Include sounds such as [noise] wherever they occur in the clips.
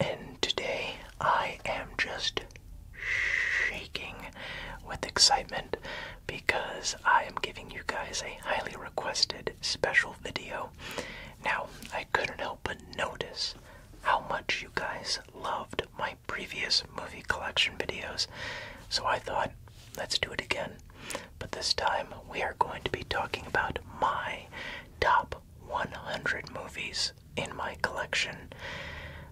and today I am just shaking with excitement because I am giving you guys a highly requested special video. Now, I couldn't help but notice how much you guys loved my previous movie collection videos, so I thought, let's do it again. But this time, we are going to be talking about my top 100 movies in my collection.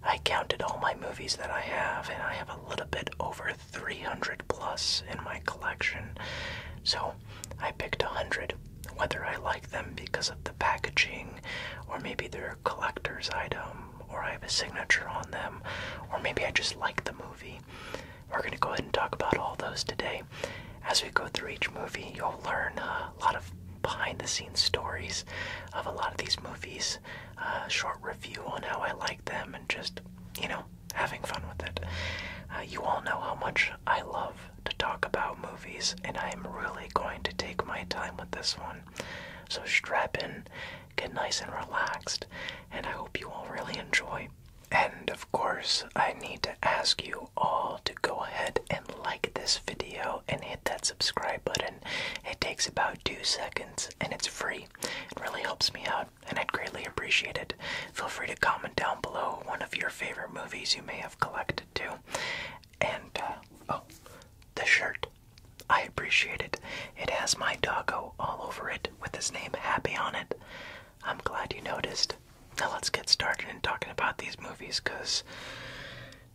I counted all my movies that I have, and I have a little bit over 300 plus in my collection. So I picked 100, whether I like them because of the packaging, or maybe they're a collector's item, or I have a signature on them, or maybe I just like the movie. We're going to go ahead and talk about all those today as we go through each movie, you'll learn uh, a lot of behind the scenes stories of a lot of these movies, uh, short review on how I like them, and just, you know, having fun with it. Uh, you all know how much I love to talk about movies, and I am really going to take my time with this one. So strap in, get nice and relaxed, and I hope you all really enjoy. And of course, I need to ask you all to go ahead and like this video and hit that subscribe button. It takes about two seconds and it's free. It really helps me out and I'd greatly appreciate it. Feel free to comment down below one of your favorite movies you may have collected too. And, uh, oh, the shirt. I appreciate it. It has my doggo all over it with his name Happy on it. I'm glad you noticed. Now let's get started in talking about these movies because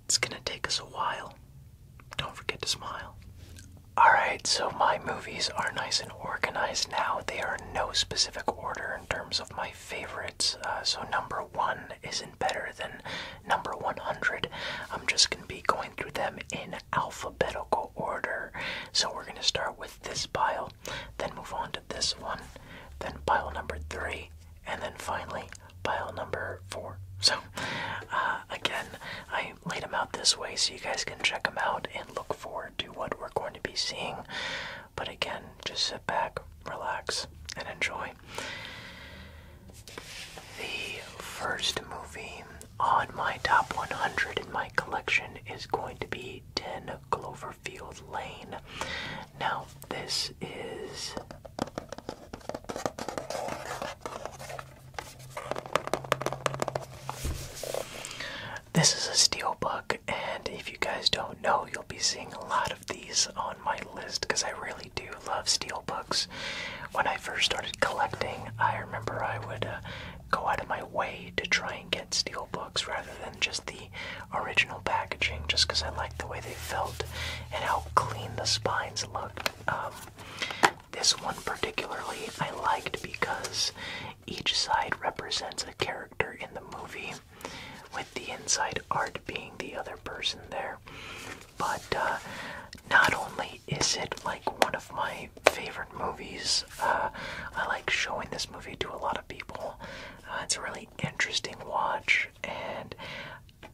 it's gonna take us a while. Don't forget to smile. Alright, so my movies are nice and organized now. They are no specific order in terms of my favorites. Uh, so, number one isn't better than number 100. I'm just going to be going through them in alphabetical order. So, we're going to start with this pile, then move on to this one, then pile number three, and then finally pile number four. So, uh, again, I laid them out this way so you guys can check them out and look forward to what we're going to be seeing. But again, just sit back, relax, and enjoy. The first movie on my top 100 in my collection is going to be 10 Cloverfield Lane. Now, this is this is a steel book, and if you guys don't know, you'll be seeing a lot of these on my list because I really do love steel books. When I first started collecting, I remember I would uh, go out of my way to try and get steel books rather than just the original packaging just because I like the way they felt and how clean the spines looked. Um, this one particularly I liked because each side represents a character in the movie, with the inside art being the other person there. But uh, not only is it like one of my favorite movies, uh, I like showing this movie to a lot of people. Uh, it's a really interesting watch, and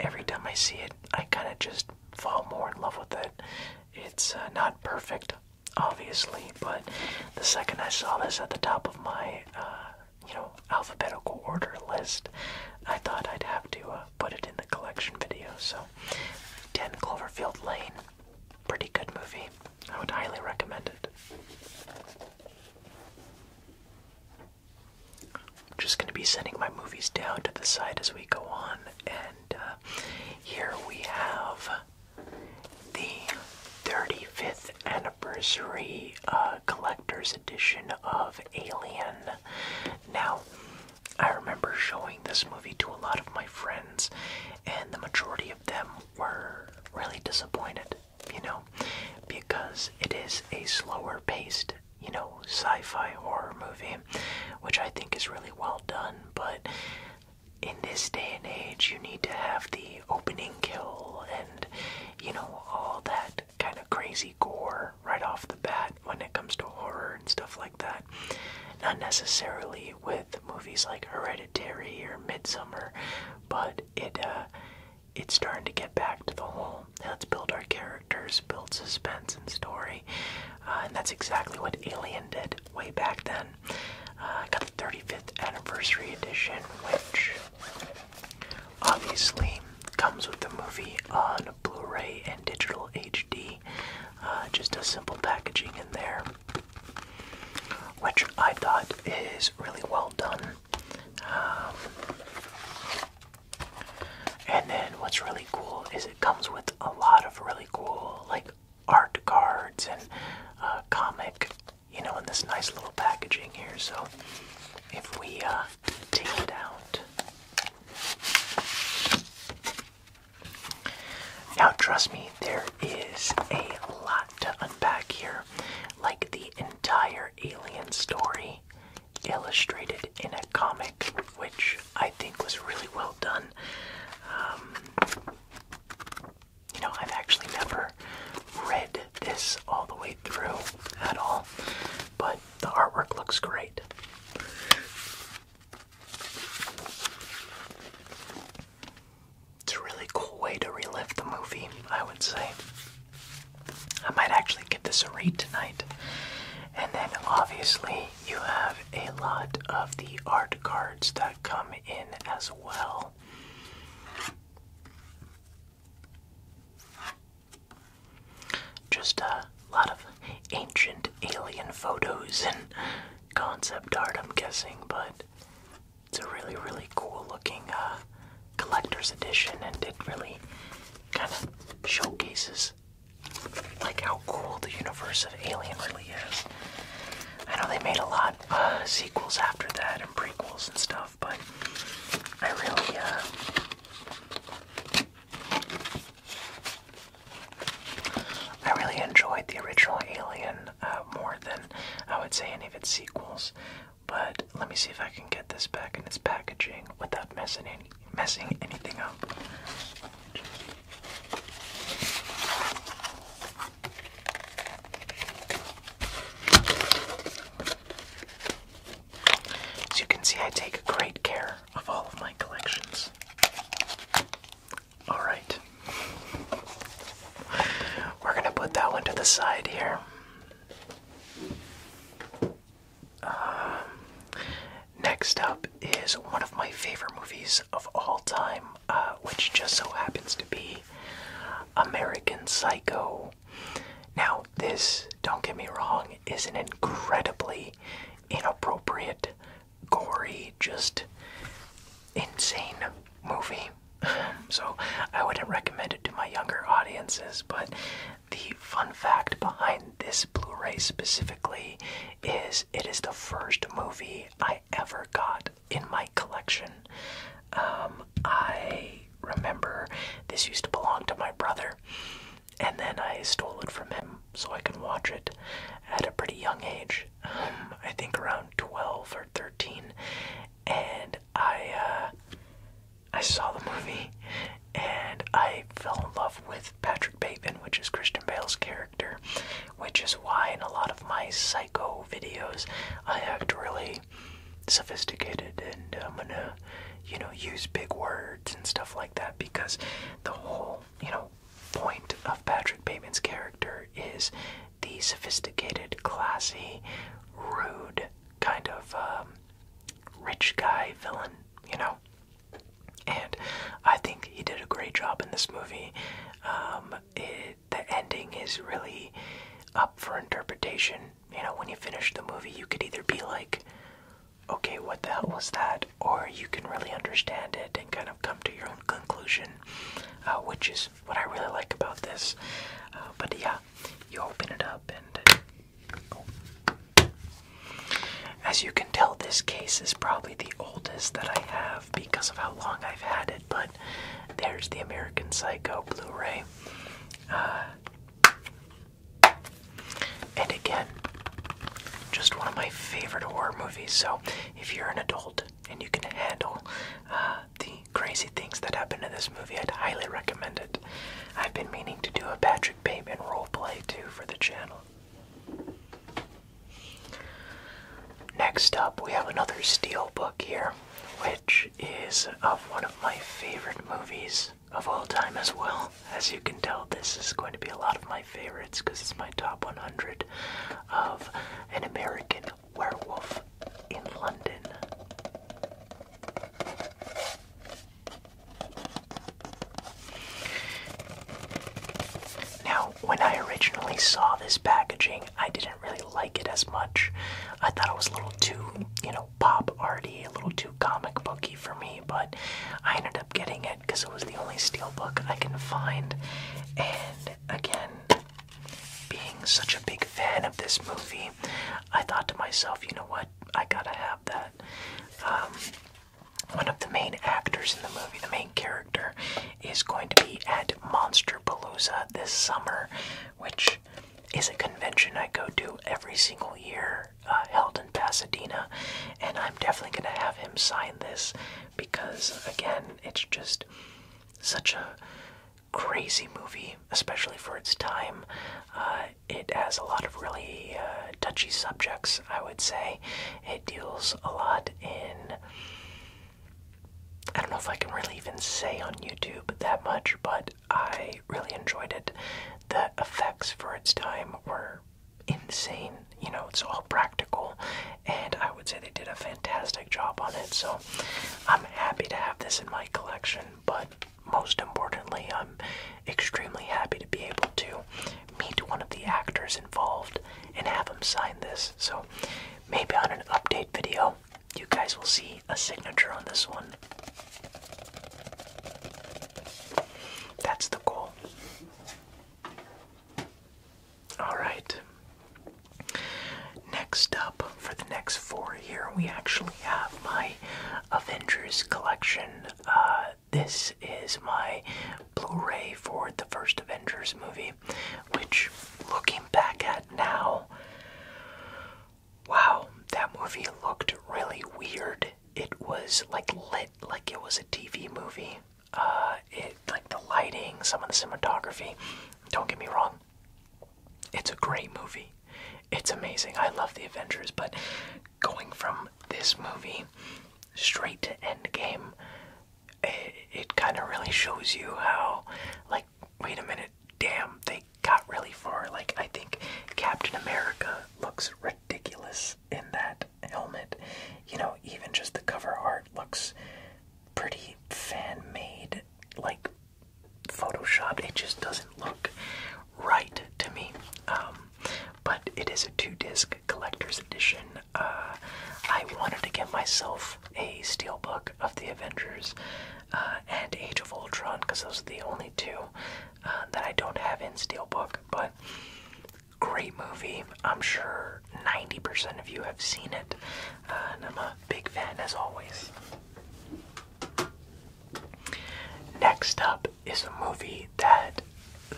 every time I see it, I kind of just fall more in love with it. It's uh, not perfect, obviously, but the second I saw this at the top of my, uh, you know, alphabetical order list, I thought I'd have to uh, put it in the collection video. So, 10 Cloverfield Lane, pretty good movie. I would highly recommend it. I'm just going to be sending my movies down to the side as we go on. And uh, here we have the 35th anniversary uh, collector's edition of Alien. Now, I remember showing this movie to a lot of my friends, and the majority of them were really disappointed you know, because it is a slower paced, you know, sci fi horror movie, which I think is really well done. But in this day and age, you need to have the opening kill and, you know, all that kind of crazy gore right off the bat when it comes to horror and stuff like that. Not necessarily with movies like Hereditary or Midsummer, but it uh, it's starting to get back to the whole let's build our characters, build suspense and story. Uh, and that's exactly what Alien did way back then. Uh, got the 35th anniversary edition, which obviously comes with the movie on Blu-ray and digital HD. Uh, just a simple packaging in there, which I thought is really well done. Um, and then what's really cool is it comes with a lot of really cool like art cards and uh, comic, you know, in this nice little packaging here. So if we uh, take it out. Now, trust me, there is a lot to unpack here. Like the entire alien story illustrated in a comic, which I think was really well done. Um, you know, I've actually never read this all the way through at all, but the artwork looks great. It's a really cool way to relive the movie, I would say. I might actually give this a read tonight. And then obviously, you have a lot of the art cards that come in as well. Just a lot of ancient alien photos and concept art, I'm guessing, but it's a really, really cool looking uh, collector's edition and it really kind of showcases like how cool the universe of Alien really is. I know they made a lot of sequels after that and prequels and stuff, but I really uh, I really enjoyed the original Alien uh, more than I would say any of its sequels. But let me see if I can get this back in its packaging without messing messing anything up. As you can see, I take great care of all of my collections. All right. We're going to put that one to the side here. Um, next up is one of my favorite movies of all time, uh, which just so happens to be American Psycho. Now, this, don't get me wrong, is an incredibly inappropriate, gory, just insane movie. [laughs] so, I wouldn't recommend it to my younger audiences, but the fun fact behind this Blu ray specifically is it is the first movie I ever got in my collection. Um, I remember this used to belong to my brother, and then I stole it from him so I can watch it at a pretty young age. Um, I think around 12 or 13. And I, uh, I saw the movie and I fell in love with Patrick Bateman, which is Christian Bale's character, which is why in a lot of my psycho videos I act really sophisticated and I'm gonna, you know, use big words and stuff like that because the whole, you know, point of Patrick Bateman's character is the sophisticated, classy, rude kind of um, rich guy villain, you know? And I think he did a great job in this movie. Um, the ending is really up for interpretation. You know, when you finish the movie, you could either be like, okay, what the hell was that? Or you can really understand it and kind of come to your own conclusion, uh, which is what I really like about this. Uh, but yeah, you open it up and as you can tell, this case is probably the oldest that I have because of how long I've had it, but there's the American Psycho Blu ray. Uh, and again, just one of my favorite horror movies. So, if you're an adult and you can handle uh, the crazy things that happen in this movie, I'd highly recommend it. I've been meaning to do a batch Payment Payman roleplay too for the channel. Next up, we have another steel book here, which is of uh, one of my favorite movies of all time as well. As you can tell, this is going to be a lot of my favorites because it's my top 100 of An American Werewolf in London. Now, when I originally saw this packaging, I didn't really like it as much. I thought it was a little too, you know, pop arty, a little too comic booky for me, but I ended up getting it because it was the only steel book I can find. And again, being such a big fan of this movie, I thought to myself, you know what? I gotta have that. Um, one of the main actors in the movie, the main character, is going to be at Monster Palooza this summer, which is a convention I go to every single year, uh, held in Pasadena, and I'm definitely going to have him sign this because, again, it's just such a crazy movie, especially for its time. Uh, it has a lot of really uh, touchy subjects, I would say. It deals a lot in. I don't know if I can really even say on YouTube that much, but I really enjoyed it. The effects for its time were insane. You know, it's all practical, and I would say they did a fantastic job on it. So I'm happy to have this in my collection, but most importantly, I'm extremely happy to be able to meet one of the actors involved and have him sign this. So maybe on an update video, you guys will see a signature on this one. That's the goal. Alright. Next up, for the next four here, we actually have my Avengers collection. Uh, this is my Blu-ray for the first Avengers movie, which, looking back at now, wow, that movie looked really weird. It was like lit like it was a TV movie. Uh, it like the lighting, some of the cinematography. Don't get me wrong. It's a great movie. It's amazing. I love the Avengers, but going from this movie straight to Endgame, it kind of really shows you how, like, wait a minute, damn, they got really far. Like, I think Captain America looks ridiculous in that helmet. You know, even just the cover art looks pretty fan made, like photoshopped. It just doesn't look right to me. Um, but it is a two disc collector's edition. Uh, I wanted to get myself a steel book of the Avengers uh, and Age of Ultron because those are the only two uh, that I don't have in steel book. But great movie. I'm sure 90% of you have seen it. and I'm a big fan as always. Next up is a movie that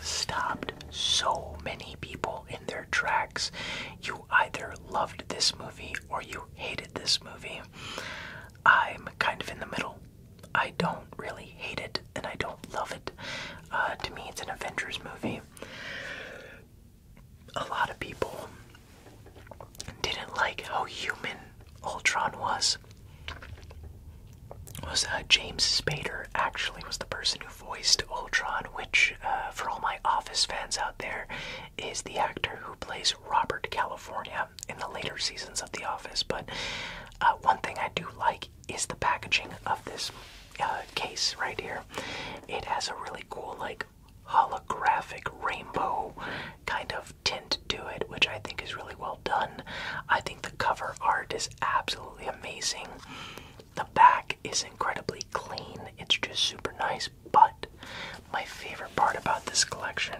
stopped so many people in their tracks. You either loved this movie or you hated this movie. I'm kind of in the middle. I don't really hate it and I don't love it. Uh, to me, it's an Avengers movie. A lot of people didn't like how human Ultron was was uh, James Spader actually was the person who voiced Ultron, which uh, for all my Office fans out there is the actor who plays Robert California in the later seasons of The Office. But uh, one thing I do like is the packaging of this case right here. It has a really cool like holographic rainbow kind of of tint to it, which I think is really well done. I think the cover art is absolutely amazing. The back is incredibly clean, it's just super nice. But my favorite part about this collection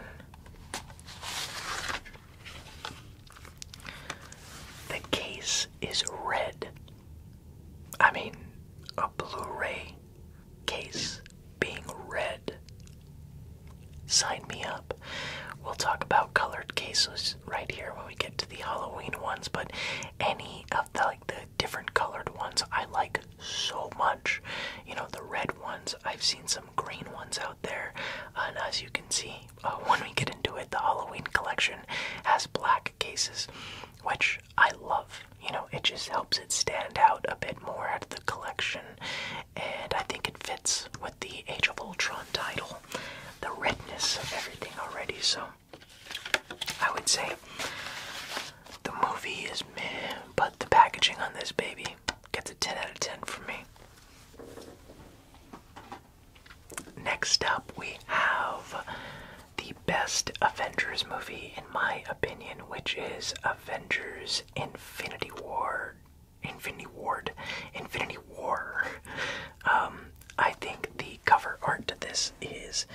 the case is red. I mean, a Blu ray case being red. Sign me up. We'll talk about colored cases right here when we get to the Halloween ones, but any of the like the different colored ones I like so much. You know, the red ones, I've seen some green ones out there, and as you can see, uh, when we get into it, the Halloween collection has black cases, which I love. You know, it just helps it stand out a bit more at collection, and I think it fits with the Age of Ultron title, the redness of everything already. So I would say the movie is meh, but the packaging on this baby gets a 10 out of 10 from me. Next up, we have the best Avengers movie, in my opinion, which is Avengers Infinity War Infinity Ward, Infinity War. Um, I think the cover art to this is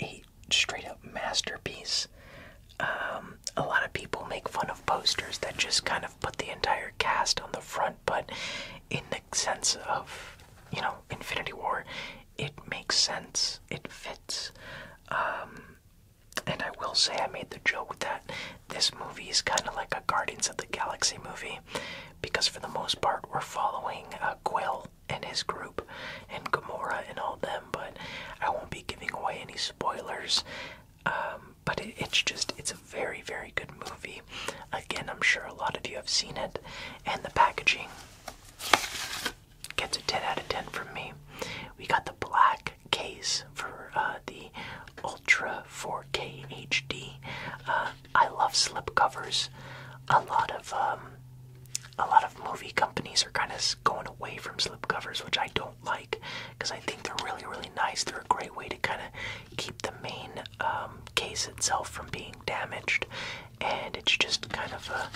a straight up masterpiece. Um, a lot of people make fun of posters that just kind of put the entire cast on the front, but in the sense of, you know, Infinity War, it makes sense. It fits. Um, and I will say, I made the joke that this movie is kind of like a Guardians of the Galaxy movie because, for the most part, we're following uh, Quill and his group and Gamora and all them, but I won't be giving away any spoilers. Um, but it's just, it's a very, very good movie. Again, I'm sure a lot of you have seen it, and the packaging gets a 10 out of 10 from me. We got the black case for uh, the Ultra 4K HD. Uh, I love slipcovers. A lot of um, a lot of movie companies are kind of going away from slipcovers, which I don't like because I think they're really really nice. They're a great way to kind of keep the main um, case itself from being damaged, and it's just kind of a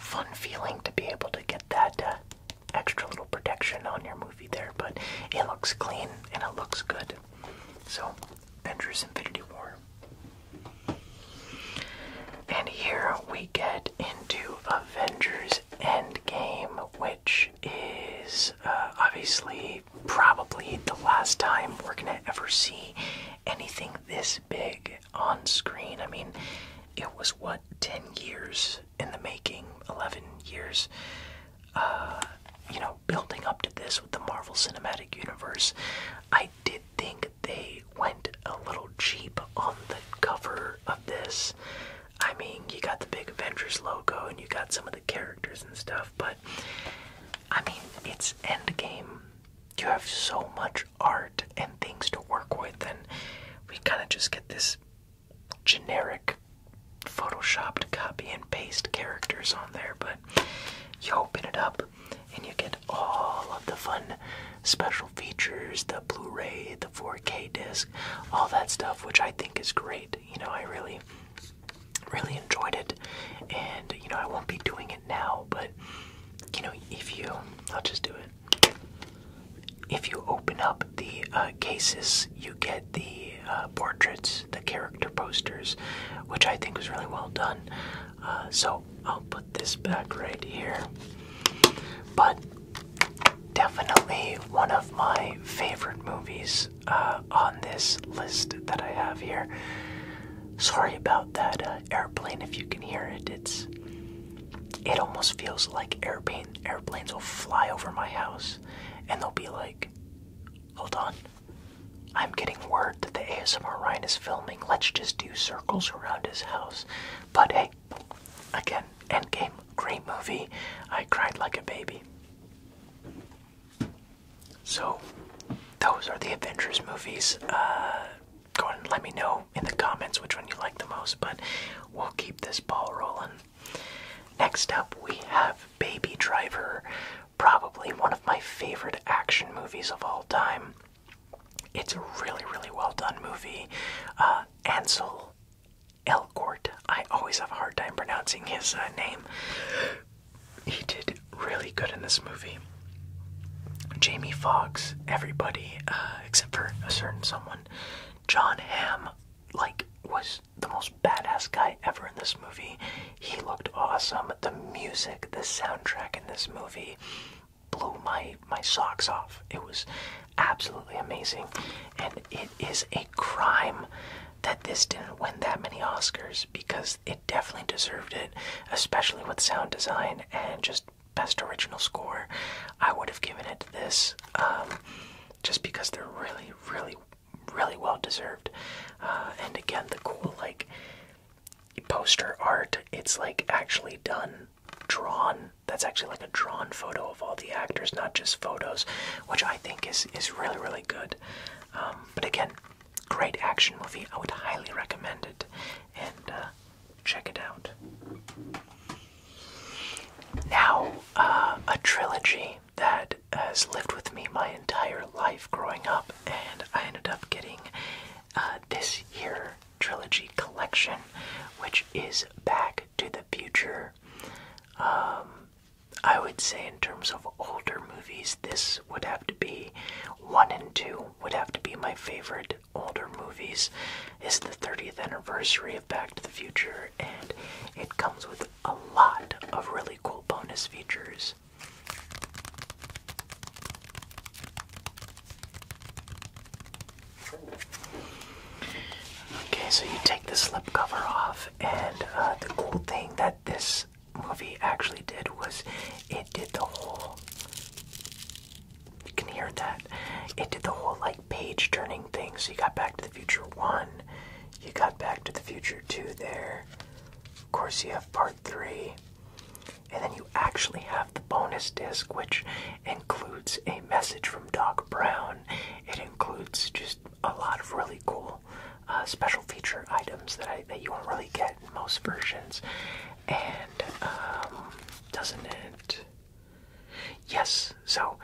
fun feeling to be able to get that uh, extra little protection on your movie there, but it looks clean and it looks good. So, Avengers Infinity War. And here we get into Avengers Endgame, which is uh, obviously probably the last time we're gonna ever see anything this big on screen. I mean, it was what, 10 years in the making, 11 years, uh, you know, building up to this with the Marvel Cinematic Universe. I did think they went a little cheap on the cover of this. I mean, you got the big Avengers logo and you got some of the characters and stuff, but I mean, it's Endgame. You have so much art and things to work with, and we kind of just get this generic photoshopped copy and paste characters on there, but you open it up and you get all of the fun special features, the Blu-ray, the 4K disc, all that stuff, which I think is great. You know, I really really enjoyed it and you know I won't be doing it now, but you know, if you I'll just do it. If you open up the uh, cases, you get the uh, portraits, the character posters, which I think was really well done. Uh, so I'll put this back right here. But definitely one of my favorite movies on this list that I have here. Sorry about that airplane if you can hear it. It's it almost feels like airplane airplanes will fly over my house and they'll be like, Hold on. I'm getting word that the ASMR Ryan is filming. Let's just do circles around his house. But hey, again, Endgame, great movie. I cried like a baby. So, those are the Avengers movies. Uh, go and let me know in the comments which one you like the most, but we'll keep this ball rolling. Next up, we have Baby Driver, probably one of my favorite action movies of all time. It's a really, really well done movie. Uh, Ansel Elgort, I always have a hard time pronouncing his uh, name. He did really good in this movie. Jamie Foxx, everybody uh, except for a certain someone. John Hamm, like was the most badass guy ever in this movie. He looked awesome. The music, the soundtrack in this movie blew my my socks off. It was absolutely amazing. And it is a crime that this didn't win that many Oscars because it definitely deserved it, especially with sound design and just best original score. I would have given it this um, just because they're really, really, really well deserved. Uh, and again, the cool like poster art, it's like actually done, drawn. That's actually like a drawn photo of all the actors, not just photos, which I think is is really, really good. Um, but again, great action movie. I would highly recommend it, and uh, check it out. Now, uh, a trilogy that has lived with me my entire life growing up, and I ended up getting uh, this year trilogy collection, which is Back to the Future. Um, I would say, in terms of older movies, this would have to be one and two, would have to be my favorite older movies. Is the 30th anniversary of Back to the Future and it comes with a lot of really cool bonus features. Okay, so you take the slipcover off, and uh, the cool thing that this movie actually did was it did the whole. You can hear that. It did the whole like page turning thing. So you got Back to the Future 1, you got Back to the Future 2 there. Of course, you have Part 3. And then you actually have the bonus disc, which includes a message from Doc Brown. It includes just a lot of really cool uh, special feature items that that you won't really get in most versions. And um, doesn't it? Yes, so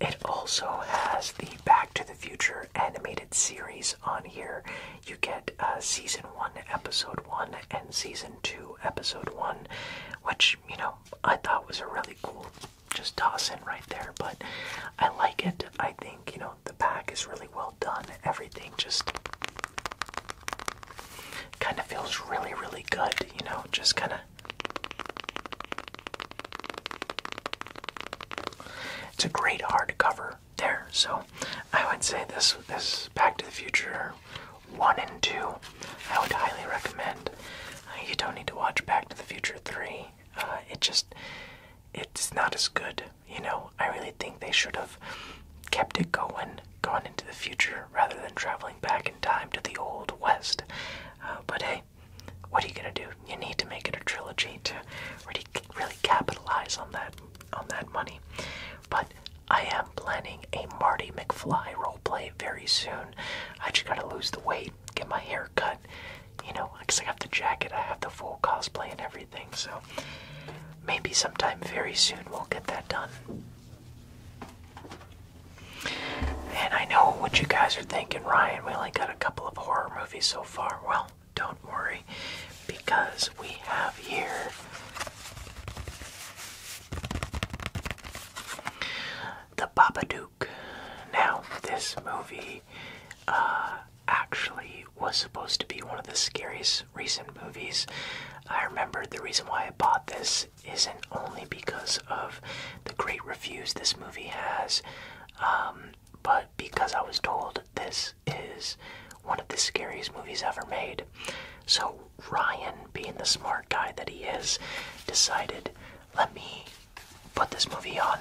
it also has the Back to the Future animated series on here. You get uh, season one, episode one, and season two, episode one, which, you know, I thought was a really cool just toss in right there, but I like it. I think, you know, the pack is really well done. Everything just kind of feels really, really good, you know, just kind of it's a great hardcover there, so I would say this this Back to the Future one and two. I would highly recommend. Uh, you don't need to watch Back to the Future three. Uh, it just it's not as good, you know. I really think they should have kept it going, going into the future rather than traveling back in time to the old west. Uh, but hey, what are you gonna do? You need to make it a trilogy to really really capitalize on that on that money. But I am planning a Marty McFly role play very soon. I just gotta lose the weight, get my hair cut, you know, because I got the jacket, I have the full cosplay and everything, so maybe sometime very soon we'll get that done. And I know what you guys are thinking, Ryan. We only got a couple of horror movies so far. Well, don't worry, because we have here The Babadook. Now, this movie uh, actually was supposed to be one of the scariest recent movies. I remember the reason why I bought this isn't only because of the great reviews this movie has, um, but because I was told this is one of the scariest movies ever made. So Ryan, being the smart guy that he is, decided, let me put this movie on.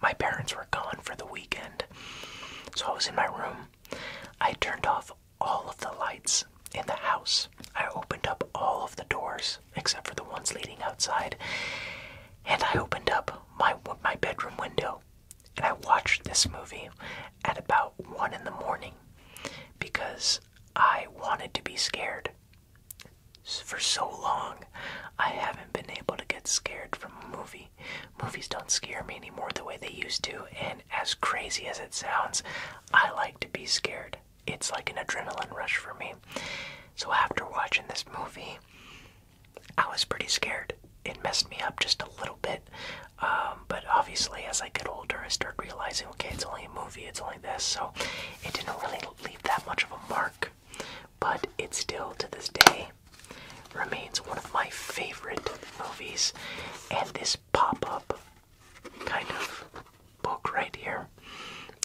My parents were gone for the weekend, so I was in my room. I turned off all of the lights in the house. I opened up all of the doors except for the ones leading outside. And I opened up my my bedroom window and I watched this movie at about 1 in the morning because I wanted to be scared. For so long, I haven't been able to get scared from a movie. Movies don't scare me anymore the way they used to, and as crazy as it sounds, I like to be scared it's like an adrenaline rush for me. So after watching this movie, I was pretty scared. It messed me up just a little bit. Um, but obviously, as I get older, I start realizing okay, it's only a movie, it's only this. So it didn't really leave that much of a mark. But it still, to this day, remains one of my favorite movies. And this pop up kind of book right here,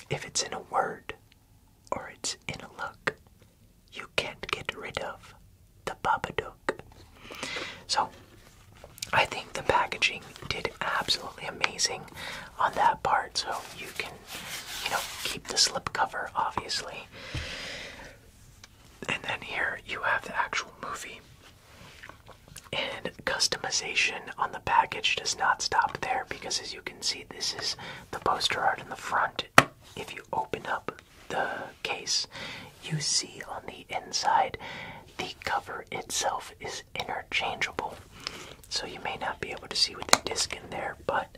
if it's in a word or it's in a look, you can't get rid of the Babadook. So, I think the packaging did absolutely amazing on that part. So you can, you know, keep the slipcover, obviously. And then here you have the actual movie customization on the package does not stop there because, as you can see, this is the poster art in the front. If you open up the case, you see on the inside the cover itself is interchangeable. So you may not be able to see with the disc in there, but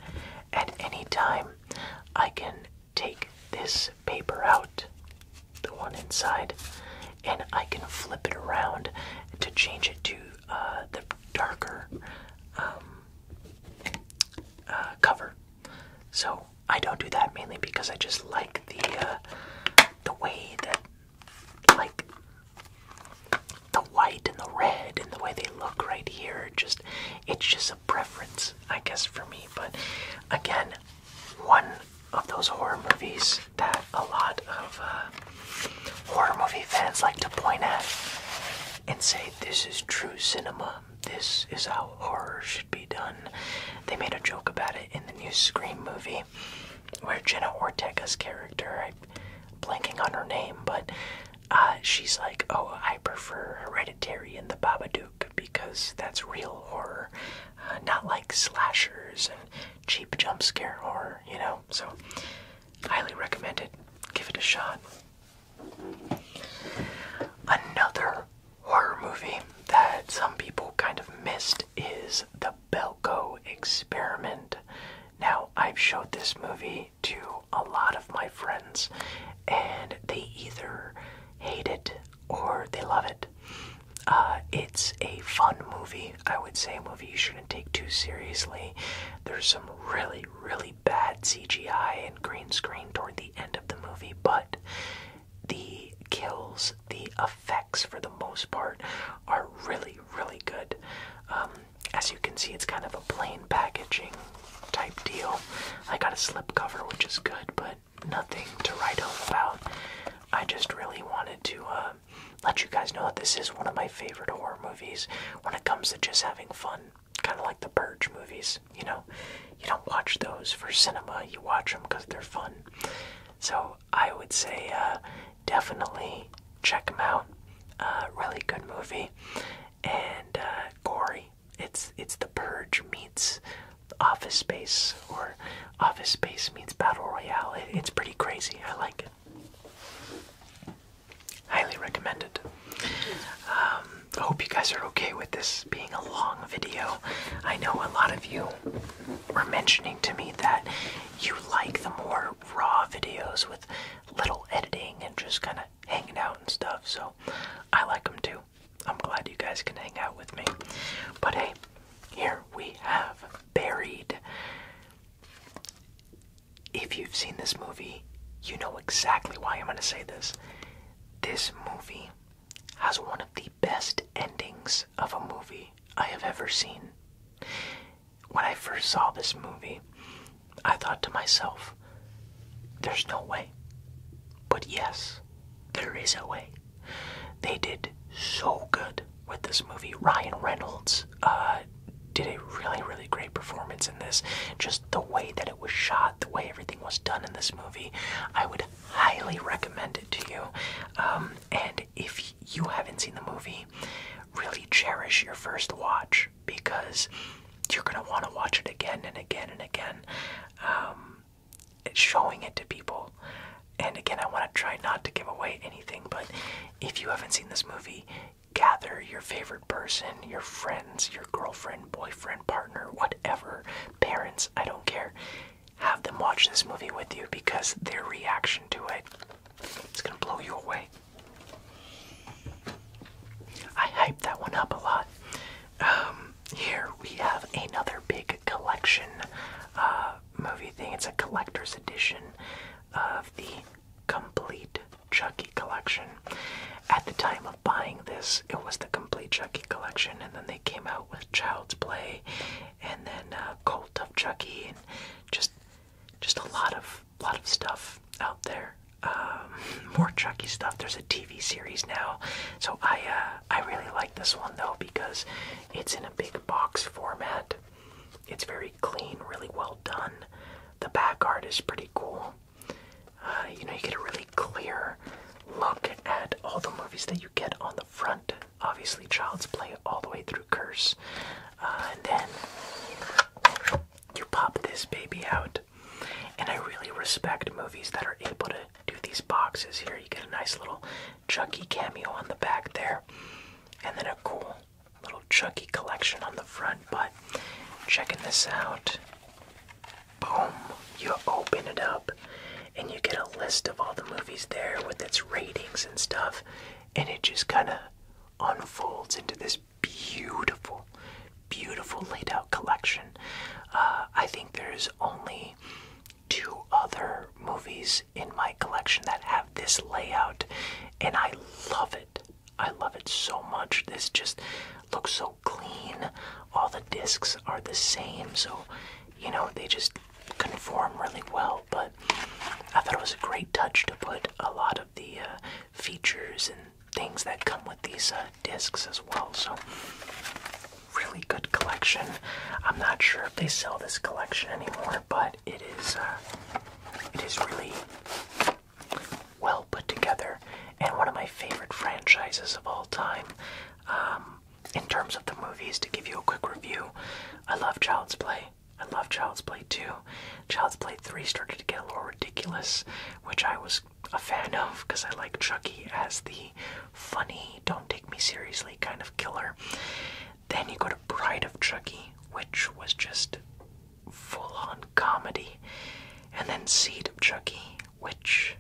at any time I can take this paper out, the one inside, and I can flip it around to change it to uh, the darker um, uh, cover. So I don't do that mainly because I just like the uh, the way that like the white and the red and the way they look right here. Just it's just a preference, I guess, for me. But again, one of those horror movies that a lot of uh, horror movie fans like to point at and say, This is true cinema. This is how horror should be done. They made a joke about it in the new Scream movie where Jenna Ortega's character, i blanking on her name, but uh, she's like, Oh, I prefer Hereditary and the Babadook because that's real horror, uh, not like slashers and cheap jump scare horror, you know? So Highly recommended. Give it a shot. Another horror movie that some people kind of missed is The Belko Experiment. Now, I've showed this movie to a lot of my friends, and they either hate it or they love it. Uh, it's a fun movie, I would say, a movie you should take too seriously. There's some really, really bad CGI and green screen toward the end of the movie, but the kills, the effects for the most part, are really, really good. Um, as you can see, it's kind of a plain packaging type deal. I got a slipcover, which is good, but nothing to write home about. I just really wanted to uh, let you guys know that this is one of my favorite horror movies when it comes to just having fun. Kind of like the Purge movies, you know? You don't watch those for cinema, you watch them because they're fun. So I would say uh, definitely check them out. Uh, really good movie and uh, gory. It's it's the Purge meets Office Space or Office Space meets Battle Royale. it's pretty crazy. I like it. Highly recommended. Um, I hope you guys are okay with this being a long video. I know a lot of you were mentioning to me that you like the more raw videos with little editing and just kind of hanging out and stuff, so I like them too. I'm glad you guys can hang out with me. But hey, here we have Buried if you've seen this movie, you know exactly why I'm going to say this. This movie has one of the best endings of a movie I have ever seen. When I first saw this movie, I thought to myself, there's no way. But yes, there is a way. They did so good with this movie. Ryan Reynolds uh, did a really, really great performance in this. Just the way that it was shot, the way everything was done in this movie, I would highly recommend it to you. Um, and if you haven't seen the movie, really cherish your first watch because you're going to want to watch it again and again and again. Um, showing it to people. And again, I want to try not to give away anything, but if you haven't seen this movie, gather your favorite person, your friends, your girlfriend, boyfriend, partner, whatever, parents, I don't care. Have them watch this movie with you because their reaction to it it's going to blow you away. I hyped that one up a lot. Um, here we have another big collection uh, movie thing. It's a collector's edition of the complete Chucky collection. At the time of buying this, it was the complete Chucky collection, and then they came out with Child's Play, and then uh, Cult of Chucky, and just just a lot of lot of stuff out there. Um, [laughs] more Chucky stuff. There's a TV series now, so I uh, I really like this one though because it's in a big box format. It's very clean, really well done. The back art is pretty cool. Uh, you know, you get a really clear look at all the movies that you get on the front. Obviously, Child's Play all the way through Curse. Uh, and then you pop this baby out. And I really respect movies that are able to do these boxes here. You get a nice little Chuckie cameo on the back there. And then a cool little chunky collection on the front, but checking this out. Boom! You open it up and you get a list of all the movies there with its ratings and stuff, and it just kind of unfolds into this beautiful, beautiful laid out collection. Uh, I think there's only two other movies in my collection that have this layout and I love it. I love it so much. This just looks so clean. All the discs are the same, so you know they just conform really well. But I thought it was a great touch to put a lot of the uh, features and things that come with these uh, discs as well. So really good collection. I'm not sure if they sell this collection anymore but it is uh, it is really well put together and one of my favorite franchises of all time. Um, in terms of the movies, to give you a quick review, I love Child's Play. I love Child's Play 2. Child's Play 3 started to get a little ridiculous, which I was a fan of because I like Chucky as the funny, don't take me seriously kind of killer. Then you go to Bride of Chucky, which was just full on comedy, and then Seed of Chucky, which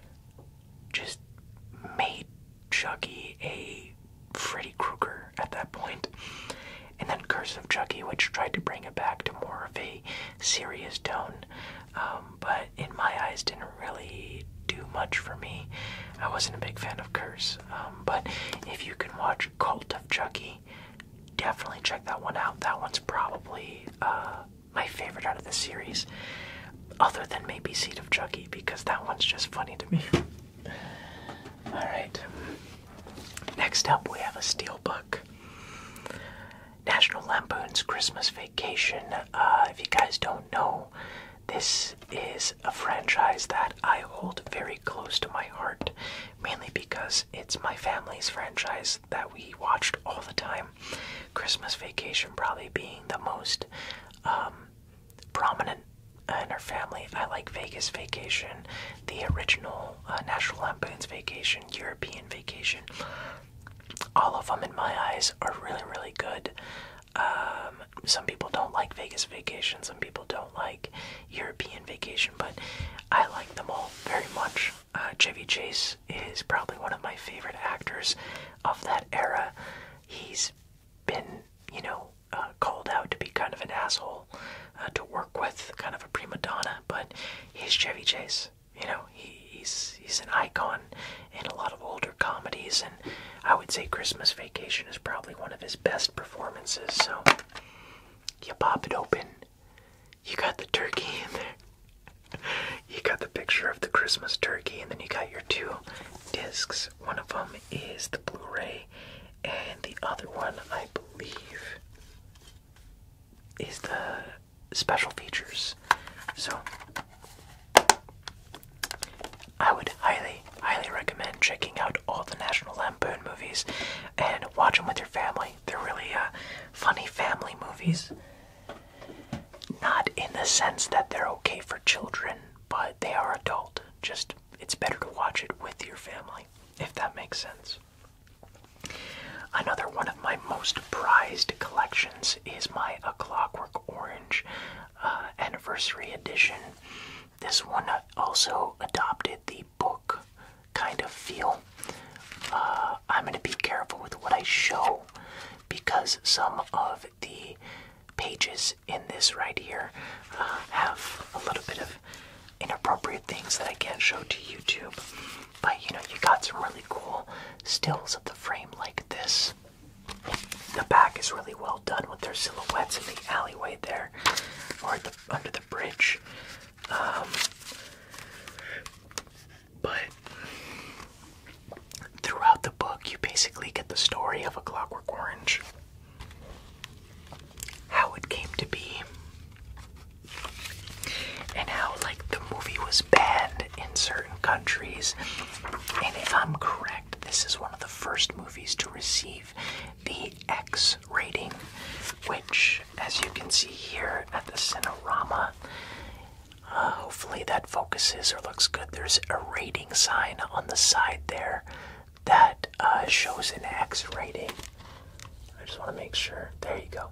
just made Chucky a Freddy Krueger at that And then Curse of Chucky, which tried to bring it back to more of a serious tone, um, but in my eyes didn't really do much for me. I wasn't a big fan of Curse, um, but if you can watch Cult of Chucky, definitely check that one out. That one's probably uh, my favorite out of the series, other than maybe Seed of Chucky, because that one's just funny to me. [laughs] Alright. Next up, we have a book. National Lampoon's Christmas Vacation. Uh, if you guys don't know, this is a franchise that I hold very close to my heart mainly because it's my family's franchise that we watched all the time. Christmas Vacation probably being the most um, prominent in our family. I like Vegas Vacation, the original uh, National Lampoon's Vacation, European Vacation. All of them, in my eyes, are really, really good. Um, some people don't like Vegas Vacation. Some people don't like European vacation, but I like them all very much. Uh, Chevy Chase is probably one of my favorite actors of that era. He's been, you know, uh, called out to be kind of an asshole uh, to work with, kind of a prima donna, but he's Chevy Chase. You know, he's he's an icon in a lot of older comedies, and I would say Christmas Vacation is probably one of his best performances. So you pop it open, you got the turkey in there. You got the picture of the Christmas turkey, and then you got your two discs. One of them is the Blu ray, and the other one, I believe, is the special features. So, I would highly, highly recommend checking out all the National Boone movies and watch them with your family. They're really uh, funny family movies. Not in the sense that they're okay for children, but they are adult. Just it's better to watch it with your family, if that makes sense. Another one of my most prized collections is my A Clockwork Orange uh, Anniversary Edition. This one also adopted the book kind of feel. Uh, I'm going to be careful with what I show because some of the pages in this right here uh, have a little bit of inappropriate things that I can't show to YouTube. But you know, you got some really cool stills of the frame like this. The back is really well done with their silhouettes in the alleyway there, or under the bridge. Um, but throughout the book, you basically get the story of A Clockwork Orange, how it came to be, and how, like, the movie was banned in certain countries. And if I'm correct, this is one of the first movies to receive the X rating, which, as you can see here at the Cinerama, uh, hopefully that focuses or looks good. There's a rating sign on the side there that uh, shows an X rating. I just want to make sure. There you go.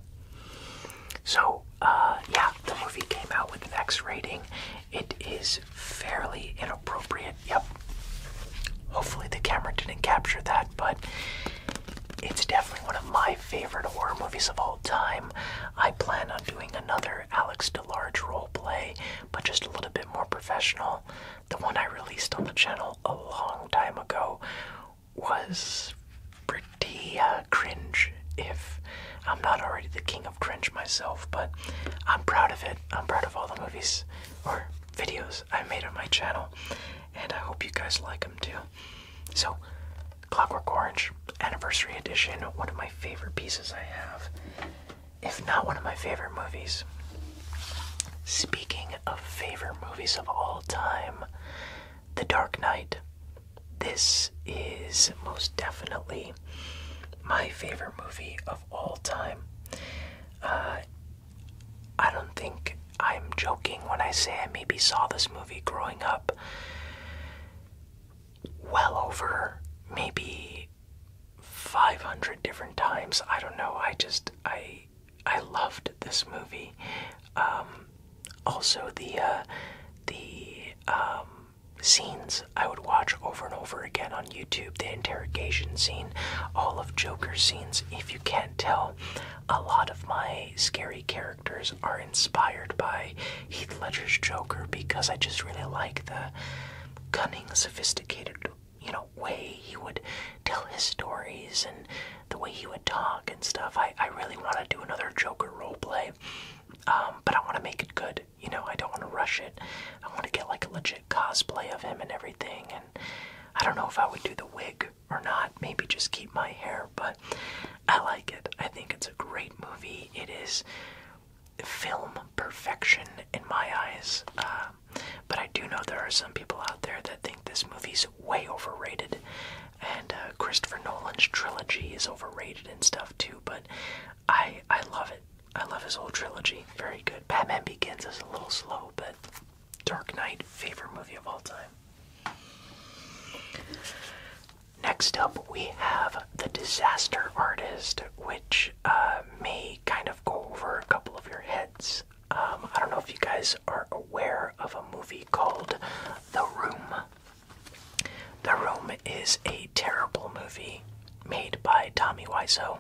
So, uh, yeah, the movie came out with an X rating. It is fairly inappropriate. Yep. Hopefully the camera didn't capture that, but it's definitely one of my favorite horror movies of all time. I plan on doing another Alex DeLarge role play, but just a little bit more professional. The one I released on the channel a long time ago was pretty uh, cringe, if I'm not already the king of cringe myself, but I'm proud of it. I'm proud of all the movies or videos I made on my channel and I hope you guys like them too. So, Clockwork Orange Anniversary Edition, one of my favorite pieces I have, if not one of my favorite movies. Speaking of favorite movies of all time, The Dark Knight. This is most definitely my favorite movie of all time. Uh, I don't think I'm joking when I say I maybe saw this movie growing up well over maybe 500 different times. I don't know. I just I I loved this movie. Um, also the uh the um scenes I would watch over and over again on YouTube, the interrogation scene, all of Joker's scenes. If you can't tell, a lot of my scary characters are inspired by Heath Ledger's Joker because I just really like the cunning, sophisticated, you know, way he would tell his stories and the way he would talk and stuff. I, I really want to do another Joker roleplay, um, but I want to make it good. You know, I don't want to rush it. I want to get like a legit cosplay of him and everything. And I don't know if I would do the wig or not, maybe just keep my hair, but I like it. I think it's a great movie. It is film perfection in my eyes. Um, but I do know there are some people out there that think this movie's way overrated, and uh, Christopher Nolan's trilogy is overrated and stuff too. But I I love it. I love his whole trilogy. Very good. Batman Begins is a little slow, but Dark Knight, favorite movie of all time. Next up, we have The Disaster Artist, which uh, may kind of go over a couple of your heads. Um, I don't know if you guys are aware of a movie called The Room. The Room is a terrible movie made by Tommy Wiseau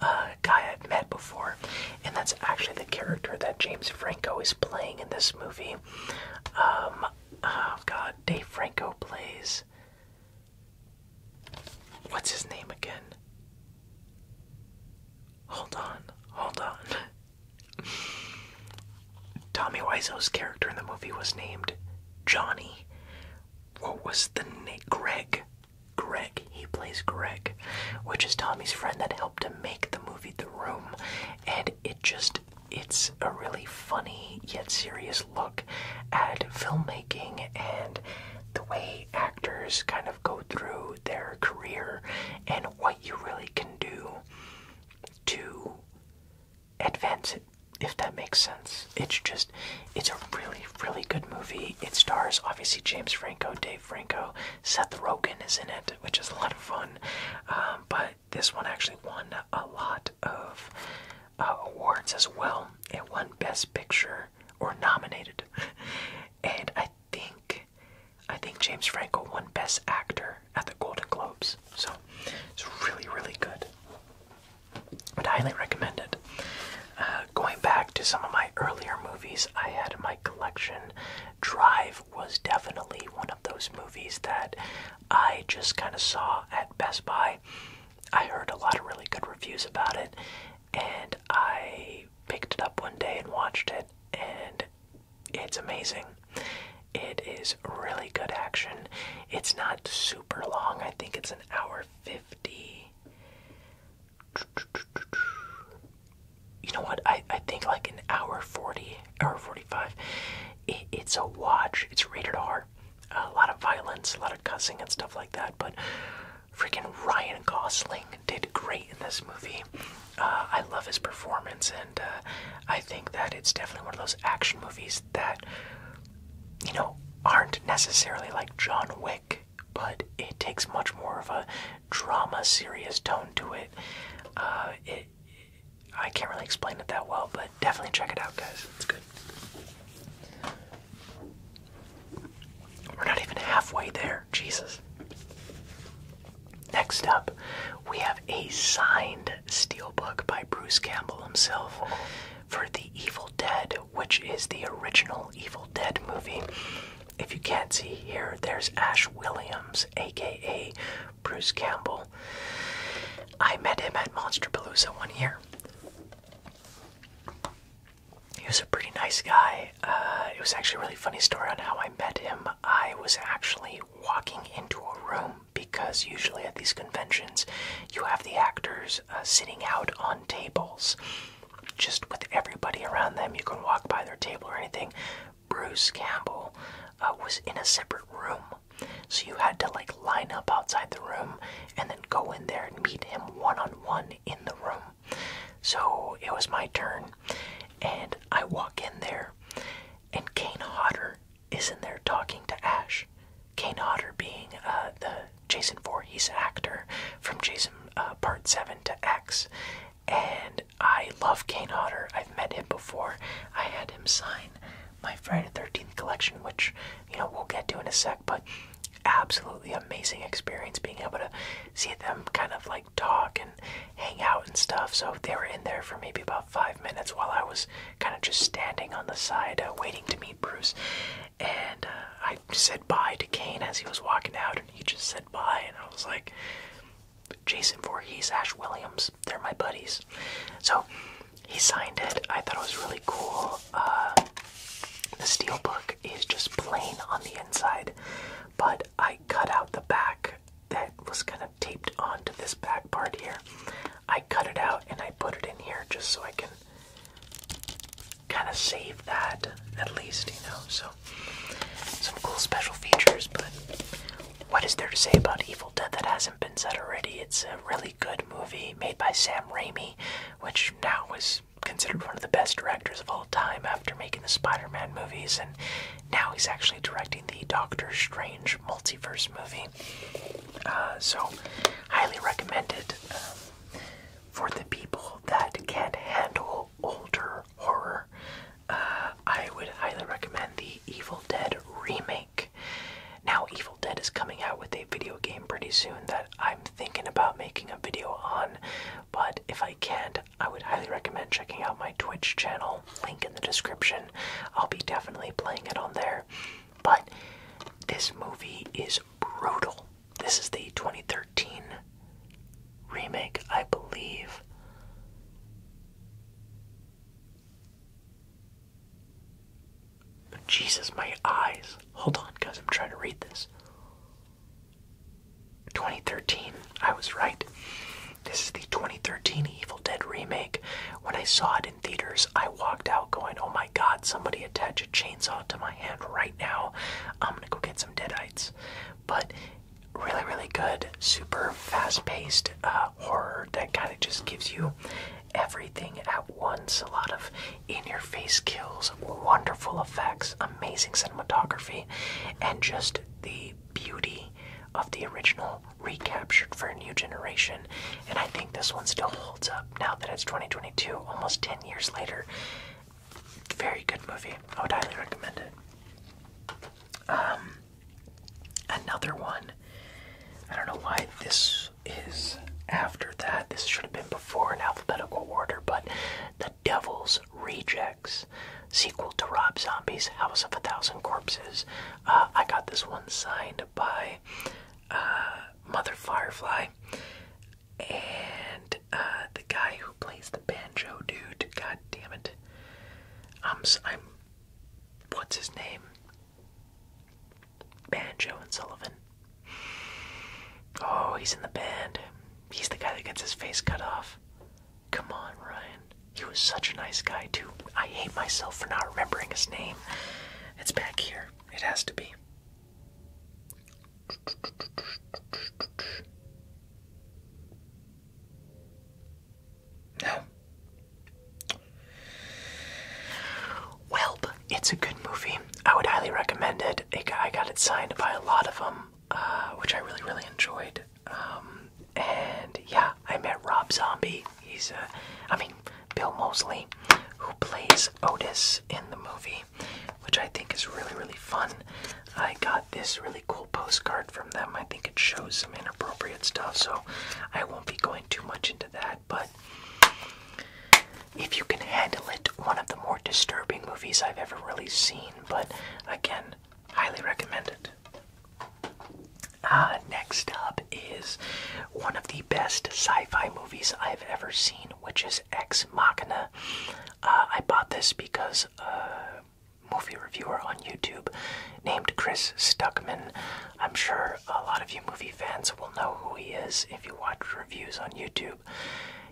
uh, guy I've met before, and that's actually the character that James Franco is playing in this movie. Um, oh, God, Dave Franco plays. What's his name again? Hold on, hold on. Tommy Wiseau's character in the movie was named Johnny. What was the name? Greg. Greg. He plays Greg, which is Tommy's friend that helped him make the movie The Room. And it just, it's a really funny yet serious look at filmmaking and the way actors kind of go through their career and what you really can do to advance it if that makes sense. It's just, it's a really, really good movie. It stars obviously James Franco, Dave Franco, Seth Rogen is in it, which is a lot of fun. Um, but this one actually won a lot of uh, awards as well. It won Best Picture or nominated, [laughs] and I think I think James Franco won Best Actor at the Golden Globes. So it's really really good. i highly recommend it. Uh, going back to some of my earlier movies, I had my collection. Drive was definitely one of those movies that I just kind of saw at Best Buy. I heard a lot of really good reviews about it, and I picked it up one day and watched it, and it's amazing. It is really good action. It's not super long, I think it's an hour 50. You know what? I I think like an hour forty, hour forty five. it's a watch. It's rated R. A lot of violence, a lot of cussing and stuff like that. But freaking Ryan Gosling did great in this movie. Uh, I love his performance, and uh, I think that it's definitely one of those action movies that you know aren't necessarily like John Wick, but it takes much more of a drama, serious tone to it. Uh, it. I can't really explain it that well, but definitely check it out, guys. It's good. We're not even halfway there. Jesus. Next up, we have a signed steelbook by Bruce Campbell himself for The Evil Dead, which is the original Evil Dead movie. If you can't see here, there's Ash Williams, aka Bruce Campbell. I met him at Monsterpalooza one year. He was a pretty nice guy. Uh, it was actually a really funny story on how I met him. I was actually walking into a room because usually at these conventions you have the actors uh, sitting out on tables just with everybody around them. You can walk by their table or anything. Bruce Campbell uh, was in a separate room. So you had to like line up outside the room and then go in there and meet him one on one in the room. So it was my turn and I walk in there and Kane Hodder is in there talking to Ash. Kane Hodder being uh, the Jason Voorhees actor from Jason uh, Part 7 to X and I love Kane Otter. I've met him before. I had him sign my Friday the 13th collection, which, you know, we'll get to in a sec, but absolutely amazing experience being able to see them kind of like talk and hang out and stuff. So they were in there for maybe about five minutes while I was kind of just standing on the side uh, waiting to meet Bruce. And uh, I said bye to Kane as he was walking out, and he just said bye, and I was like, Jason Voorhees, Ash Williams, they're my buddies. So he signed it. I thought it was really cool. Uh, the steel book is just plain on the inside, but I cut out the back that was kind of taped onto this back part here. I cut it out and I put it in here just so I can kind of save that at least, you know. So some cool special features, but what is there to say about Evil Dead that hasn't been said already? It's a really good movie made by Sam Raimi, which now is considered one of the best directors of all time after making the Spider-Man movies, and now he's actually directing the Doctor Strange multiverse movie. Uh, so, highly recommended um, for the people that can not handle older horror, uh, I would highly recommend the Evil Dead remake. Now, Evil Dead is coming out with a video game pretty soon that I'm thinking about making a video on, but if I can't, I would highly recommend checking out my Twitch channel, link in the description. I'll be definitely playing it on there. But this movie is brutal. This is the 2013 remake, I believe. Jesus, my eyes. Hold on, guys, I'm trying to read this. 2013, I was right. This is the 2013 Evil Dead remake. When I saw it in theaters, I walked out going, Oh my god, somebody attach a chainsaw to my hand right now. I'm gonna go get some deadites. But really, really good, super fast-paced uh, horror that kind of just gives you everything at once. A lot of in-your-face kills, wonderful effects, amazing cinematography, and just the beauty of the original recaptured for a new generation. And I think this one still holds up now that it's 2022, almost 10 years later. Very good movie. I would highly recommend it. Um, another one. I don't know why this is after that. This should have been before in alphabetical order, but The Devil's Rejects, sequel to Rob Zombie's House of a Thousand Corpses. Uh, I got this one signed by uh, Mother Firefly, and uh, the guy who plays the banjo dude. God damn it! i um, I'm. What's his name? Banjo and Sullivan. Oh, he's in the band. He's the guy that gets his face cut off. Come on, Ryan. He was such a nice guy too. I hate myself for not remembering his name. It's back here. It has to be. No. Well, it's a good movie. I would highly recommend it. I got it signed by a lot of them, uh, which I really, really enjoyed. Um, and yeah, I met Rob Zombie. He's, uh, I mean, Bill Mosley, who plays Otis in the movie, which I think is really, really fun. I got this really cool postcard from them. I think it shows some inappropriate stuff, so I won't be going too much into that. But if you can handle it, one of the more disturbing movies I've ever really seen, but again, highly recommend it. Uh, next up is one of the best sci fi movies I've ever seen, which is Ex Machina. Uh, I bought this because uh, movie reviewer on YouTube named Chris Stuckman. I'm sure a lot of you movie fans will know who he is if you watch reviews on YouTube.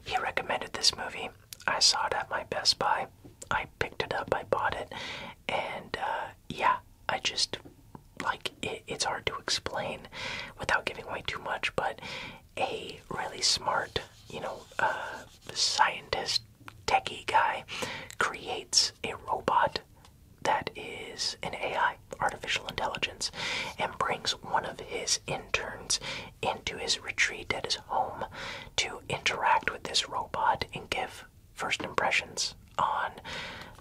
He recommended this movie. I saw it at my Best Buy. I picked it up, I bought it, and uh, yeah, I just like it, it's hard to explain without giving away too much, but a really smart, you know, uh, scientist techie guy creates a robot that is an AI, artificial intelligence, and brings one of his interns into his retreat at his home to interact with this robot and give first impressions on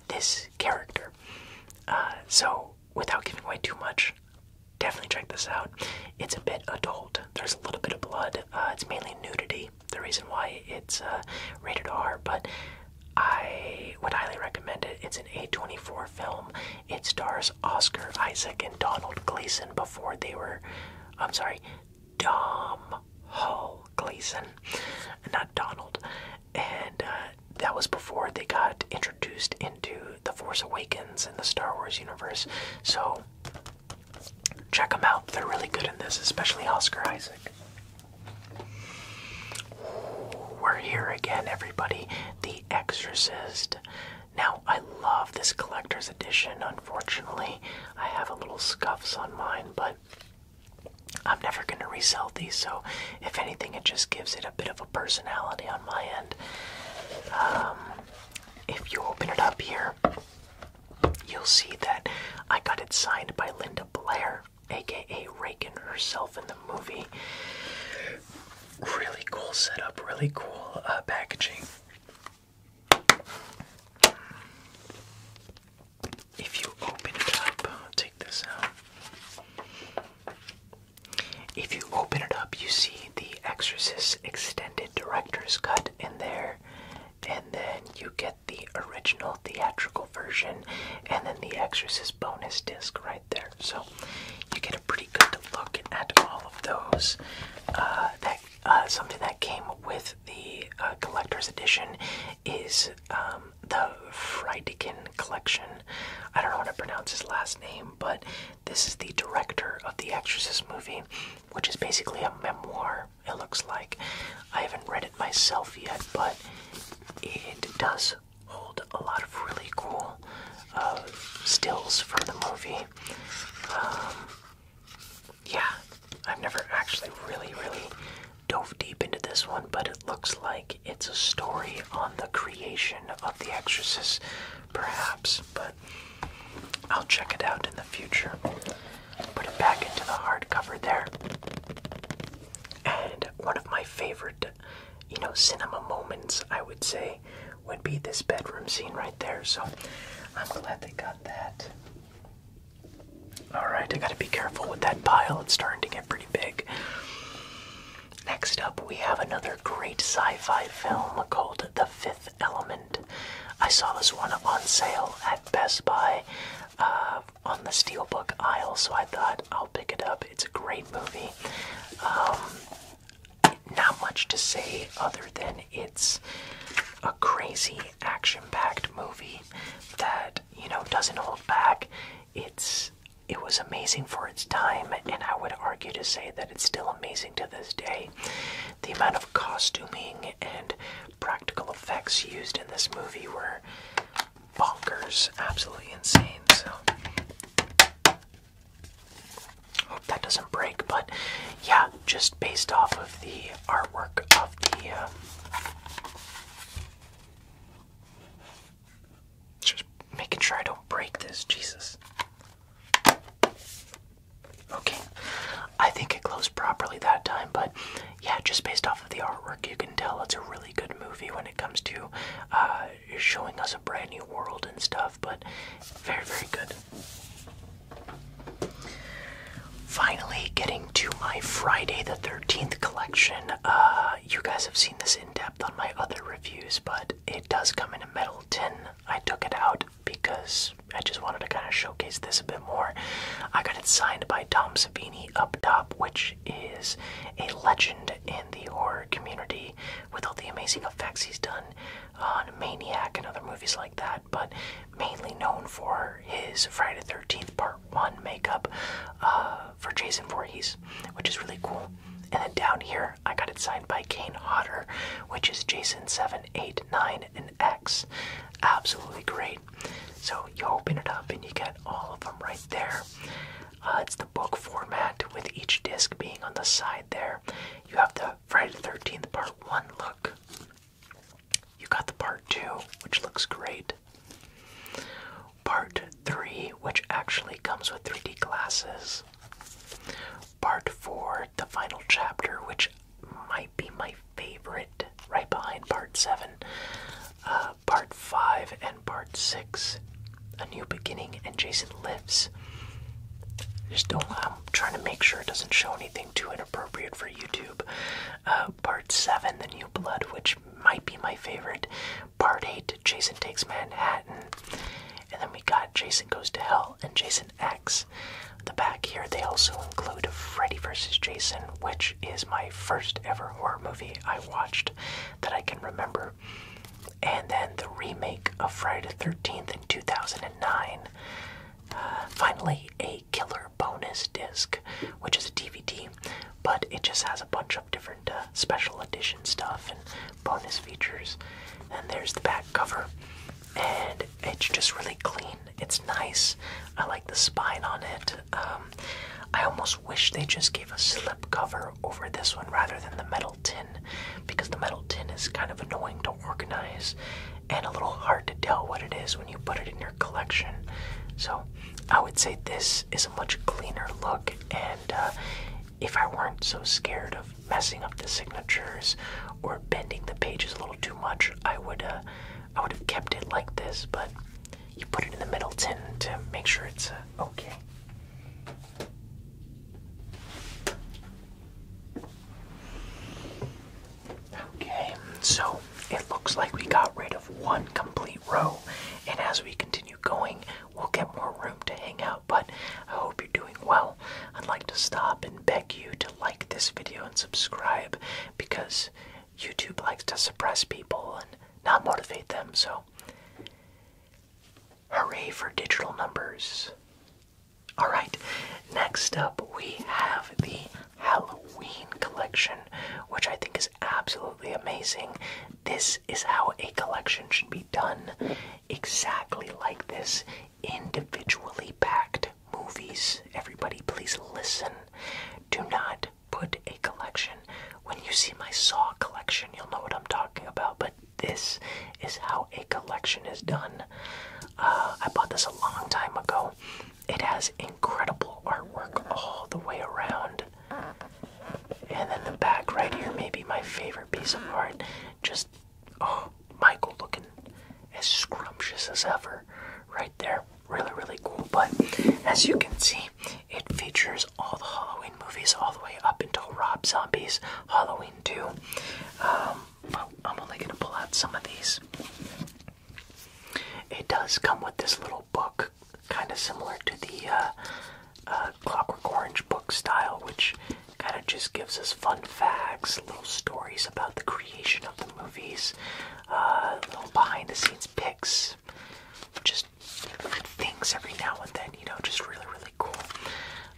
this character. Uh, so, without giving away too much, definitely check this out. It's a bit adult. There's a little bit of blood. Uh, it's mainly nudity. The reason why it's uh, rated R, but I would highly recommend it. It's an A24 film. It stars Oscar Isaac and Donald Gleason before they were. I'm sorry, Dom Hall Gleason, not Donald. And uh, that was before they got introduced into The Force Awakens and the Star Wars universe. So Check them out. They're really good in this, especially Oscar Isaac. We're here again, everybody. The Exorcist. Now, I love this collector's edition. Unfortunately, I have a little scuffs on mine, but I'm never going to resell these, so if anything, it just gives it a bit of a personality on my end. Um, if you open it up here, you'll see that I got it signed by Linda Blair, aka Reagan herself in the movie. Really cool setup, really cool uh, packaging. If you open it up, take this out. If you open it up, you see the Exorcist Extended Director's Cut in there, and then you get the original theatrical version, and then the Exorcist bonus disc right there. So you get a pretty good look at all of those. Uh, that uh, something that came with the uh, collector's edition is um, the Friedkin collection. I don't know how to pronounce his last name, but this is the director of the Exorcist movie which is basically a memoir, it looks like. I haven't read it myself yet, but it does hold a lot of really cool uh, stills from the movie. Um, yeah, I've never actually really, really dove deep into this one, but it looks like it's a story on the creation of The Exorcist, perhaps. But I'll check it out in the future. Put it back into the hardcover there. And one of my favorite, you know, cinema moments, I would say, would be this bedroom scene right there. So I'm glad they got that. Alright, I gotta be careful with that pile. It's starting to get pretty big. Next up, we have another great sci fi film called The Fifth. Element. I saw this one on sale at Best Buy uh, on the Steelbook aisle, so I thought I'll pick it up. It's a great movie. Um, not much to say other than it's a crazy action-packed movie that you know doesn't hold back. It's it was amazing for its time, and I would argue to say that it's still amazing to this day. The amount of costuming and practical effects used in this movie were bonkers, absolutely insane. So, hope that doesn't break, but yeah, just based off of the artwork of the. Um, just making sure I don't break this, Jesus. Okay, I think it closed properly that time, but yeah, just based off of the artwork, you can tell it's a really good movie when it comes to uh, showing us a brand new world and stuff, but very, very good. Finally, getting to my Friday the 13th collection. Uh, you guys have seen this in depth on my other reviews, but it does come in a metal tin. I took it out because I just wanted to kind of showcase this a bit more. I got it signed by Tom Savini up top, which is a legend in the horror community with all the amazing effects he's done on Maniac and other movies like that, but mainly known for his Friday the 13th Part 1 makeup uh, for Jason Voorhees, which is really cool. And then down here, I got it signed by Kane Hodder, which is Jason 7 8, 9, and X. Absolutely great. So you open it up and you get all of them right there. Uh, it's the book format with each disc being on the side there. You have the Friday 13th Part 1 look. You got the Part 2, which looks great. Part 3, which actually comes with 3D glasses. Part 4, the final chapter, which might be my favorite, right behind part 7. Uh, part 5 and part 6, A New Beginning and Jason Lives. Just don't, I'm trying to make sure it doesn't show anything too inappropriate for YouTube. Uh, part 7, The New Blood, which might be my favorite. Part 8, Jason Takes Manhattan. And then we got Jason Goes to Hell and Jason X effects. The back here, they also include Freddy vs. Jason, which is my first ever horror movie I watched that I can remember. And then the remake of Friday the 13th in 2009. Uh, finally, a killer bonus disc, which is a DVD, but it just has a bunch of different uh, special edition stuff and bonus features. And there's the back cover and it's just really clean. It's nice. I like the spine on it. Um, I almost wish they just gave a slip cover over this one rather than the metal tin, because the metal tin is kind of annoying to organize and a little hard to tell what it is when you put it in your collection. So I would say this is a much cleaner look, and uh, if I weren't so scared of messing up the signatures or bending the pages a little too much, I would uh, I would have kept it like this, but you put it in the middle tin to make sure it's uh, okay. Okay, so it looks like we got rid of one complete row, and as we continue going, we'll get more room to hang out. But I hope you're doing well. I'd like to stop and beg you to like this video and subscribe because YouTube likes to suppress people and not motivate them. So, hooray for digital numbers! All right, next up we have the Halloween collection, which I think is absolutely amazing. This is how a collection should be done exactly like this, individually packed movies. Everybody, please listen. Do not put a collection. When you see my Saw collection, you'll know what I'm talking about, but this is how a collection is done. Uh, I bought this a long time ago. It has incredible artwork all the way around. And then the back right here may be my favorite piece of art. Just Oh, Michael looking as scrumptious as ever right there. Really, really cool. But as you can see, it features all the Halloween movies all the way up until Rob Zombie's Halloween 2. but um, I'm only going to pull out some of these. It does come with this little book, kind of similar to the uh, uh, Clockwork Orange book style, which kind of just gives us fun facts, little stories about the creation of the the movies, uh, little behind the scenes pics, just things every now and then, you know, just really, really cool.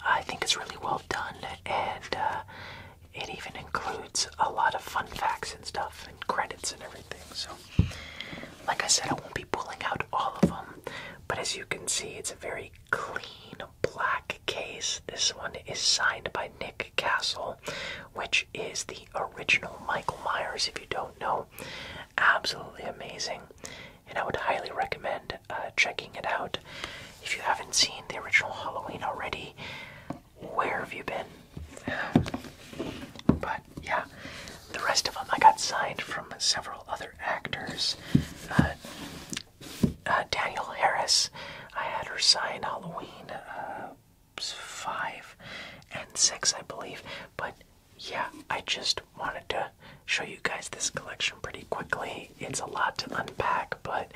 I think it's really well done, and uh, it even includes a lot of fun facts and stuff, and credits and everything. So, like I said, I won't be pulling out all of them, but as you can see, it's a very clean black case. This one is signed by Nick Castle, which is the original Michael Myers, if you don't know. Absolutely amazing. And I would highly recommend uh, checking it out. If you haven't seen the original Halloween already, where have you been? But yeah, the rest of them I got signed from several other actors. Uh, uh, Daniel Harris. I had her sign Halloween uh, five and six, I believe. But yeah, I just wanted to show you guys this collection pretty quickly. It's a lot to unpack, but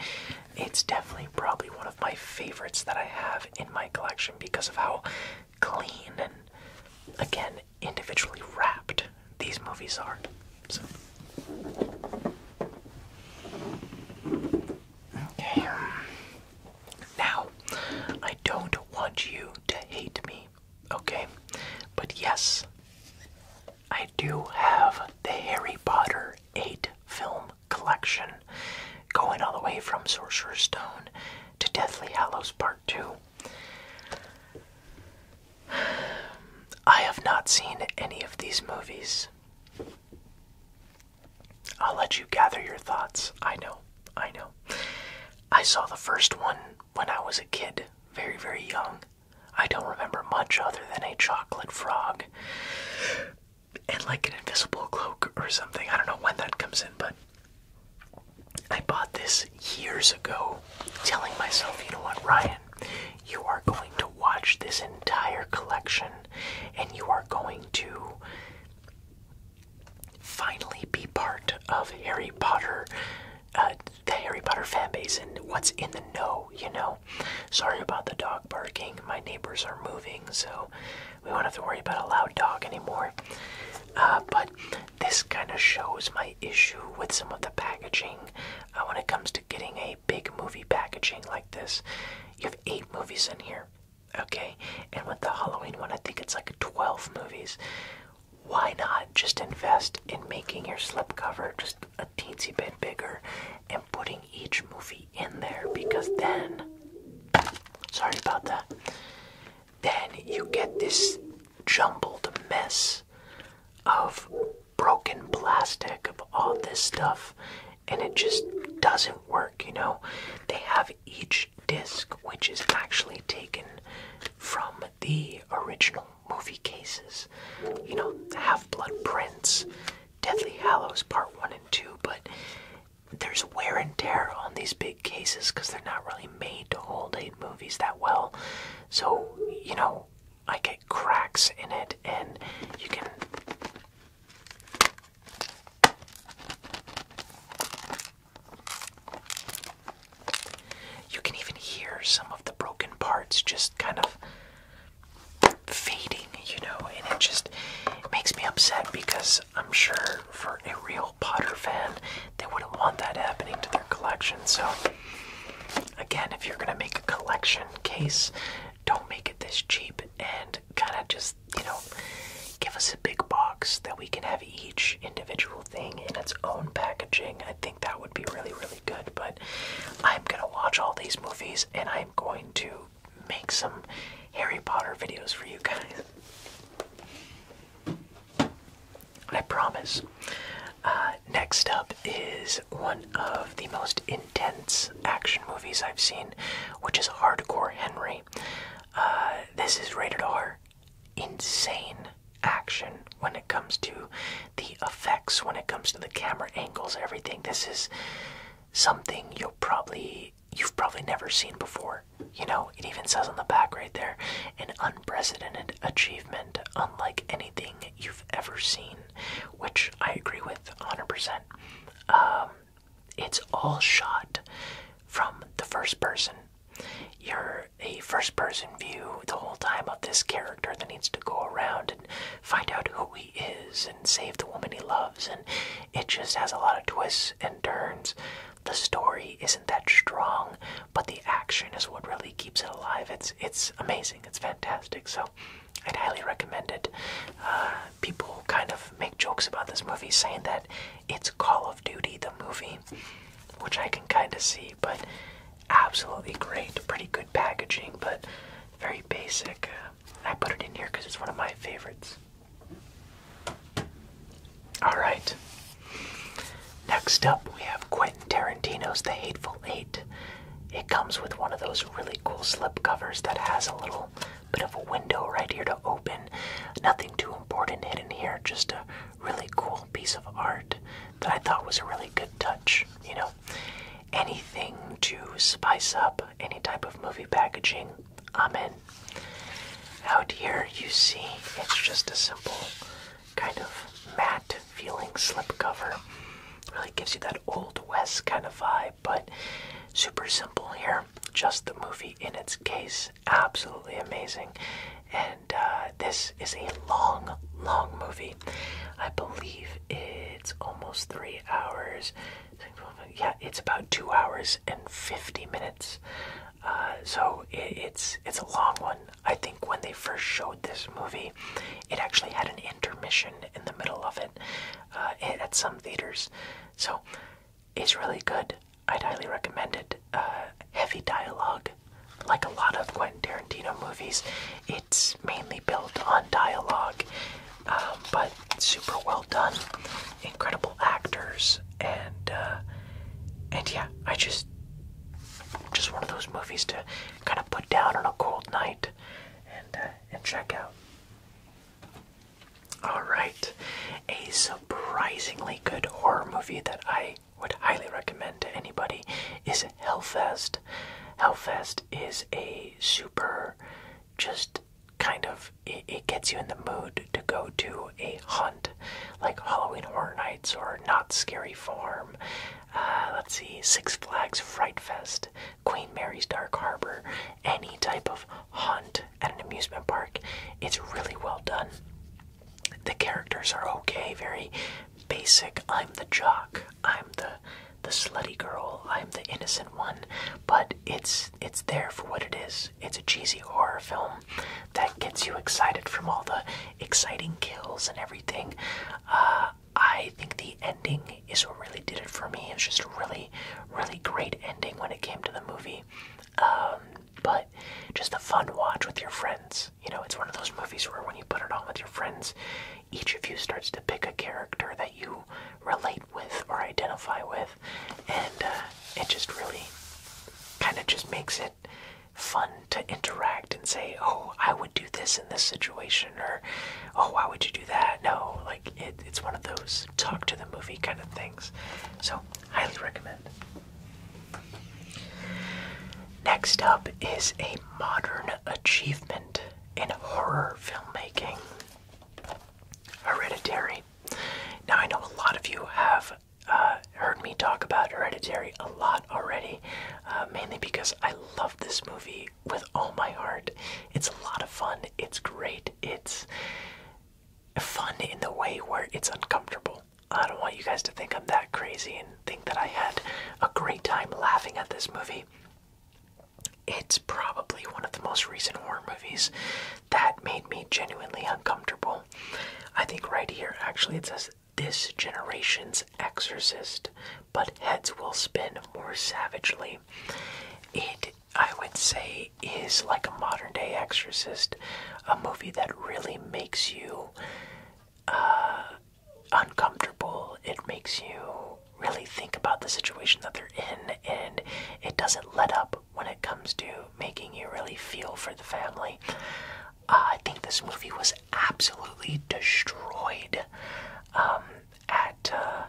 it's definitely probably one of my favorites that I have in my collection because of how clean and again individually wrapped these movies are. So. Okay. Now, I don't want you to hate me, okay? But yes, I do have the Harry Potter 8 film collection going all the way from Sorcerer's Stone to Deathly Hallows Part 2. I have not seen any of these movies. I'll let you gather your thoughts. I know, I know. I saw the first one when I was a kid, very, very young. I don't remember much other than a chocolate frog and like an invisible cloak or something. I don't know when that comes in, but I bought this years ago, telling myself, you know what, Ryan, you are going to watch this entire collection and you are going to finally be part of Harry Potter, uh, the Harry Potter fan base, and what's in the know, you know. Sorry about the dog barking. My neighbors are moving, so we won't have to worry about a loud dog anymore. Uh, but this kind of shows my issue with some of the packaging uh, when it comes to getting a big movie packaging like this, you have eight movies in here, okay? And with the Halloween one, I think it's like 12 movies. Why not just invest in making your slipcover just a teensy bit bigger and putting each movie in there? Because then, sorry about that, then you get this jumbled mess of broken plastic, of all this stuff, and it just doesn't work, you know? They have each disc, which is actually taken from the original movie cases. You know, Half Blood Prince, Deathly Hallows Part 1 and 2, but there's wear and tear on these big cases because they're not really made to hold eight movies that well. So, you know, I get cracks in it, and you can you can even hear some of the broken parts just kind of fading, you know, and it just makes me upset because I'm sure for a real Potter fan, they wouldn't want that happening to their collection. So, again, if you're going to make a collection case, don't make it this cheap and kind of just, you know, give us a big box that we can have each individual thing in its own packaging. I think that would be really, really good. But I'm going to watch all these movies and I'm going to make some Harry Potter videos for you guys. I promise. Uh, next up is one of the most in intense action movies I've seen, which is Hardcore Henry. Uh, this is rated R. Insane action when it comes to the effects, when it comes to the camera angles, everything. This is something you'll probably you've probably never seen before. You know, it even says on the back right there, an unprecedented achievement unlike anything you've ever seen, which I agree with 100% it's all shot from the first person. You're a first person view the whole time of this character that needs to go around and find out who he is and save the woman he loves, and it just has a lot of twists and turns. The story isn't that strong, but the action is what really keeps it alive. It's it's amazing. It's fantastic. So I'd highly recommend it. Uh, people kind of make jokes about this movie, saying that it's Call of Duty the movie, which I can kind of see, but absolutely great. Pretty good packaging, but very basic. Uh, I put it in here because it's one of my favorites. All right. Next up, we have Quentin Tarantino's The Hateful Eight. It comes with one of those really cool slip covers that has a little bit of a window right here to open. Nothing too important hidden here, just a really cool piece of art that I thought was a really good touch, you know? Anything to spice up any type of movie packaging, I'm in. Out here, you see, it's just a simple kind of matte feeling slip cover. Really gives you that old west kind of vibe but super simple here. Just the movie in its case. Absolutely amazing. And uh, this is a long, long movie. I believe it's almost three hours. Yeah, it's about two hours and 50 minutes. Uh, so it's it's a long one. I think when they first showed this movie, it actually had an intermission in the middle of it. Uh, at some theaters. So it's really good. I'd highly recommend it. Uh, heavy dialogue, like a lot of Quentin Tarantino movies. It's mainly built on dialogue, um, but super well done. Incredible actors, and uh, and yeah, I just just one of those movies to kind of put down on a cold night and and check out. Alright, a surprisingly good horror movie that I would highly recommend to anybody is Hellfest. Hellfest is a super, just kind of, it, gets you in the mood to go to a hunt, like Halloween Horror Nights or Not Scary form. Uh, let's see, Six Flags Fright Fest. Queen Mary's Dark Harbor, any type of hunt at an amusement park. It's really well done. The characters are okay, very basic. I'm the jock. I'm the the slutty girl. I'm the innocent one. But it's it's there for what it is. It's a cheesy horror film that gets you excited from all the exciting kills and everything. Uh, I think the ending really is what really did it for me. It's just a really, really great ending when it came to the movie. Um, but just a fun watch with your friends. You know, it's one of those movies where when you put it on with your friends, each of you starts to pick a character that you relate with or identify with, and uh, it just really kind of just makes it fun to interact and say, "Oh, I would do this in this situation," or "Oh, why would you do that?" No, like it's one of those talk to the movie kind of things. So, highly recommend. Next up is a modern achievement in horror filmmaking Hereditary. Now, I know a lot of you have uh, heard me talk about Hereditary a lot already, uh, mainly because I love this movie with all my heart. It's a lot of fun, it's great, it's fun in the way where it's uncomfortable. I don't want you guys to think I'm that crazy and think that I had a great time laughing at this movie. It's probably one of the most recent horror movies that made me genuinely uncomfortable. I think right here, actually, it says this generation's exorcist, but heads will spin more savagely. It I would say is like a modern day exorcist, a movie that really makes you uh, uncomfortable. It makes you really think about the situation that they're in, and it doesn't let up when it comes to making you really feel for the family. Uh, I think this movie was absolutely destroyed um, at uh,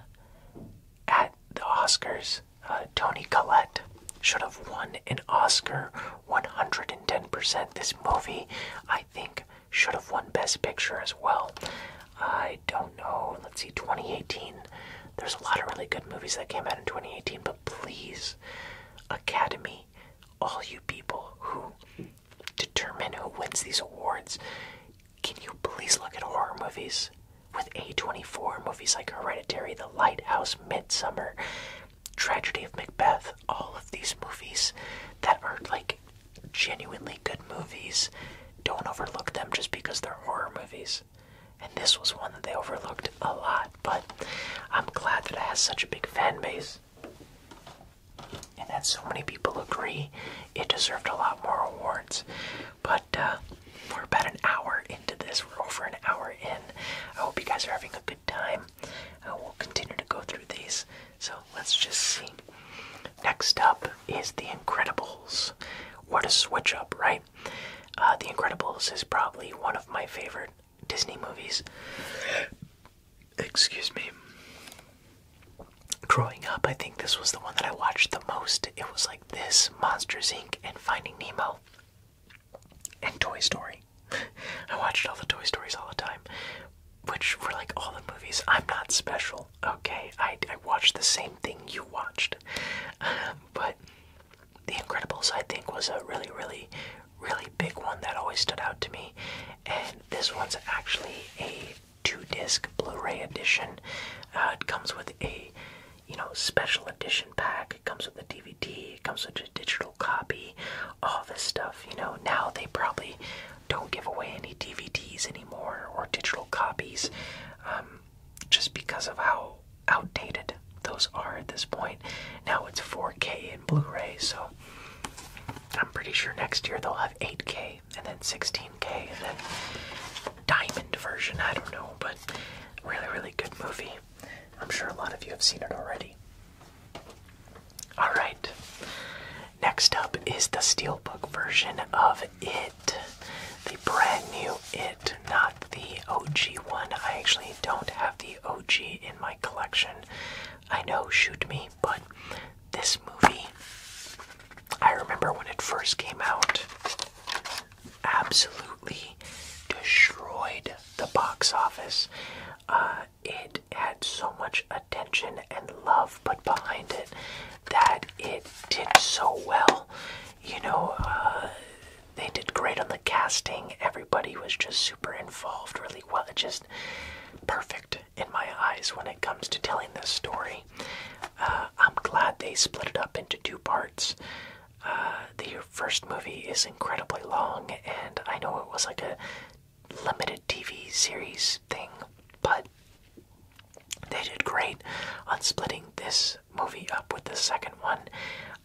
at the Oscars, uh, Tony Collette should have won an Oscar 110%. This movie, I think, should have won Best Picture as well. I don't know. Let's see, 2018. There's a lot of really good movies that came out in 2018, but please, Academy, all you people who determine who wins these awards, can you please look at horror movies? With A24 movies like Hereditary, The Lighthouse, Midsummer, Tragedy of Macbeth, all of these movies that are like genuinely good movies, don't overlook them just because they're horror movies. And this was one that they overlooked a lot, but I'm glad that it has such a big fan base and that so many people agree it deserved a lot more awards. But uh, we're about an hour into this. We're over an hour in. I hope you guys are having a good time. Uh, we'll continue to go through these. So let's just see. Next up is The Incredibles. What a switch up, right? Uh, the Incredibles is probably one of my favorite Disney movies. Excuse me growing up, I think this was the one that I watched the most. It was like this, Monsters Inc., and Finding Nemo, and Toy Story. [laughs] I watched all the Toy Stories all the time, which were like all the movies. I'm not special, okay? I, watched the same thing you watched. Um, but The Incredibles, I think, was a really, really, really big one that always stood out to me. And this one's actually a two-disc Blu-ray edition. Uh, it comes with a, you know, special edition pack. It comes with a DVD. It comes with a digital copy. All this stuff, you know. Now they probably don't give away any DVDs anymore or digital copies, um, just because of how outdated those are at this point. Now it's 4K and Blu-ray, so I'm pretty sure next year they'll have 8K and then 16k and then diamond version. I don't know, but really, really good movie. I'm sure a lot of you have seen it already. All right. Next up is the steelbook version of It, the brand new It, not the OG one. I actually don't have the OG in my collection. I know, shoot me, but this movie I remember when it first came out, absolutely destroyed the box office. Uh, it had so much attention and love but behind it that it did so well. You know, uh, they did great on the casting. Everybody was just super involved, really well. It just perfect in my eyes when it comes to telling this story. Uh, I'm glad they split it up into two parts. Uh, the first movie is incredibly long, and I know it was like a limited TV series thing, but they did great on splitting this movie up with the second one.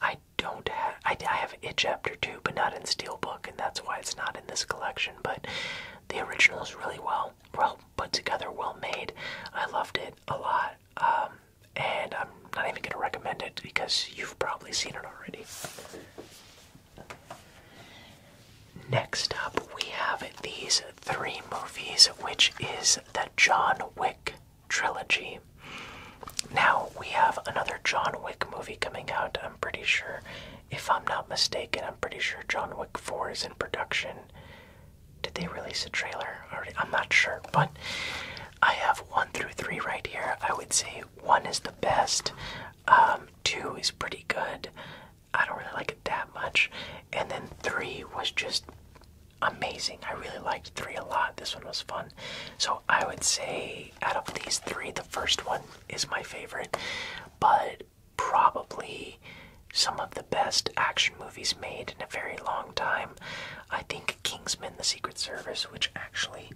I don't have, I, I have it chapter two, but not in Steelbook, and that's why it's not in this collection. But the original is really well, well put together, well made. I loved it a lot. Um, and I'm not even going to recommend it because you've probably seen it already. Next up, we have these three movies, which is the John Wick trilogy. Now, we have another John Wick movie coming out, I'm pretty sure. If I'm not mistaken, I'm pretty sure John Wick 4 is in production did they release a trailer I'm not sure, but I have one through three right here. I would say one is the best, um, two is pretty good. I don't really like it that much, and then three was just amazing. I really liked three a lot. This one was fun. So I would say out of these three, the first one is my favorite, but probably some of the best action movies made in a very long time. I think Kingsman The Secret Service, which actually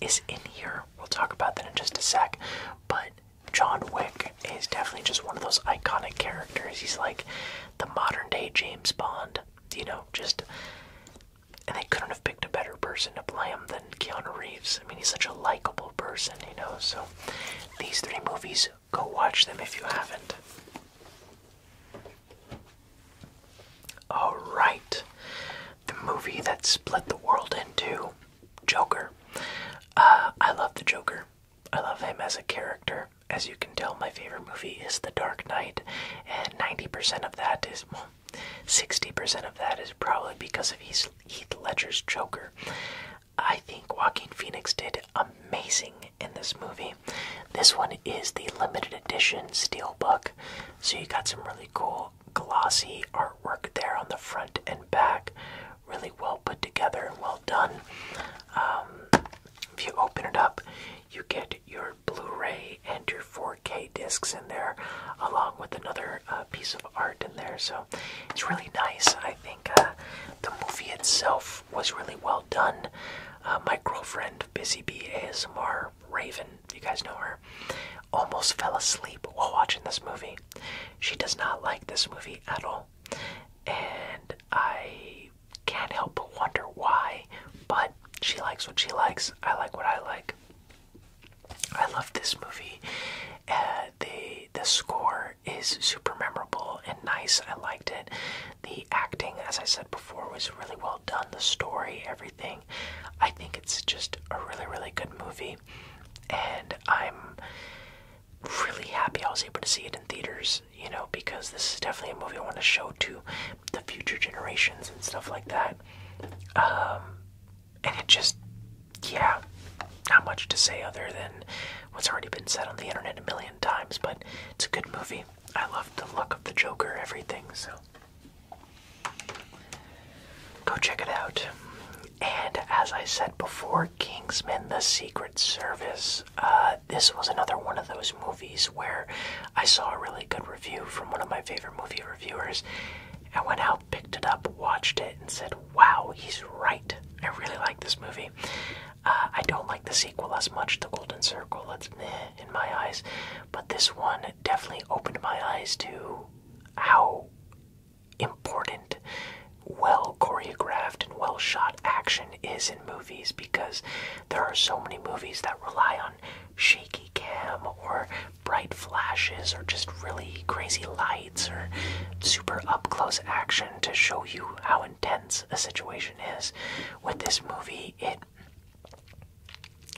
is in here, we'll talk about that in just a sec, but John Wick is definitely just one of those iconic characters. He's like the modern day James Bond, you know, just. And they couldn't have picked a better person to play him than Keanu Reeves. I mean, he's such a likable person, you know. So, these three movies Go watch them if you haven't. Alright, the movie that split the world into Joker. Uh, I love the Joker. I love him as a character. As you can tell, my favorite movie is The Dark Knight, and 90% of that is, 60% of that is probably because of Heath Ledger's Joker. I think Walking Phoenix did amazing in this movie. This one is the limited edition steelbook, so you got some really cool glossy artwork there on the front and back. Really well put together, and well done. Um, if you open it up, you get your Blu-ray and your 4K discs in there, along with another uh, piece of art in there. So it's really nice. I think uh, the movie itself was really well done. Uh, my girlfriend, Busy Bee ASMR Raven, you guys know her, almost fell asleep while watching this movie. She does not like this movie at all, and I can't help but wonder why. But she likes what she likes. I like what I like. I love this movie. Uh, the the score is super memorable and nice. I liked it. The acting, as I said before, was really well done. The story, everything. I think it's just a really, really good movie. And I'm really happy I was able to see it in theaters, you know, because this is definitely a movie I want to show to the future generations and stuff like that. Um, and it just, yeah, not much to say other than what's already been said on the internet a million times, but it's a good movie. I love the look of the Joker, everything, so go check it out. And as I said before, Kingsman The Secret Service. Uh, this was another one of those movies where I saw a really good review from one of my favorite movie reviewers. I went out, picked it up, watched it, and said, Wow, he's right. I really like this movie. Uh, I don't like the sequel as much, The Golden Circle. It's in my eyes, but this one definitely opened my eyes to how important well choreographed and well shot action is in movies because there are so many movies that rely on shaky cam or bright flashes or just really crazy lights or super up close action to show you how intense a situation is. With this movie, it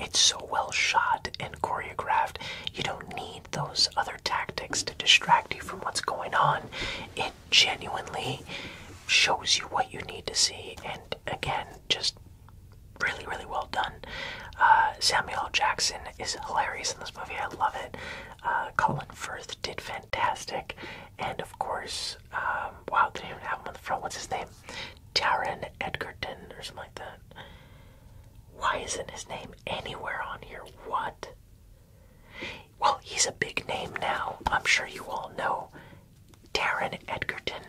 it's so well shot and choreographed. You don't need those other tactics to distract you from what's going on. It genuinely shows you what you need to see, and again, just really, really well done. Uh, Samuel Jackson is hilarious in this movie. I love it. Uh, Colin Firth did fantastic. And of course, um, wow, they didn't even have him on the front. What's his name? Taron Edgerton or something like that. Why isn't his name anywhere on here? What? Well, he's a big name now. I'm sure you all know Taron Edgerton.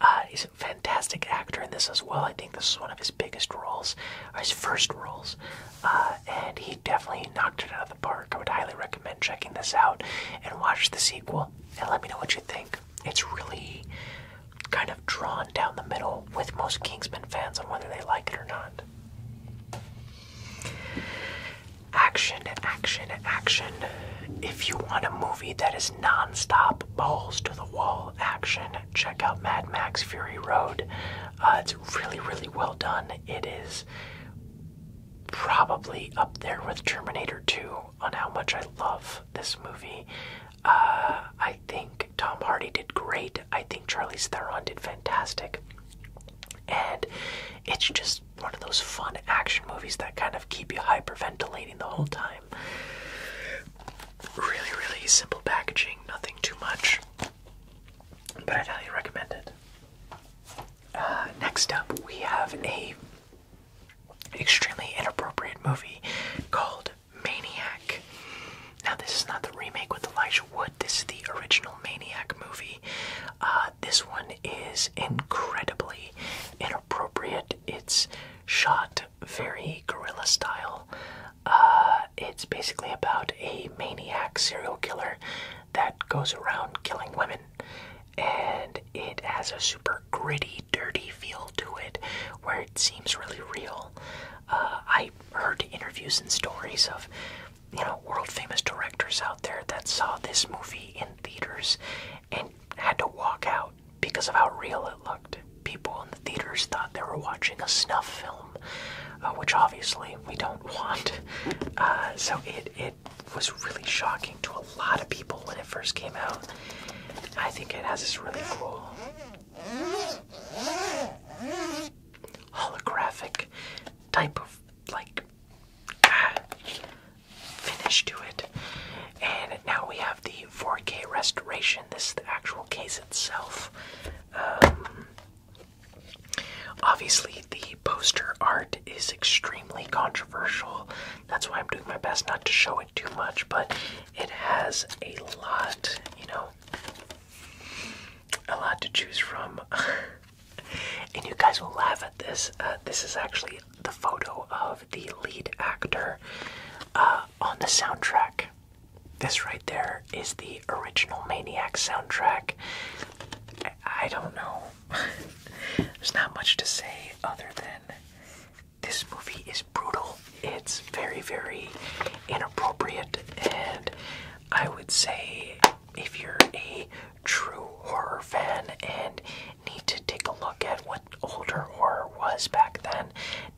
Uh, he's a fantastic actor in this as well. I think this is one of his biggest roles, or his first roles, uh, and he definitely knocked it out of the park. I would highly recommend checking this out and watch the sequel and let me know what you think. It's really kind of drawn down the middle with most Kingsman fans on whether they like it or not. Action, action, action. If you want a movie that is non-stop balls to the wall action, check out Mad Max Fury Road. Uh, it's really, really well done. It is probably up there with Terminator 2 on how much I love this movie. Uh, I think Tom Hardy did great. I think Charlize Theron did fantastic. And it's just one of those fun action movies that kind of keep you hyperventilating the whole time. Really, really simple packaging, nothing too much. But i highly recommend it. Uh, next up, we have a extremely inappropriate movie called Maniac. Now, this is not the remake with Elijah Wood. This is the original Maniac movie. Uh, this one is incredibly inappropriate. It's shot very guerrilla style. Uh, it's basically about a maniac serial killer that goes around killing women and it has a super gritty, dirty feel to it where it seems really real. Uh, I heard interviews and stories of, you know, world famous directors out there that saw this movie in theaters and had to walk out because of how real it looked. People in the theaters thought they were watching a snuff film, uh, which obviously we don't [laughs] want. Uh, so it was really shocking to a lot of people when it first came out. I think it has this really cool holographic type of like finish to it. And now we have the 4K restoration. This is the actual case itself. Um, Obviously, the poster art is extremely controversial. That's why I'm doing my best not to show it too much, but it has a lot, you know, a lot to choose from. [laughs] and you guys will laugh at this. Uh, this is actually the photo of the lead actor uh, on the soundtrack. This right there is the original Maniac soundtrack. I don't know. [laughs] There's not much to say other than this movie is brutal. It's very, very inappropriate, and I would say if you're a true horror fan and need to take a look at what older horror was back then,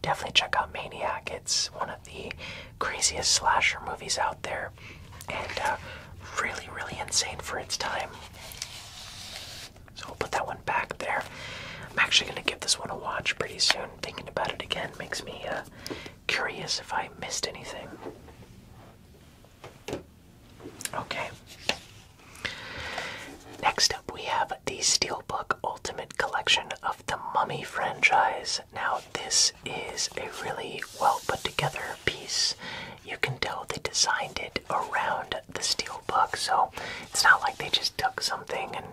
definitely check out Maniac. It's one of the craziest slasher movies out there and uh, really, really insane for its time. So we'll put that one back there. I'm actually going to give this one a watch pretty soon. Thinking about it again makes me uh, curious if I missed anything. Okay. Next up, we have the Steelbook Ultimate Collection of the Mummy franchise. Now, this is a really well put together piece you can tell they designed it around the steel book. So it's not like they just took something and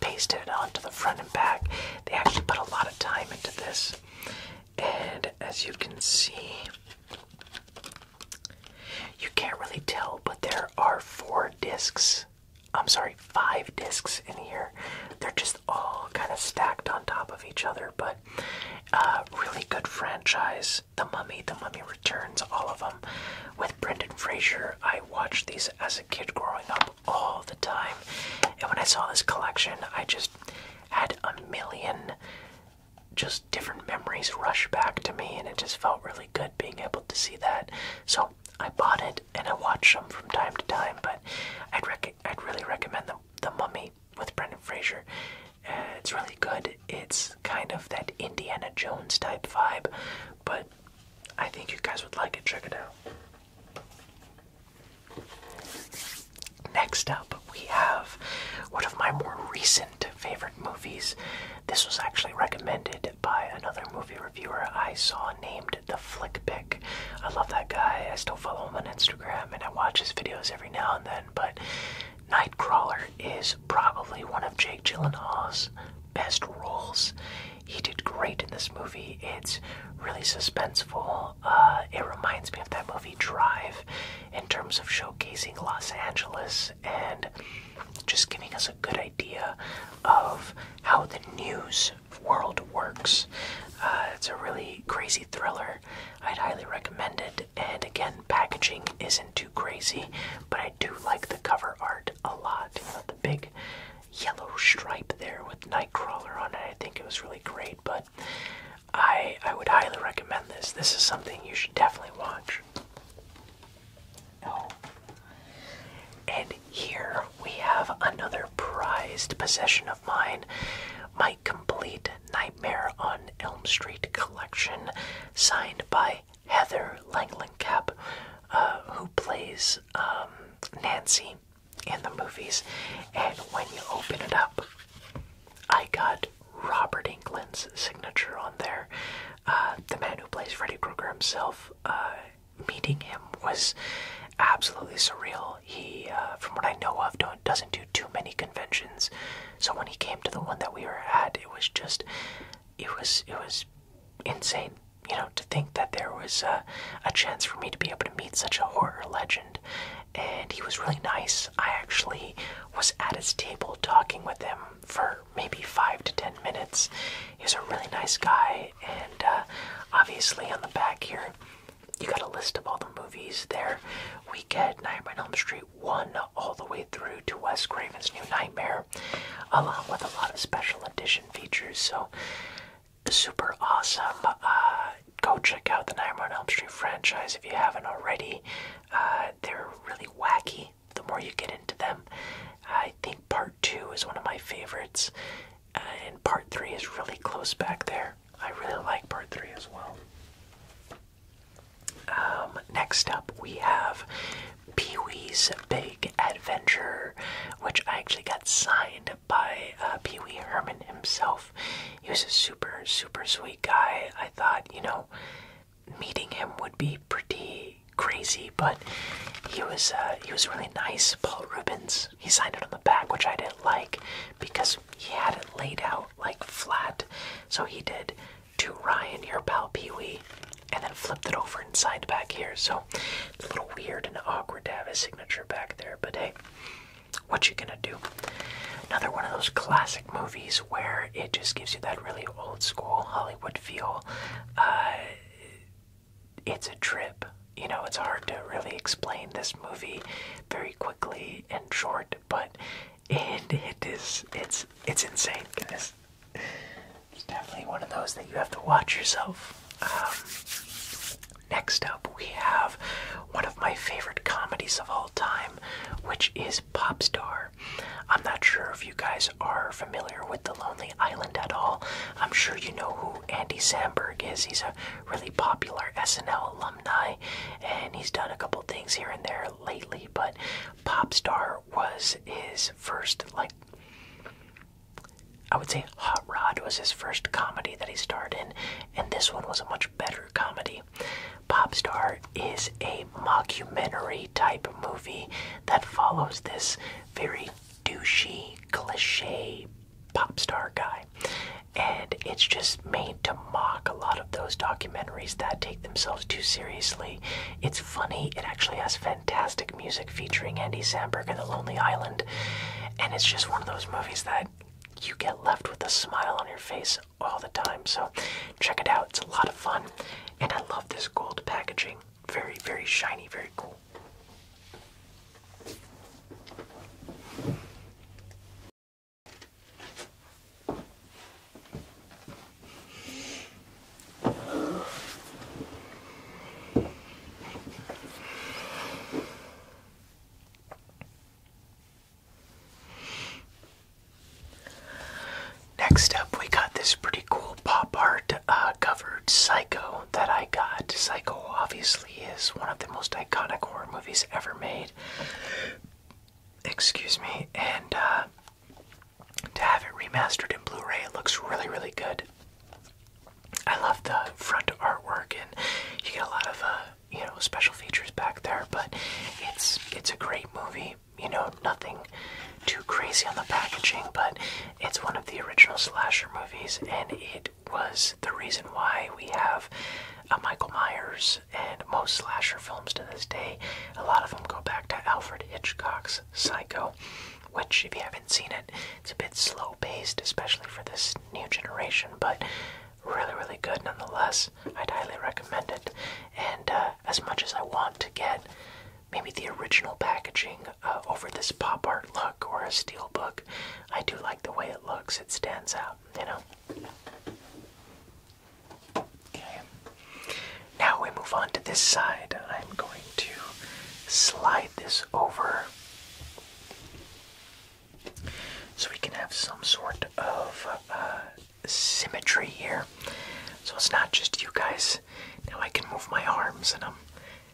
pasted it onto the front and back. They actually put a lot of time into this. And as you can see, you can't really tell, but there are four discs. I'm sorry, five discs in here. They're just all kind of stacked on top of each other, but good. Uh, really good franchise. The Mummy, The Mummy Returns, all of them. With Brendan Fraser, I watched these as a kid growing up all the time. And when I saw this collection, I just had a million just different memories rush back to me, and it just felt really good being able to see that. So I bought it and I watched them from time to time, but I'd, I'd really recommend the, the Mummy with Brendan Fraser. Uh, it's really good. It's kind of that Indiana Jones type vibe, but I think you guys would like it. Check it out. Next up, we have one of my more recent favorite movies. This was actually recommended by another movie reviewer I saw named The Flick Pick. I love that guy. I still follow him on Instagram and I watch his videos every now and then, but Nightcrawler is probably one of Jake Gyllenhaal's best roles. He did great in this movie. It's really suspenseful. Uh, it reminds me of that movie Drive in terms of showcasing Los Angeles and just giving us a good idea of how the news world works. Uh, it's a really crazy thriller. I'd highly recommend it and again, packaging isn't too crazy, but I do like the cover art a lot. the big yellow stripe there with Nightcrawler on it, I think it was really great, but I, I would highly recommend this. This is something you should definitely watch. Oh. And here we have another prized possession of mine. My complete Nightmare on Elm Street collection, signed by Heather Langlingcap, uh, who plays um, Nancy in the movies. And when you open it up, I got Robert Englund's signature on there. Uh, the man who plays Freddy Krueger himself. Uh, meeting him was absolutely surreal. He, uh, from what I know of, don't, doesn't do too many conventions. So when he came to the one that we were at, it was just, it was, it was insane. You know, to think that there was a chance for me to be able to meet such a horror legend. And he was really nice. I actually was at his table talking with him for maybe five to ten minutes. He's a really nice guy, and uh, obviously on the back here, you got a list of all the movies there. Weekend, Nightmare on Elm Street 1 all the way through to Wes Craven's New Nightmare, along with a lot of special edition features. So, super awesome. Uh, go check out the Nightmare on Elm Street franchise if you haven't already. Uh, they're really wacky the more you get into them. I think part 2 is one of my favorites, and part 3 is really close back there. I really like part 3 as well. Um, next up, we have Pee Wee's Big Adventure, which I actually got signed by uh, Pee Wee Herman himself. He was a super, super sweet guy. I thought, you know, meeting him would be pretty crazy, but he was uh, he was really nice. Paul Rubens, he signed it on the back, which I didn't like because he had it laid out like flat so he did to Ryan, your pal Pee Wee, and then flipped it over inside back here. So it's a little weird and awkward to have a signature back there, but hey, what you gonna do? Another one of those classic movies where it just gives you that really old school Hollywood feel. Uh, it's a trip. You know, it's hard to really explain this movie very quickly and short, but and it is it's it's insane, guys. It's definitely one of those that you have to watch yourself. Um, next up, we have one of my favorite comedies of all time, which is Popstar. I'm not sure if you guys are familiar with The Lonely Island at all. I'm sure you know who Andy Samberg is. He's a really popular SNL alumni, and he's done a couple things here and there, lately, but Popstar was his first, like, I would say Hot Rod was his first comedy that he starred in, and this one was a much better comedy. Popstar is a mockumentary type movie that follows this very douchey, cliche pop star guy and it's just made to mock a lot of those documentaries that take themselves too seriously. It's funny, it actually has fantastic music featuring Andy Samberg and The Lonely Island, and it's just one of those movies that you get left with a smile on your face all the time. So check it out, it's a lot of fun, and I love this gold packaging. Very, very shiny, very cool. Next up, we got this pretty cool pop art uh, covered Psycho that I got. Psycho obviously is one of the most iconic horror movies ever made excuse me, and uh, to have it remastered in Blu-ray, it looks really, really good. I love the front artwork, and you get a lot of uh, you know special features back there. But it's it's a great movie. You know, nothing too crazy on the packaging, but it's one of the original slasher movies, and it was the reason why we have uh, Michael Myers and most slasher films to this day. A lot of them go back to Alfred Hitchcock's Psycho, which, if you haven't seen it, it's a bit slow paced, especially for this new generation, but really, really good nonetheless. I'd highly recommend it. And uh, as much as I want to get maybe the original packaging uh, over this pop art look or a steel book, I do like the way it looks. It stands out, you know. Okay. Now we move on to this side. I'm going to slide this over so we can have some sort of uh, symmetry here. So it's not just you guys. Now I can move my arms and I'm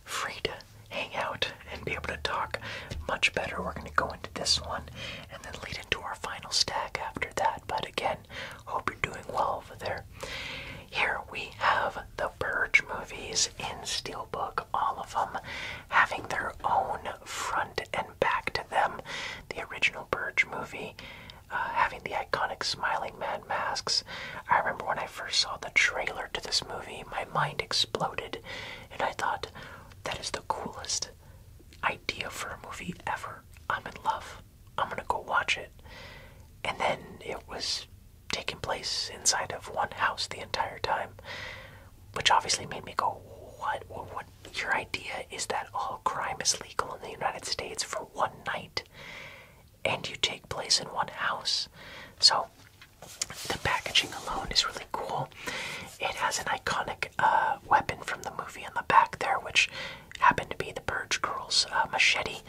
free to hang out and be able to talk much better. We're going to go into this one and then lead into our final stack after that. But again, hope you're doing well over there. Here we have the Purge movies in Steelbook, all of them having their own front and back to them. The original Purge movie uh, having the iconic smiling man masks. I remember when I first saw the trailer to this movie, my mind exploded and I thought, that is the coolest idea for a movie ever. I'm in love. I'm gonna go watch it. And then it was taking place inside of one house the entire time, which obviously made me go, what, what, Your idea is that all crime is legal in the United States for one night, and you take place in one house. So the packaging alone is really cool. It has an iconic weapon from the movie in the back there, which happened to be the Purge Girl's uh, machete.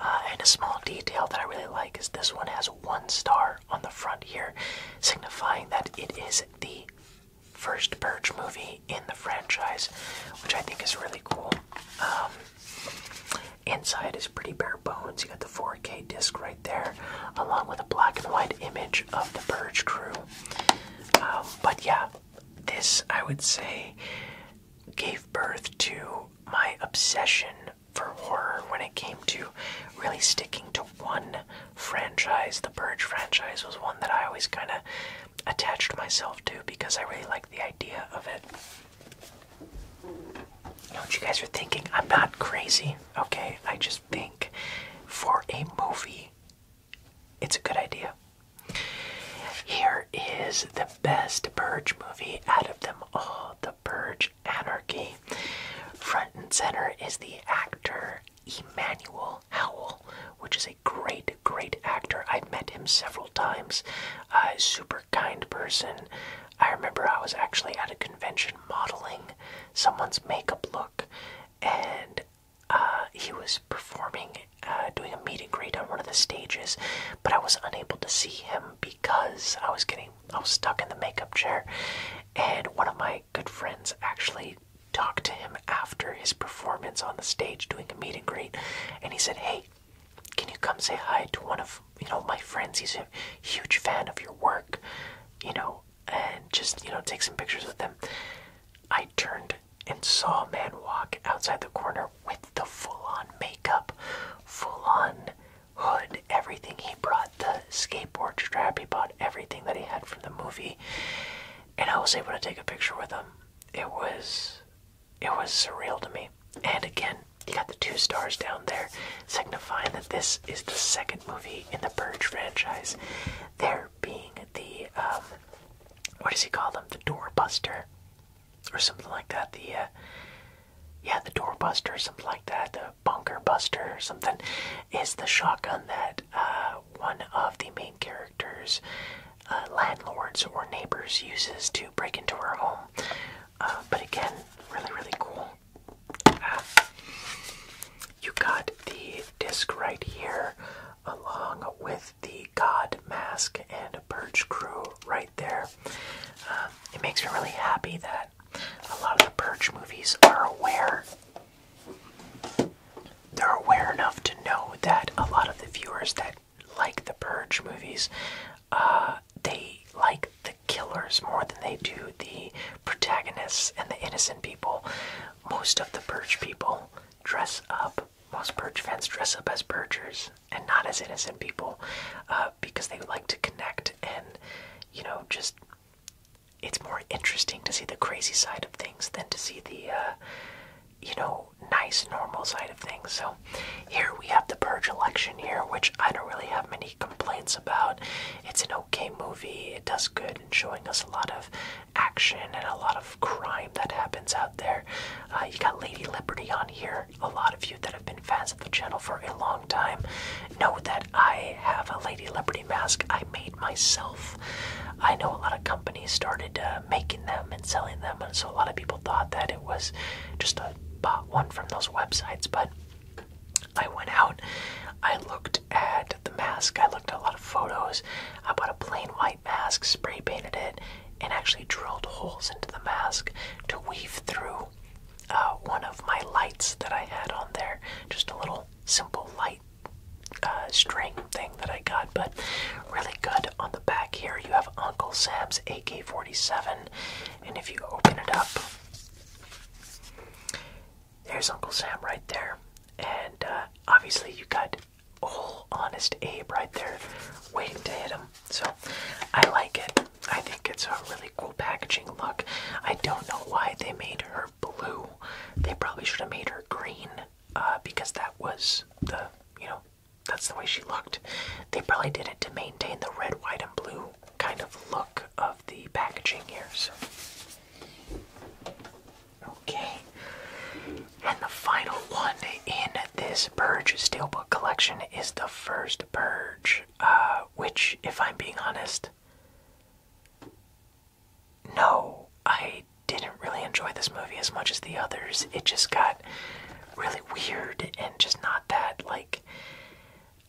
Uh, and a small detail that I really like is this one has one star on the front here, signifying that it is the first Purge movie in the franchise, which I think is really cool. Um, inside is pretty bare bones. You got the 4K disc right there, along with a black and white image of the Purge crew. Um, but yeah, this, I would say, gave birth to my obsession for horror when it came to really sticking to one franchise. The Purge franchise was one that I always kind of attached myself to because I really liked the idea of it. You know what you guys are thinking? I'm not crazy, okay? I just think for a movie it's a good idea. Here is the best Purge movie out of them all The Purge Anarchy. Front and center is the actor Emmanuel Howell, which is a great, great actor. I've met him several times. Uh, super kind person. I remember I was actually at a convention modeling someone's makeup look, and uh, he was performing, uh, doing a meet and greet on one of the stages, but I was unable to see him because I was getting, I was stuck in the makeup chair, and one of my good friends actually talked to him after his performance on the stage doing a meet and greet, and he said, "Hey, can you come say hi to one of you know my friends? He's a huge fan of your work, you know, and just you know take some pictures with him." I turned and saw a man walk outside the corner with the full on makeup, full on hood, everything. He brought the skateboard strap, he brought everything that he had from the movie, and I was able to take a picture with him. It was. It was surreal to me. And again, you got the two stars down there, signifying that this is the second movie in the Purge franchise. There being the um, what does he call them? The doorbuster, or something like that. The uh, yeah, the doorbuster, or something like that. The bunker buster, or something, is the shotgun that uh, one of the main characters. Uh, landlords or neighbors uses to break into her home, but again, really, really cool. Ah you got the disc right here, along with the God mask and Purge Crew right there. Um, it makes me really happy that a lot of the Purge movies are aware. They're aware enough to know that a lot of the viewers that like the Purge movies, uh, they like the killers more than they do the protagonists and the innocent people. Most of the Purge people dress up. Most Purge fans dress up as Purgers and not as innocent people uh, because they like to connect and, you know, just it's more interesting to see the crazy side of things than to see the, uh, you know, nice, normal side of things. So here we have the Purge election here, which I don't really have many complaints about. It's an okay movie, it does good in showing us a lot of action and a lot of crime that happens out there. Uh, you got Lady Liberty on here. A lot of you that have been fans of the channel for a long time know that I have a Lady Liberty mask I made myself. I know a lot of companies started uh, making them and selling them, and so a lot of people thought that it was just a bought one from those websites, but. I went out, I looked at the mask, I looked a lot of photos. I bought a plain white mask, spray painted it, and actually drilled holes into the mask to weave through uh, one of my lights that I had on there. Just a little simple light uh, string thing that I got, but really good. On the back here, you have Uncle Sam's AK 47, and if you open it up, there's Uncle Sam right there. And uh, obviously, you got old honest Abe right there waiting to hit him. So I like it. I think it's a really cool packaging look. I don't know why they made her blue. They probably should have made her green uh, because that was the, you know, that's the way she looked. They probably did it to maintain the red, white, and blue kind of look of the packaging here. Okay. And the final one in this Purge Steelbook collection is the first Purge, uh, which, if I'm being honest, no, I didn't really enjoy this movie as much as the others. It just got really weird and just not that, like,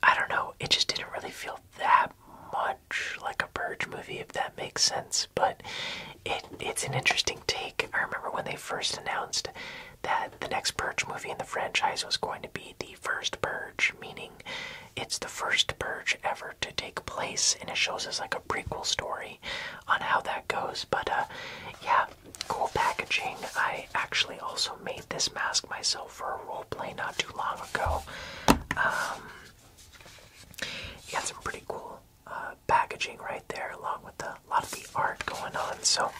I don't know, it just didn't really feel that much like a Purge movie, if that makes sense. But it's an interesting take. I remember when they first announced that the next Purge movie in the franchise was going to be the first Purge, meaning it's the first Purge ever to take place, and it shows us like a prequel story on how that goes. But uh, yeah, cool packaging. I actually also made this mask myself for a role play not too long ago. Um, some pretty cool uh, packaging right there, along with a lot of the art going on. So,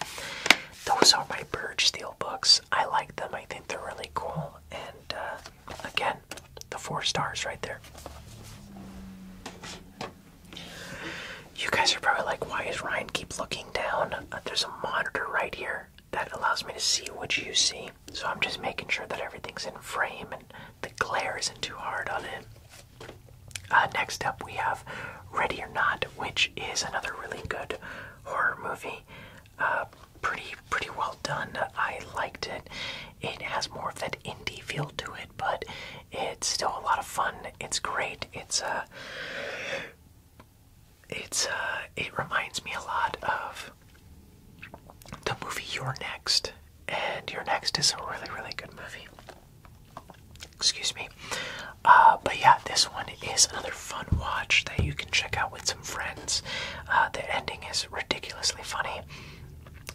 those are my Burge Steel books. I like them, I think they're really cool. And uh, again, the four stars right there. You guys are probably like, why is Ryan keep looking down? Uh, there's a monitor right here that allows me to see what you see. So I'm just making sure that everything's in frame and the glare isn't too hard on it. Uh, next up, we have Ready or Not, which is another really good horror movie. Uh, pretty, pretty well done. I liked it. It has more of that indie feel to it, but it's still a lot of fun. It's great. It's uh, it's uh, it reminds me a lot of the movie You're Next and your next is a really, really good movie. Excuse me. Uh, but yeah, this one is another fun watch that you can check out with some friends. Uh, the ending is ridiculously funny.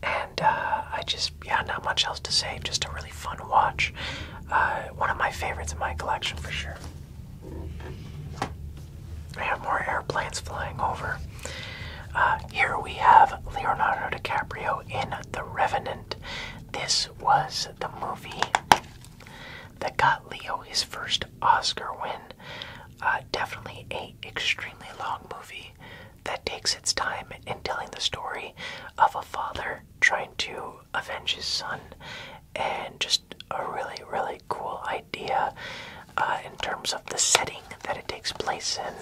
And uh, I just, yeah, not much else to say. Just a really fun watch. one of my favorites in my collection for sure. I have more airplanes flying over. Uh, here we have Leonardo DiCaprio in The Revenant. This was the movie that got Leo his first Oscar win. Uh, definitely a extremely long movie that takes its time in telling the story of a father trying to avenge his son, and just a really really cool idea uh, in terms of the setting that it takes place in.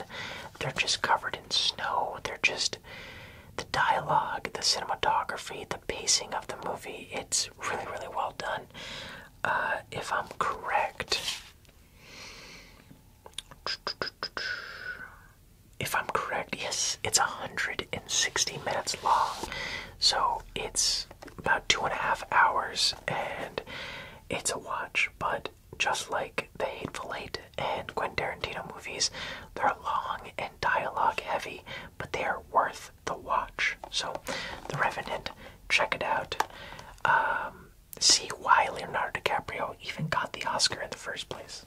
They're just covered in snow. They're just the dialogue, the cinematography, the pacing of the movie. It's really, really well done. Uh, if I'm correct, if I'm correct, yes, it's 160 minutes long. So it's about two and a half hours and it's a watch, but just like the Hateful Eight and Quentin Tarantino movies, they're long and dialogue heavy, but they are worth the watch. So, The Revenant, check it out. Um, see why Leonardo DiCaprio even got the Oscar in the first place.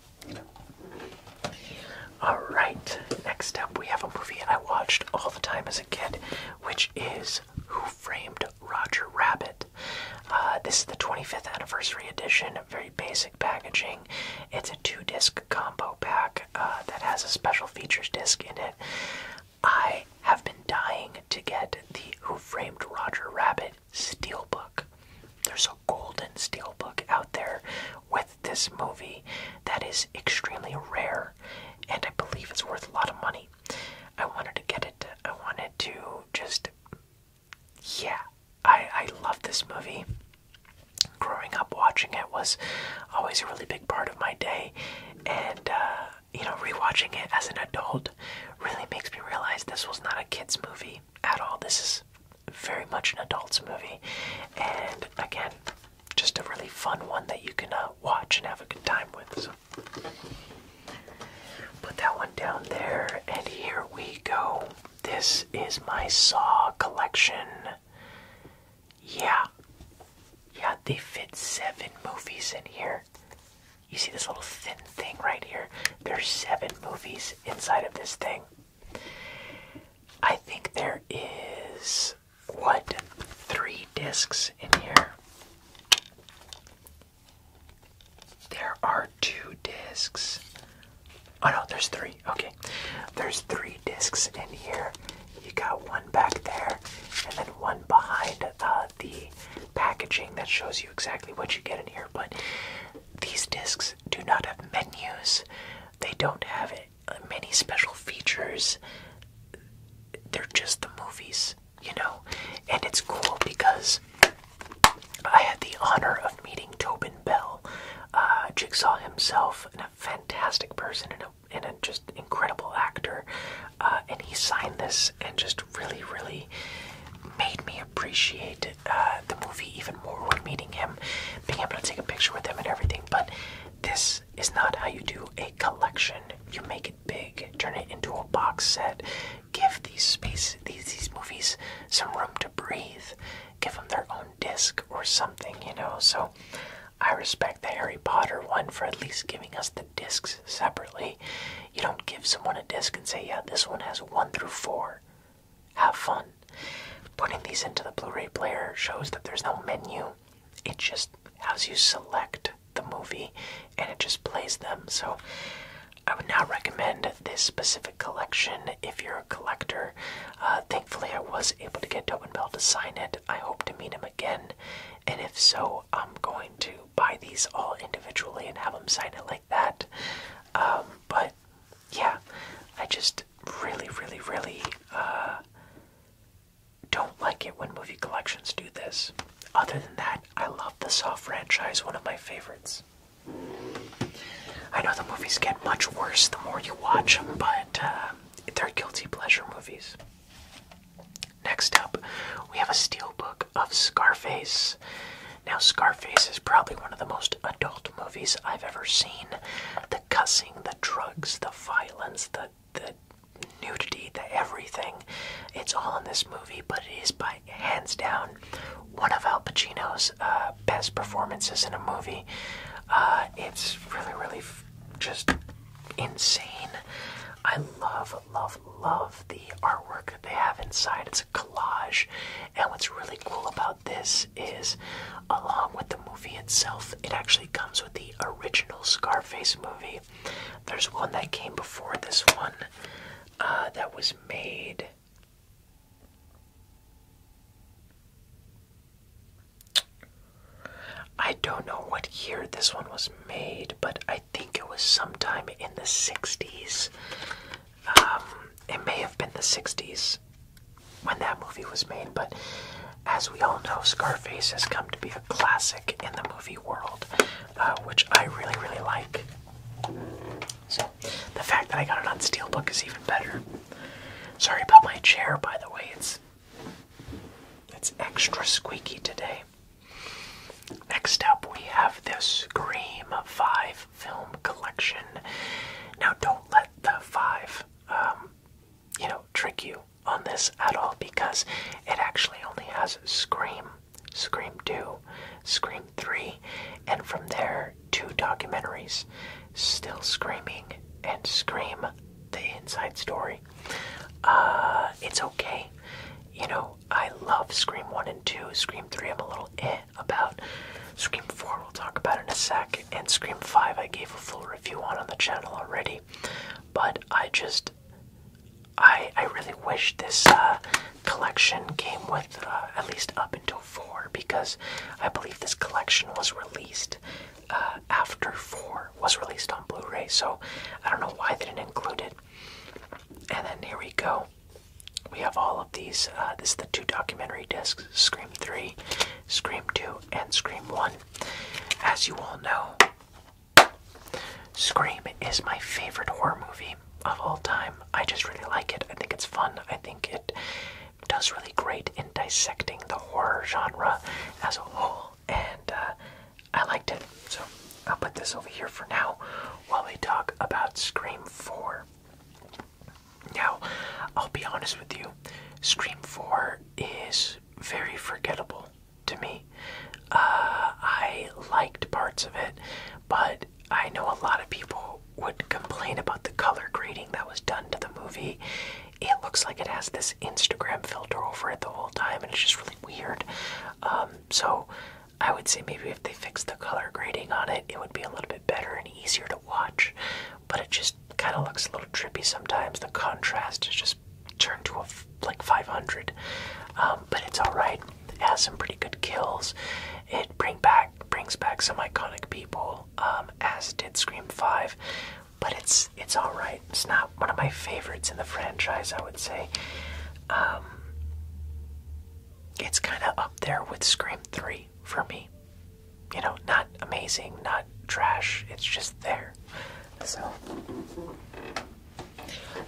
Alright, next up we have a movie I watched all the time as a kid, which is Who Framed Roger Rabbit? Uh, this is the 25th anniversary edition, very basic packaging. It's a two disc combo pack uh, that has a special features disc in it. I have been dying to get the Who Framed Roger Rabbit steelbook. There's a golden steelbook out there with this movie that is extremely rare, and I believe it's worth a lot of money. I wanted to get it, I wanted to just yeah, I, I love this movie. Growing up watching it was always a really big part of my day, and uh, you know, rewatching it as an adult really makes me realize this was not a kid's movie at all. This is very much an adult's movie, and again, just a really fun one that you can uh, watch and have a good time with. Put that one down there, and here we go. This is my Saw collection. Yeah. Yeah, they fit seven movies in here. You see this little thin thing right here? There's seven movies inside of this thing. I think there is, what, three discs in here? There are two discs. Oh no, there's three. Okay. There's three discs in here. You got one back there, and then one behind uh, the packaging that shows you exactly what you get in here. But these discs do not have menus, they don't have uh, many special features. They're just the movies you know? And it's cool because I had the honor of meeting Tobin Bell, uh, Jigsaw himself, and a fantastic person and a, just incredible actor. Uh, and he signed this and just really, really made me appreciate uh, the movie even more when meeting him, being able to take a picture with him and everything. But this is not how you do a collection. You make it big, turn it into a box set, give these space these these movies some room to breathe, give them their own disc or something, you know. So I respect the Harry Potter one for at least giving us the discs separately. You don't give someone a disc and say, yeah, this one has one through four. Have fun. Putting these into the Blu-ray player shows that there's no menu. It just has you select the movie and it just plays them. So I would not recommend this specific collection if you're a collector. Uh, thankfully, I was able to get Tobin Bell to sign it. I hope to meet him again, and if so, I'm going to buy these all individually and have him sign it like that. Um, but yeah, I just really, really, really uh, don't like it when movie collections do this. Other than that, I love the Saw franchise, one of my favorites. I know the movies get much worse the more you watch them, but uh, they're guilty pleasure movies. Next up, we have a steelbook of Scarface. Now, Scarface is probably one of the most adult movies I've ever seen. The cussing, the drugs, the violence, the the nudity, the everything. It's all in this movie, but it is by hands down one of Al Pacino's uh, best performances in a movie. Uh, it's really, really just insane. I love, love, love the artwork that they have inside. It's a collage, and what's really cool about this is, along with the movie itself, it actually comes with the original Scarface movie. There's one that came before this one uh, that was made. I don't know what year this one was made, but I think it was sometime in the 60s. Um, it may have been the 60s when that movie was made, but as we all know, Scarface has come to be a classic in the movie world, uh, which I really, really like. So the fact that I got it on steelbook is even better. Sorry about my chair, by the way. It's it's extra squeaky today. Next up, we have this Scream 5 film collection. Now, don't let the 5, um, you know, trick you on this at all because it actually only has Scream Scream 2, Scream 3, and from there, two documentaries Still Screaming and Scream The Inside Story. Uh, it's okay. You know, I love Scream 1 and 2. Scream 3, I'm a little eh about. Scream 4, we'll talk about in a sec. And Scream 5, I gave a full review on on the channel already. But I just. I really wish this uh, collection came with uh, at least up until four because I believe this collection was released uh, after four was released on Blu-ray. So I don't know why they didn't include it. And then here we go. We have all of these. this is the two documentary discs: Scream Three, Scream Two, and Scream One. As you all know. Scream is my favorite horror movie of all time. I just really like it. I think it's fun. I think it does really great in dissecting the horror genre as a whole, and uh, I liked it. So I'll put this over here for now while we talk about Scream 4. Now, I'll be honest with you, Scream 4 is very forgettable to me. Uh, I liked parts of it, but I know a lot of people would complain about the color grading that was done to the movie. It looks like it has this Instagram filter over it the whole time, and it's just really weird. Um, so, I would say maybe if they fixed the color grading on it, it would be a little bit better and easier to watch. But it just kind of looks a little trippy sometimes. The contrast is just turned to a like 500, um, but it's all right has some pretty good kills. It bring back brings back some iconic people, um, as did Scream Five, but it's it's all right. It's not one of my favorites in the franchise, I would say. Um, it's kind of up there with Scream Three for me. You know, not amazing, not trash. It's just there. So,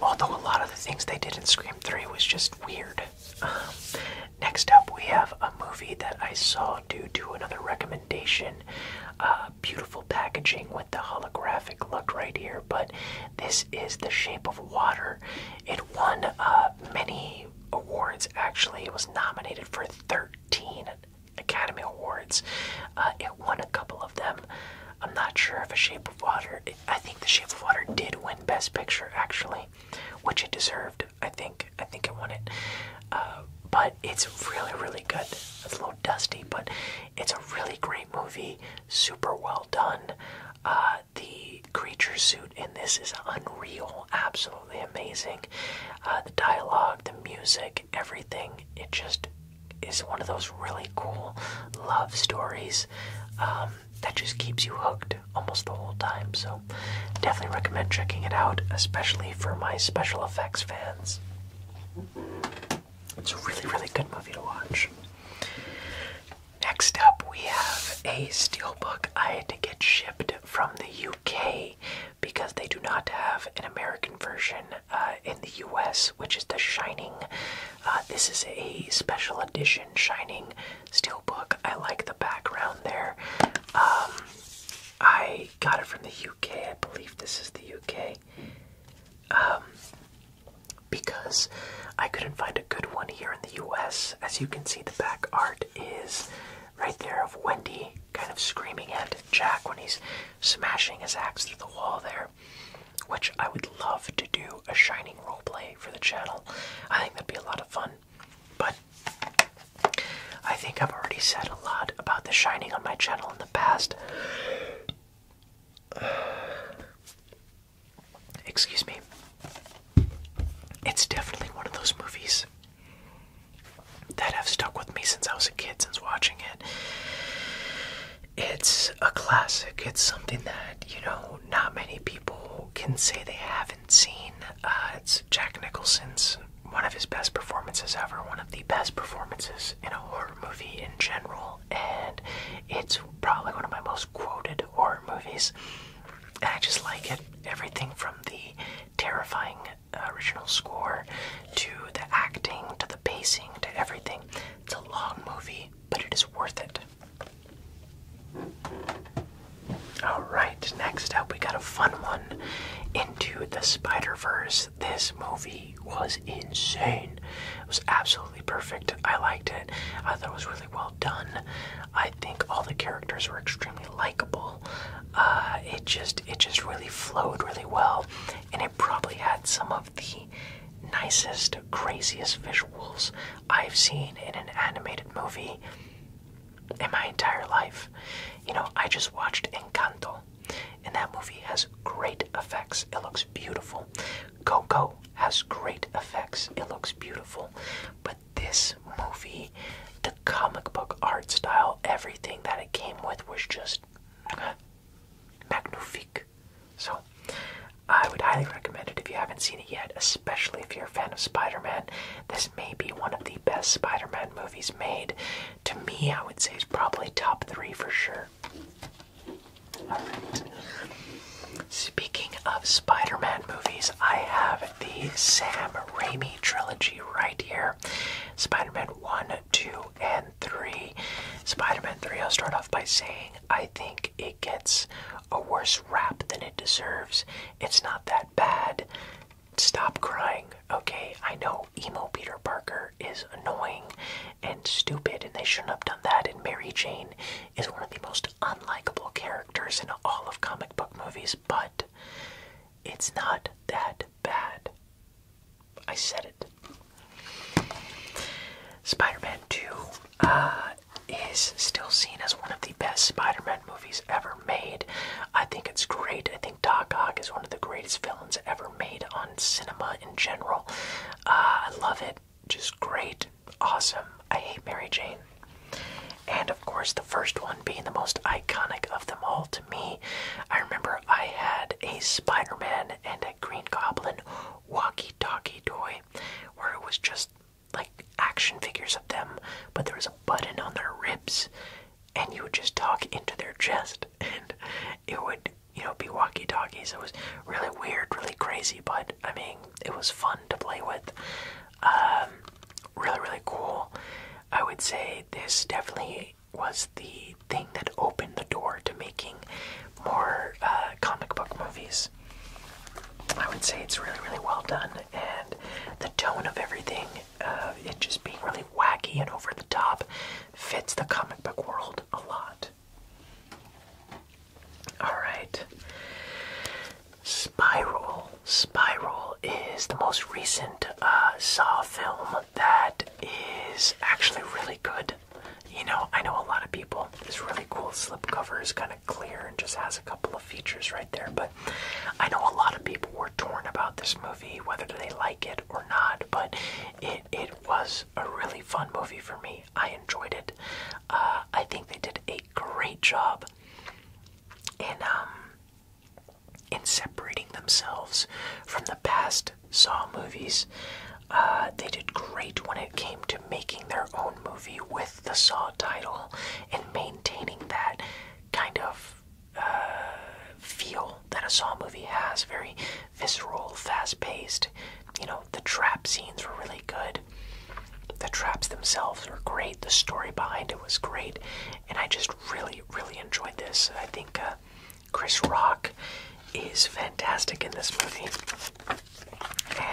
although a lot of the things they did in Scream Three was just weird. Um, next up, we have a movie that I saw due to another recommendation. Uh, beautiful packaging with the holographic look right here, but this is The Shape of Water. It won uh, many awards, actually. It was nominated for 13 Academy Awards. Uh, it won a couple of them. I'm not sure if A Shape Water. I think The Shape of Water did win Best Picture actually, which it deserved. I think. I think it won it. Uh, but it's really, really good. It's a little dusty, but it's a really great movie. Super well done. Uh, the creature suit in this is unreal. Absolutely amazing. Uh, the dialogue, the music, everything. It just is one of those really cool love stories. Um, that just keeps you hooked almost the whole time. So, definitely recommend checking it out, especially for my special effects fans. It's a really, really good movie to watch. Next up, we have a steel book I had to get shipped from the UK because they do not have an American version uh, in the US, which is The Shining. Uh, this is a special edition Shining steel book. I like the background there. Um, I got it from the UK. I believe this is the UK. Um, because I couldn't find a good one here in the US. As you can see, the back art is right there of Wendy kind of screaming at Jack when he's smashing his axe through the wall there, which I would love to do a Shining roleplay for the channel. I think that'd be a lot of fun. But I think I've already said a lot about the Shining on my channel in the past. [sighs] Excuse me. It's definitely one of those movies that have stuck with me since I was a kid, since watching it. It's a classic. It's something that, you know, not many people people can say they haven't seen. Uh, it's Jack Nicholson's one of his best performances ever, one of the best performances in a horror movie in general, and it's probably one of my most quoted horror movies. And I just like it. Everything from the terrifying original score to the acting to the pacing to everything. It's a long movie, but it is worth it. Alright, next up, we got a fun one Into the Spider Verse. This movie was insane. It was absolutely perfect. I liked it. I thought it was really well done. I think all the characters were extremely likable. Uh, it just it just really flowed really well, and it probably had some of the nicest craziest visuals I've seen in an animated movie in my entire life. You know, I just watched Encanto, and that movie has great effects. It looks beautiful. Coco has great effects. It looks beautiful. But this movie, the comic book art style, everything that it came with was just magnifique. So I would highly recommend it if you haven't seen it yet, especially if you're a fan of Spider Man. This may be one of the best Spider Man movies made. To me, I would say it's probably top three for sure. Speaking of Spider Man movies, I have the Sam Raimi trilogy right here Spider Man 1, 2, and 3. Spider Man 3, I'll start off by saying I I think it gets a worse rap than it deserves. It's not that bad. Stop crying, okay? I know emo Peter Parker is annoying and stupid, and they shouldn't have done that. And Mary Jane is one of the most unlikable characters in all of comic book movies, but it's not that bad. I said it. Spider Man 2 uh, is still seen as one of the best Spider-Man movies ever made. I think it's great. I think Doc Ock is one of the greatest villains ever made on cinema in general. Uh, I love it. Just great, awesome. I hate Mary Jane. And of course, the first one being the most iconic of them all to me. I remember I had a Spider Man and a Green Goblin walkie talkie toy where it was just like action figures of them, but there was a button on their ribs, and you would just talk into their chest, [laughs] and it would, you know, be walkie talkies. It was really weird, really crazy, but I mean, it was fun to play with. Um, really, really cool. I would say this definitely was the thing that opened the door to making more uh, comic book movies. I would say it's really, really well done, and the tone of everything, uh, it just being really wacky and over the top, fits the comic book world a lot. Alright. Spiral. Spiral is the most recent uh, Saw film that is actually really good. You know, I know a lot of people. This really cool slipcover is kind of clear and just has a couple of features right there. But I know a lot of people were torn about this movie, whether they like it or not. But it it was a really fun movie for me. I enjoyed it. Uh, I think they did a great job in um, in separating themselves from the past Saw movies. Uh, they did great when it came to making their own movie with the Saw title and maintaining that kind of uh, feel that a Saw movie has very visceral, fast paced. You know, the trap scenes were really good. The traps themselves were great. The story behind it was great. And I just really, really enjoyed this. I think uh, Chris Rock is fantastic in this movie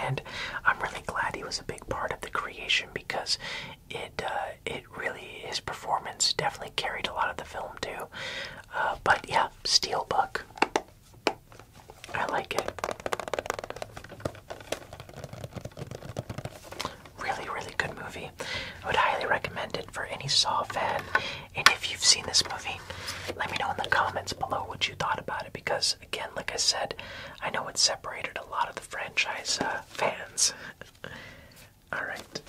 and I'm really glad he was a big part of the creation because it uh, it really his performance definitely carried a lot of the film too. Uh, but yeah, Steelbook, I like it. Really, really good movie. would highly recommend it for any Saw fan. And if you've seen this movie, let me know in the comments below what you thought about it because again, like I said, I know it separated a lot of the franchise uh, fans. Alright.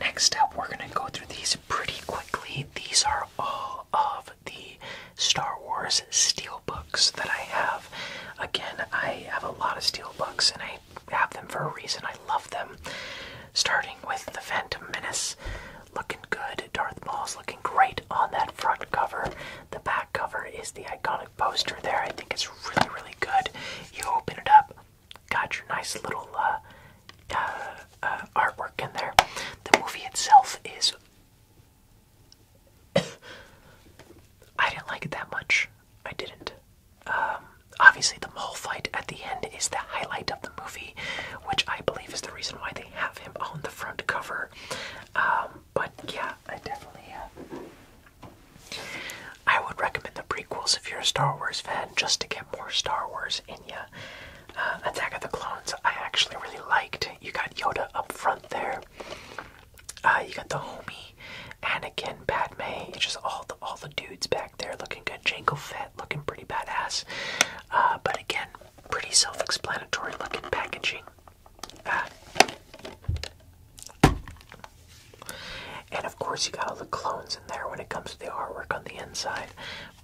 Next up, we're going to go through these pretty quickly. These are all of the Star Wars steelbooks that I have. Again, I have a lot of steelbooks and I have them for a reason. I love them. Starting with The Phantom Menace, looking good. Darth Maul's looking great on that front cover. The back cover is the iconic poster there. I think it's really, really good. You open it up, got your nice little uh, uh, uh, artwork in there. The movie itself is. [coughs] I didn't like it that much. I didn't. Um, obviously, the Maul fight at the end is the highlight of the movie, which I believe is the reason why they have him on the front cover. Um, but yeah, I definitely. Uh, I would recommend the prequels if you're a Star Wars fan, just to get more Star Wars in you. Uh, Attack of the Clones, I actually really liked. You got Yoda up front there. Uh, you got the homie, Anakin, Padme, just all the all the dudes back there looking good. Jango Fett looking pretty badass. but again, Pretty self-explanatory looking packaging. Ah. And of course, you got all the clones in there when it comes to the artwork on the inside.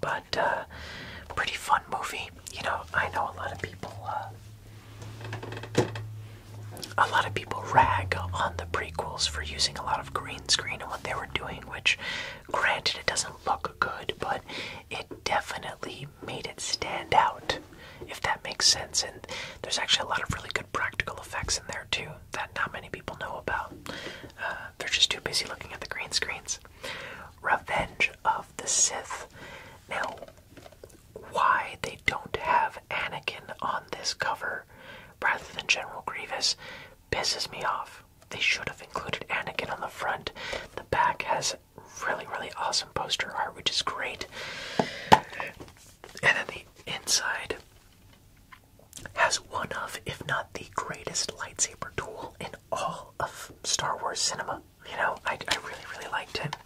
But uh, pretty fun movie. You know, I know a lot of people. Uh, a lot of people rag on the prequels for using a lot of green screen and what they were doing, which, granted, it doesn't look good, but it definitely made it stand out, if that makes sense. And there's actually a lot of really good practical effects in there, too, that not many people know about. Uh, they're just too busy looking at the green screens. Revenge of the Sith. Now, why they don't have Anakin on this cover rather than General Grievous pisses me off. They should have included Anakin on the front. The back has really, really awesome poster art, which is great. And then the inside has one of, if not the greatest lightsaber duel in all of Star Wars cinema. You know, I, I really, really liked it.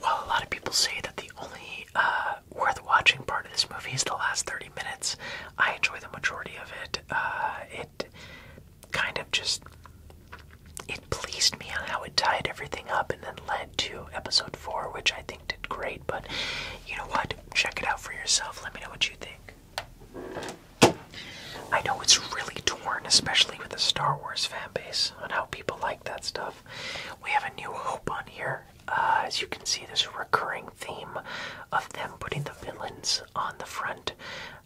While a lot of people say that the only uh, worth watching part of this movie is the last 30 minutes, I enjoy the majority of it uh, kind of just it pleased me on how it tied everything up and then led to episode four, which I think did great. But you know what? Check it out for yourself. Let me know what you think. I know it's really torn, especially with the Star Wars fan base, on how people like that stuff. We have a new hope on here. Uh, as you can see, there's a recurring theme of them putting the villains on the front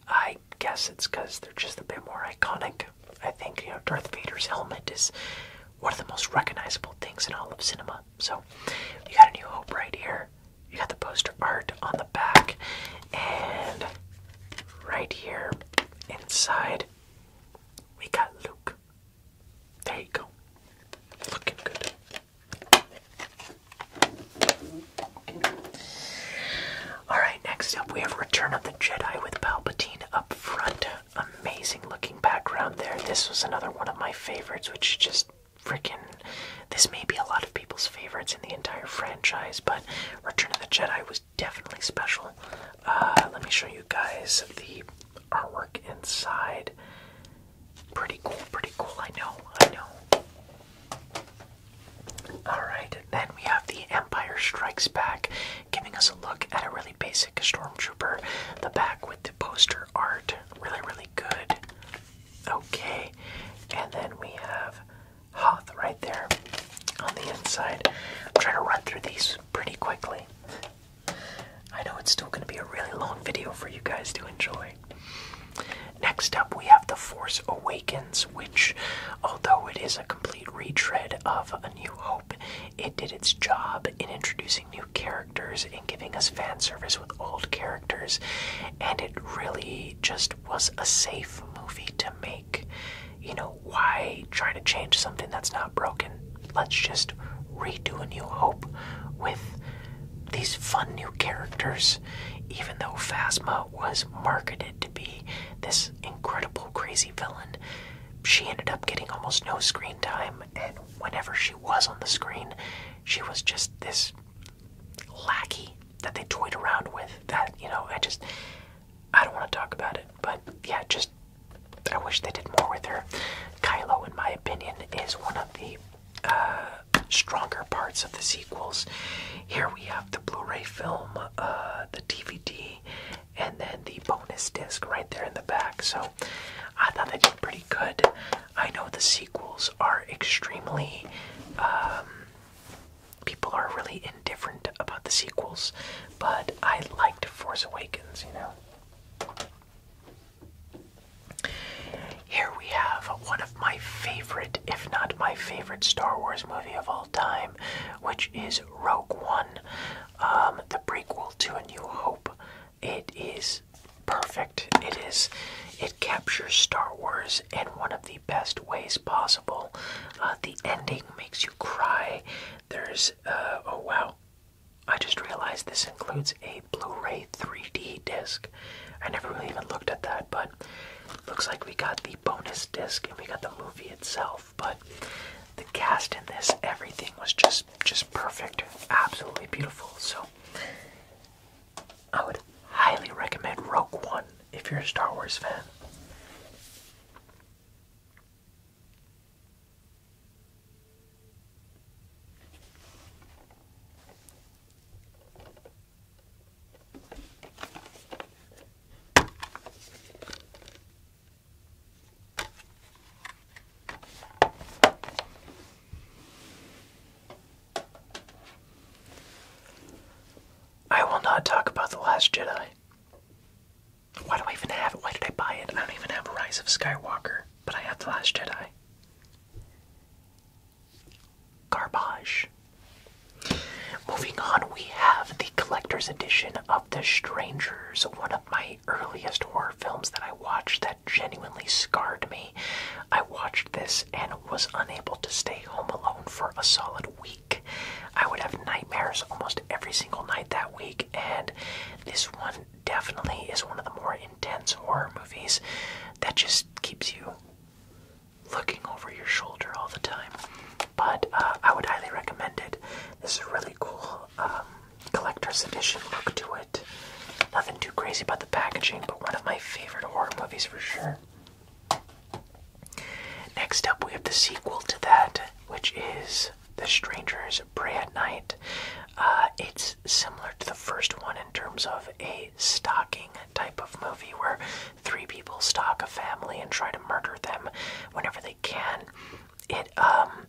I guess it's because they're just a bit more iconic. I think you know Darth Vader's helmet is one of the most recognizable things in all of cinema. So you got a new hope right here. You got the poster art on the back, and right here inside we got Luke. There you go. Looking good. Alright, next up we have Return of the Jedi with Palpatine up front. Amazing looking background there. This was another one of my favorites, which just freaking. This may be a lot of people's favorites in the entire franchise, but Return of the Jedi was definitely special. Uh, let me show you guys the artwork inside. Pretty cool, pretty cool. I know, I know. Alright, then we have The Empire Strikes Back, giving us a look at a really basic stormtrooper. The back with the poster art, really, really good. Okay, and then we have Hoth right there on the inside. I'm trying to run through these pretty quickly. I know it's still going to be a really long video for you guys to enjoy. Next up, we have The Force Awakens, which, although it is a complete retread of A New Hope, it did its job in introducing new characters and giving us fan service with old characters, and it really just was a safe movie to make. You know, why try to change something that's not broken? Let's just redo A New Hope with these fun new characters. Even though Phasma was marketed to be this incredible, crazy villain. She ended up getting almost no screen time, and whenever she was on the screen, she was just this lackey that they toyed around with. That, you know, I just. I don't want to talk about it, but yeah, just. I wish they did more with her. Kylo, in my opinion, is one of the uh, stronger parts of the sequels. Here we have the Blu-ray film, uh, the DVD, and then the bonus disc right there in the back. So I thought they did pretty good. I know the sequels are extremely. Um, people are really indifferent about the sequels, but I liked Force Awakens, you know. Here we have one of my favorite if not my favorite, Star Wars movie of all time, which is Rogue One, um, the prequel to A New Hope. It is perfect. It is. It captures Star Wars in one of the best ways possible. Uh, the ending makes you cry. There's. Uh, oh wow. I just realized this includes a Blu ray 3D disc. I never really even looked at that, but looks like we got the bonus disc and we got the movie itself. But the cast in this, everything was just just perfect, absolutely beautiful. So I would highly recommend Rogue One if you're a Star Wars fan. I will not talk about The Last Jedi. Why do I even have it? Why did I buy it? I don't even have Rise of Skywalker, but I have The Last Jedi garbage. Moving on, we have the collector's edition of The Strangers, one of my earliest horror films that I watched that genuinely scarred me. I watched this and was unable to stay home alone for a solid week. I would have nightmares almost every single night that week, and this one definitely is one of the more intense horror movies that just keeps you looking over your shoulder all the time. But uh, I would highly recommend it. This is a really cool um, collector's edition look to it. Nothing too crazy about the packaging, but one of my favorite horror movies for sure. Next up, we have the sequel to that, which is The Strangers Pray at Night. Uh, it's similar to the first one in terms of a stalking type of movie where three people stalk a family and try to murder them whenever they can. It um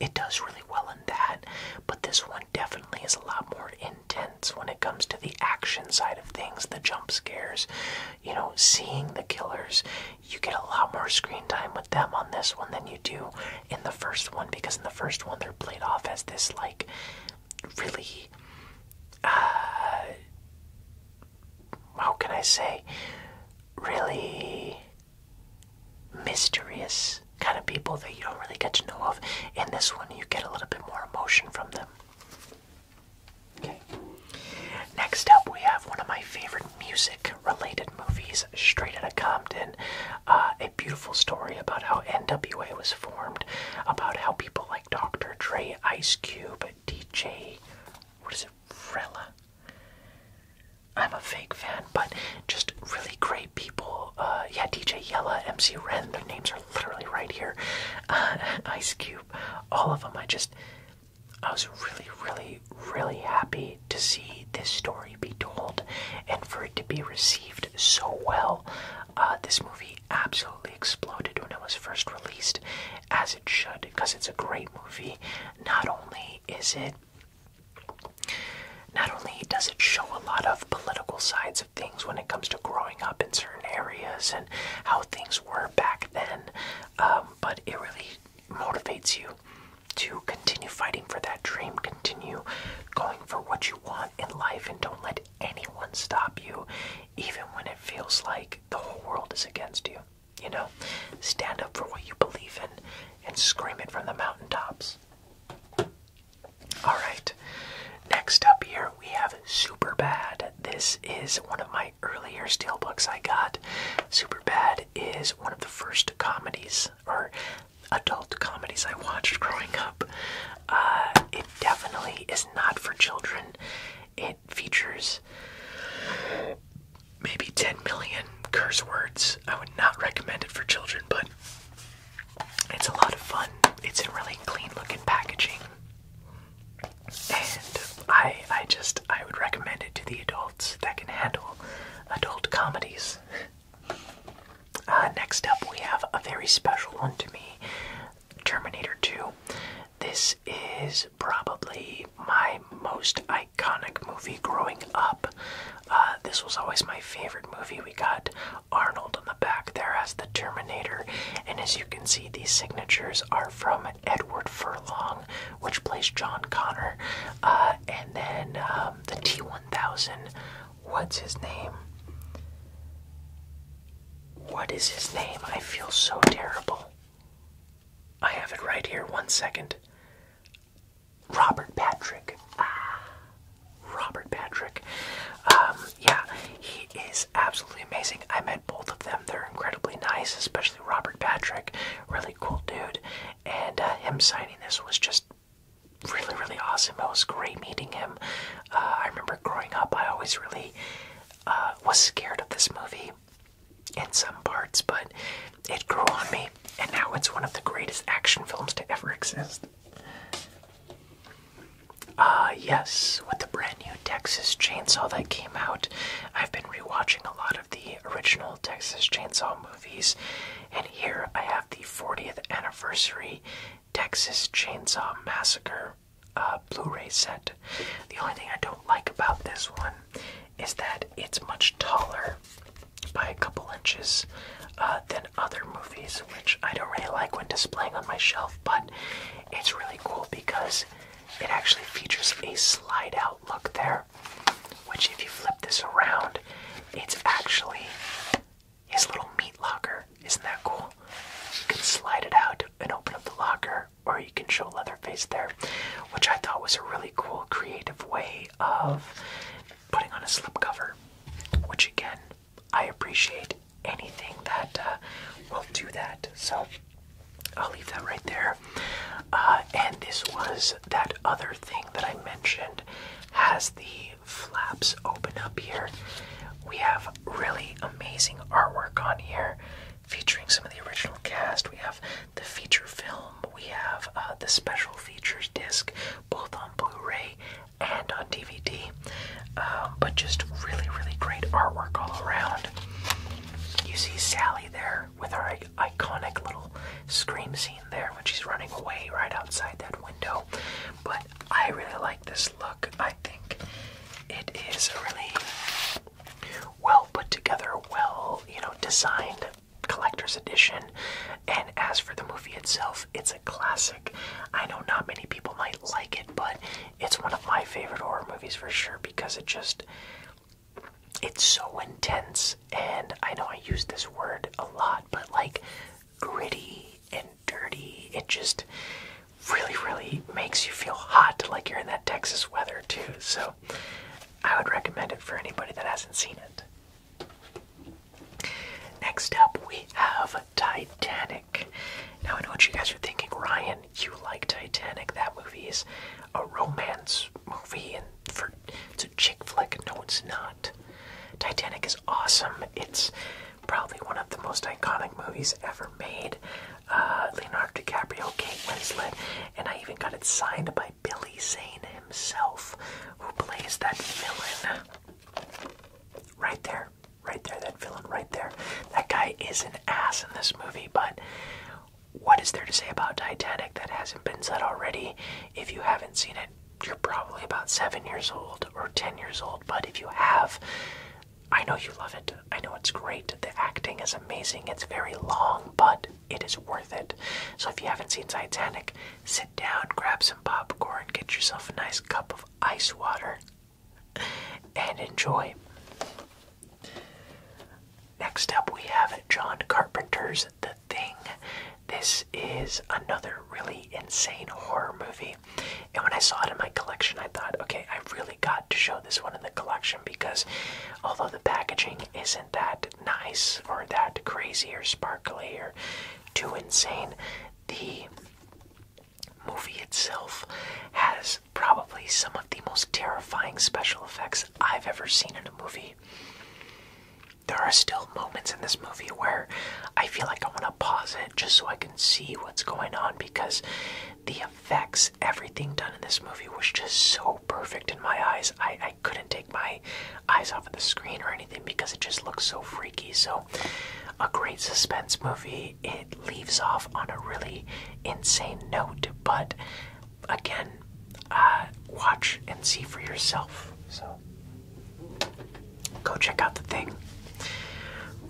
it does really well in that, but this one definitely is a lot more intense when it comes to the action side of things, the jump scares, you know, seeing the killers. You get a lot more screen time with them on this one than you do in the first one because in the first one they're played off as this like really, uh, how can I say, really mysterious kind of people that you don't really get to know of. In this one, you get a little bit more emotion from them. Okay. Next up, we have one of my favorite music-related movies, Straight Outta Compton. Uh, a beautiful story about how NWA was formed, about how people like Dr. Dre, Ice Cube, DJ, what is it, Rella? I'm a fake fan, but just really great people. Uh, yeah, DJ Yella, MC Ren, their names are literally right here. Uh, Ice Cube, all of them. I just, I was really, really, really happy to see this story be told and for it to be received so well. Uh, this movie absolutely exploded when it was first released, as it should, because it's a great movie. Not only is it not only does it show a lot of political sides of things when it comes to growing up in certain areas and how things were back then, um, but it really motivates you to continue fighting for that dream, continue going for what you want in life, and don't let anyone stop you even when it feels like the whole world is against you. You know, stand up for what you believe in and scream it from the mountaintops. All right, next up here we have Super Bad. This is one of my earlier steelbooks I got. Super Bad is one of the first comedies or adult comedies I watched growing up. Uh, it definitely is not for children. It features maybe 10 million curse words. I would not recommend it for children, but it's a lot of fun. It's in really clean looking packaging. And I I just I would recommend it to the adults that can handle adult comedies. [laughs] Uh, next up, we have a very special one to me. Terminator 2. This is probably my most iconic movie growing up. Uh, this was always my favorite movie. We got Arnold on the back there as the Terminator, and as you can see, these signatures are from Edward Furlong, which plays John Connor, uh, and then um, the T1000. What's his name? What is his name? I feel so terrible. I have it right here. One second. Robert Patrick. Ah, Robert Patrick. Um, yeah, he is absolutely amazing. I met both of them. They're incredibly nice, especially Robert Patrick. Really cool dude. And uh, him signing this was just really, really awesome. It was great meeting him. Uh, I remember growing up, I always really uh, was scared of this movie in some parts, but it grew on me, and now it's one of the greatest action films to ever exist. Uh, yes, with the brand new Texas Chainsaw that came out, I've been rewatching a lot of the original Texas Chainsaw movies, and here I have the 40th anniversary Texas Chainsaw Massacre. Uh, Blu-ray set. The only thing I don't like about this one is that it's much taller by a couple inches uh, than other movies, which I don't really like when displaying on my shelf, but it's really cool because it actually features a slide-out look there, which if you flip this around, it's actually his little meat locker isn't that cool? You can slide it out and open up the locker, or you can show Leatherface there, which I thought was a really cool, creative way of putting on a slipcover. Which again, I appreciate anything that uh, will do that. So I'll leave that right there. Uh, and this was that other thing that I mentioned has the flaps open up here. We have really amazing artwork on here featuring some of the original cast. We have the feature film, we have uh, the special features disc, both on Blu ray and on DVD. Um, but just really, really great artwork all around. You see Sally there with her iconic little scream scene there when she's running away right outside that window. But I really like this look. I think it is a really well put together, well, you know, designed collector's edition. And as for the movie itself, it's a classic. I know not many people might like it, but it's one of my favorite horror movies for sure because it just it's so intense and I know I use this word a lot, but like gritty and dirty. It just really, really makes you feel hot, like you're in that Texas weather, too. So I would recommend it for anybody that hasn't seen it. Next up, we have Titanic. Now, I know what you guys are thinking, Ryan, you like Titanic. That movie is a romance movie, and for, it's a chick flick. No, it's not. Titanic is awesome. It's probably one of the most iconic movies ever made. Uh, Leonardo DiCaprio, Kate Winslet, and I even got it signed by Billy Zane himself, who plays that villain. Right there, right there, that villain right there. That guy is an ass in this movie, but what is there to say about Titanic that hasn't been said already? If you haven't seen it, you're probably about seven years old or ten years old, but if you have, I know you love it. I know it's great. The acting is amazing. It's very long, but it is worth it. So if you haven't seen Titanic, sit down, grab some popcorn, get yourself a nice cup of ice water, and enjoy. Next up, we have John Carpenter's The Thing. This is another really insane horror movie. And when I saw it in my collection, I thought, okay, I really got to show this one in the collection because although the packaging isn't that nice or that crazy or sparkly or too insane, the movie itself has probably some of the most terrifying special effects I've ever seen in a movie. There are still moments in this movie where I feel like I want to pause it just so I can see what's going on because the the effects, everything done in this movie was just so perfect in my eyes. I, I couldn't take my eyes off of the screen or anything because it just looks so freaky. So, a great suspense movie. It leaves off on a really insane note, but again, uh, watch and see for yourself. So, go check out the thing.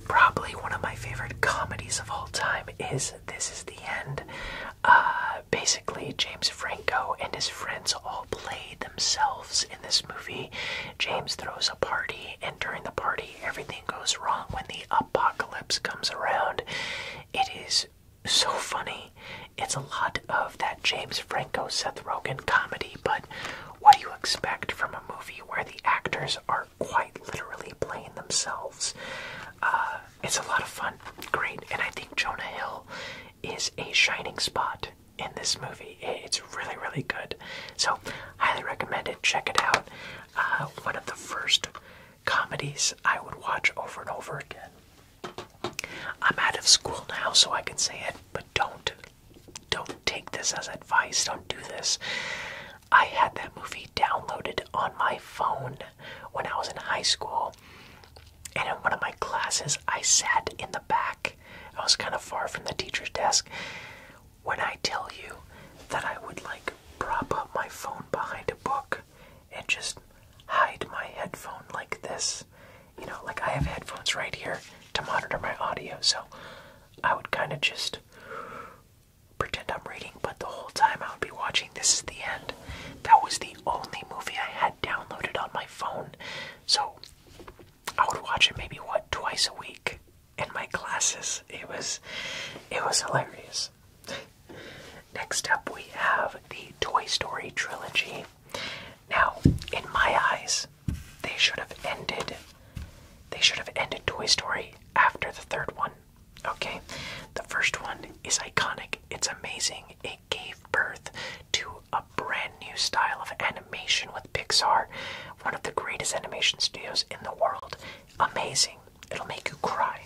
Probably one of my favorite comedies of all time is This Is the End. Uh, basically, James Franco and his friends all play themselves in this movie. James throws a party, and during the party, everything goes wrong when the apocalypse comes around. It is so funny. It's a lot of that James Franco Seth Rogen comedy, but what do you expect from a movie where the actors are quite literally Playing themselves. Uh, it's a lot of fun, great, and I think Jonah Hill is a shining spot in this movie. It's really, really good. So, highly recommend it. Check it out. Uh, one of the first comedies I would watch over and over again. I'm out of school now, so I can say it, but don't, don't take this as advice. Don't do this. I had that movie downloaded on my phone when I was in high school. And in one of my classes, I sat in the back. I was kind of far from the teacher's desk. When I tell you that I would like prop up my phone behind a book and just hide my headphone like this, you know, like I have headphones right here to monitor my audio, so I would kind of just pretend I'm reading, but the whole time I would be watching This Is the End. That was the only movie I had downloaded on my phone. So I would watch it maybe what twice a week in my classes. It was it was hilarious. Next up we have the Toy Story trilogy. Now, in my eyes, they should have ended they should have ended Toy Story after the third one. Okay, the first one is iconic, it's amazing. It gave birth to a brand new style of animation with Pixar, one of the greatest animation studios in the world. Amazing, it'll make you cry.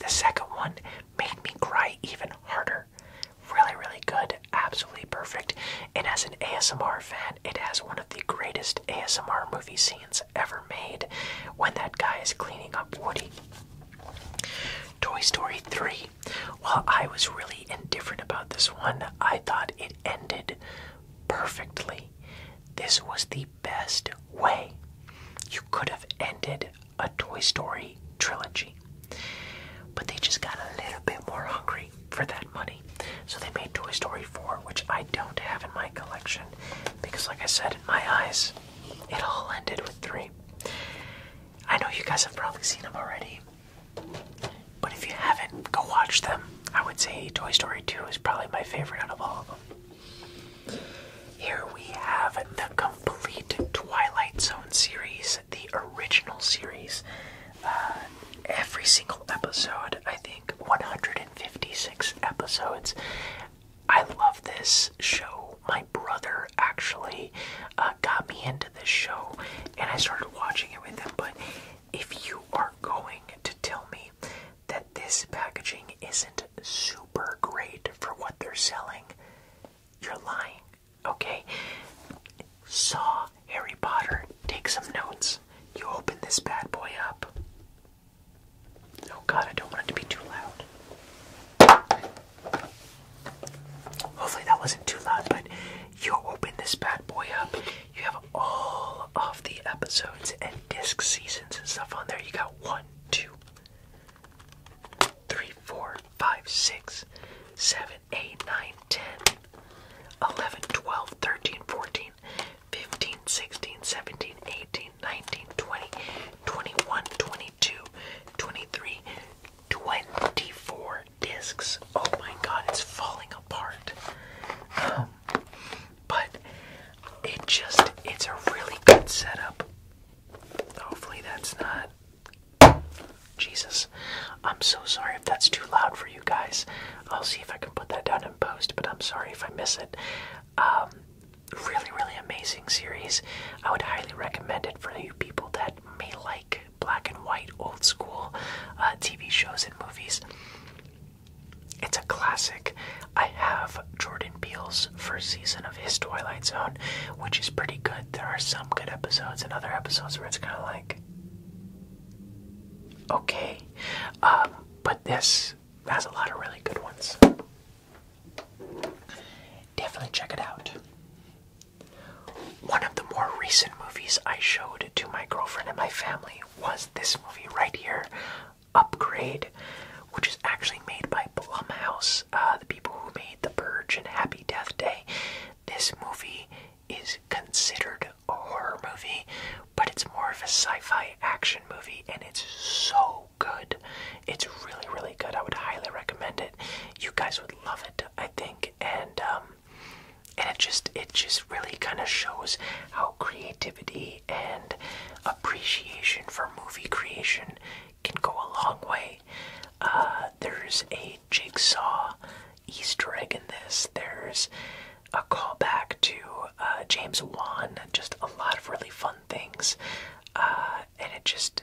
The second one made me cry even harder. Really, really good, absolutely perfect. And as an ASMR fan, it has one of the greatest ASMR movie scenes ever made when that guy is cleaning up Woody. Toy Story 3. While I was really indifferent about this one, I thought it ended perfectly. This was the best way you could have ended a Toy Story trilogy. But they just got a little bit more hungry for that money. So they made Toy Story 4, which I don't have in my collection because, like I said, in my eyes, it all ended with three. I know you guys have probably seen them already, but if you haven't, go watch them. I would say Toy Story 2 is probably my favorite out of all of them. Here we have the complete Twilight Zone series, the original series. Uh, every single episode, I think 100 Fifty-six episodes. I love this show. My brother actually uh, got me into this show, and I started watching it with him. But if you are going to tell me that this packaging isn't super great for what they're selling, you're lying, okay? Saw Harry Potter. Take some notes. You open this bad boy up. Oh god, I don't want it to be too loud. Hopefully that wasn't too loud, but you open this bad boy up. You have all of the episodes and disc seasons and stuff on there. You got one, two, three, four, five, six, seven, eight, nine, ten, eleven, twelve, thirteen, fourteen. 15, 16, 17, 18, 19, 20, 21, 22, 23, 24 discs. Oh my god, it's falling apart. Um, but it just, it's a really good setup. Hopefully that's not. Jesus. I'm so sorry if that's too loud for you guys. I'll see if I can put that down in post, but I'm sorry if I miss it. Um, really, really amazing series. I would highly recommend it for you people that may like black and white, old school uh, TV shows and movies. It's a classic. I have Jordan Peele's first season of his Twilight Zone, which is pretty good. There are some good episodes and other episodes where it's kind of like, okay. Um, but this has a lot of really good ones. Definitely check it out. One of the more recent movies I showed to my girlfriend and my family was this movie right here, Upgrade, which is actually made by Blumhouse, uh, the people who made The Purge and Happy Death Day. This movie is considered a horror movie, but it's more of a sci-fi action movie and it's so good. It's really, really good. I would highly recommend it. You guys would love it, I think. And um, and it just it just really kind of shows how creativity and appreciation for movie creation can go a long way. Uh, there's a jigsaw Easter egg in this. There's a callback to uh, James Wan. Just a lot of really fun things, uh, and it just,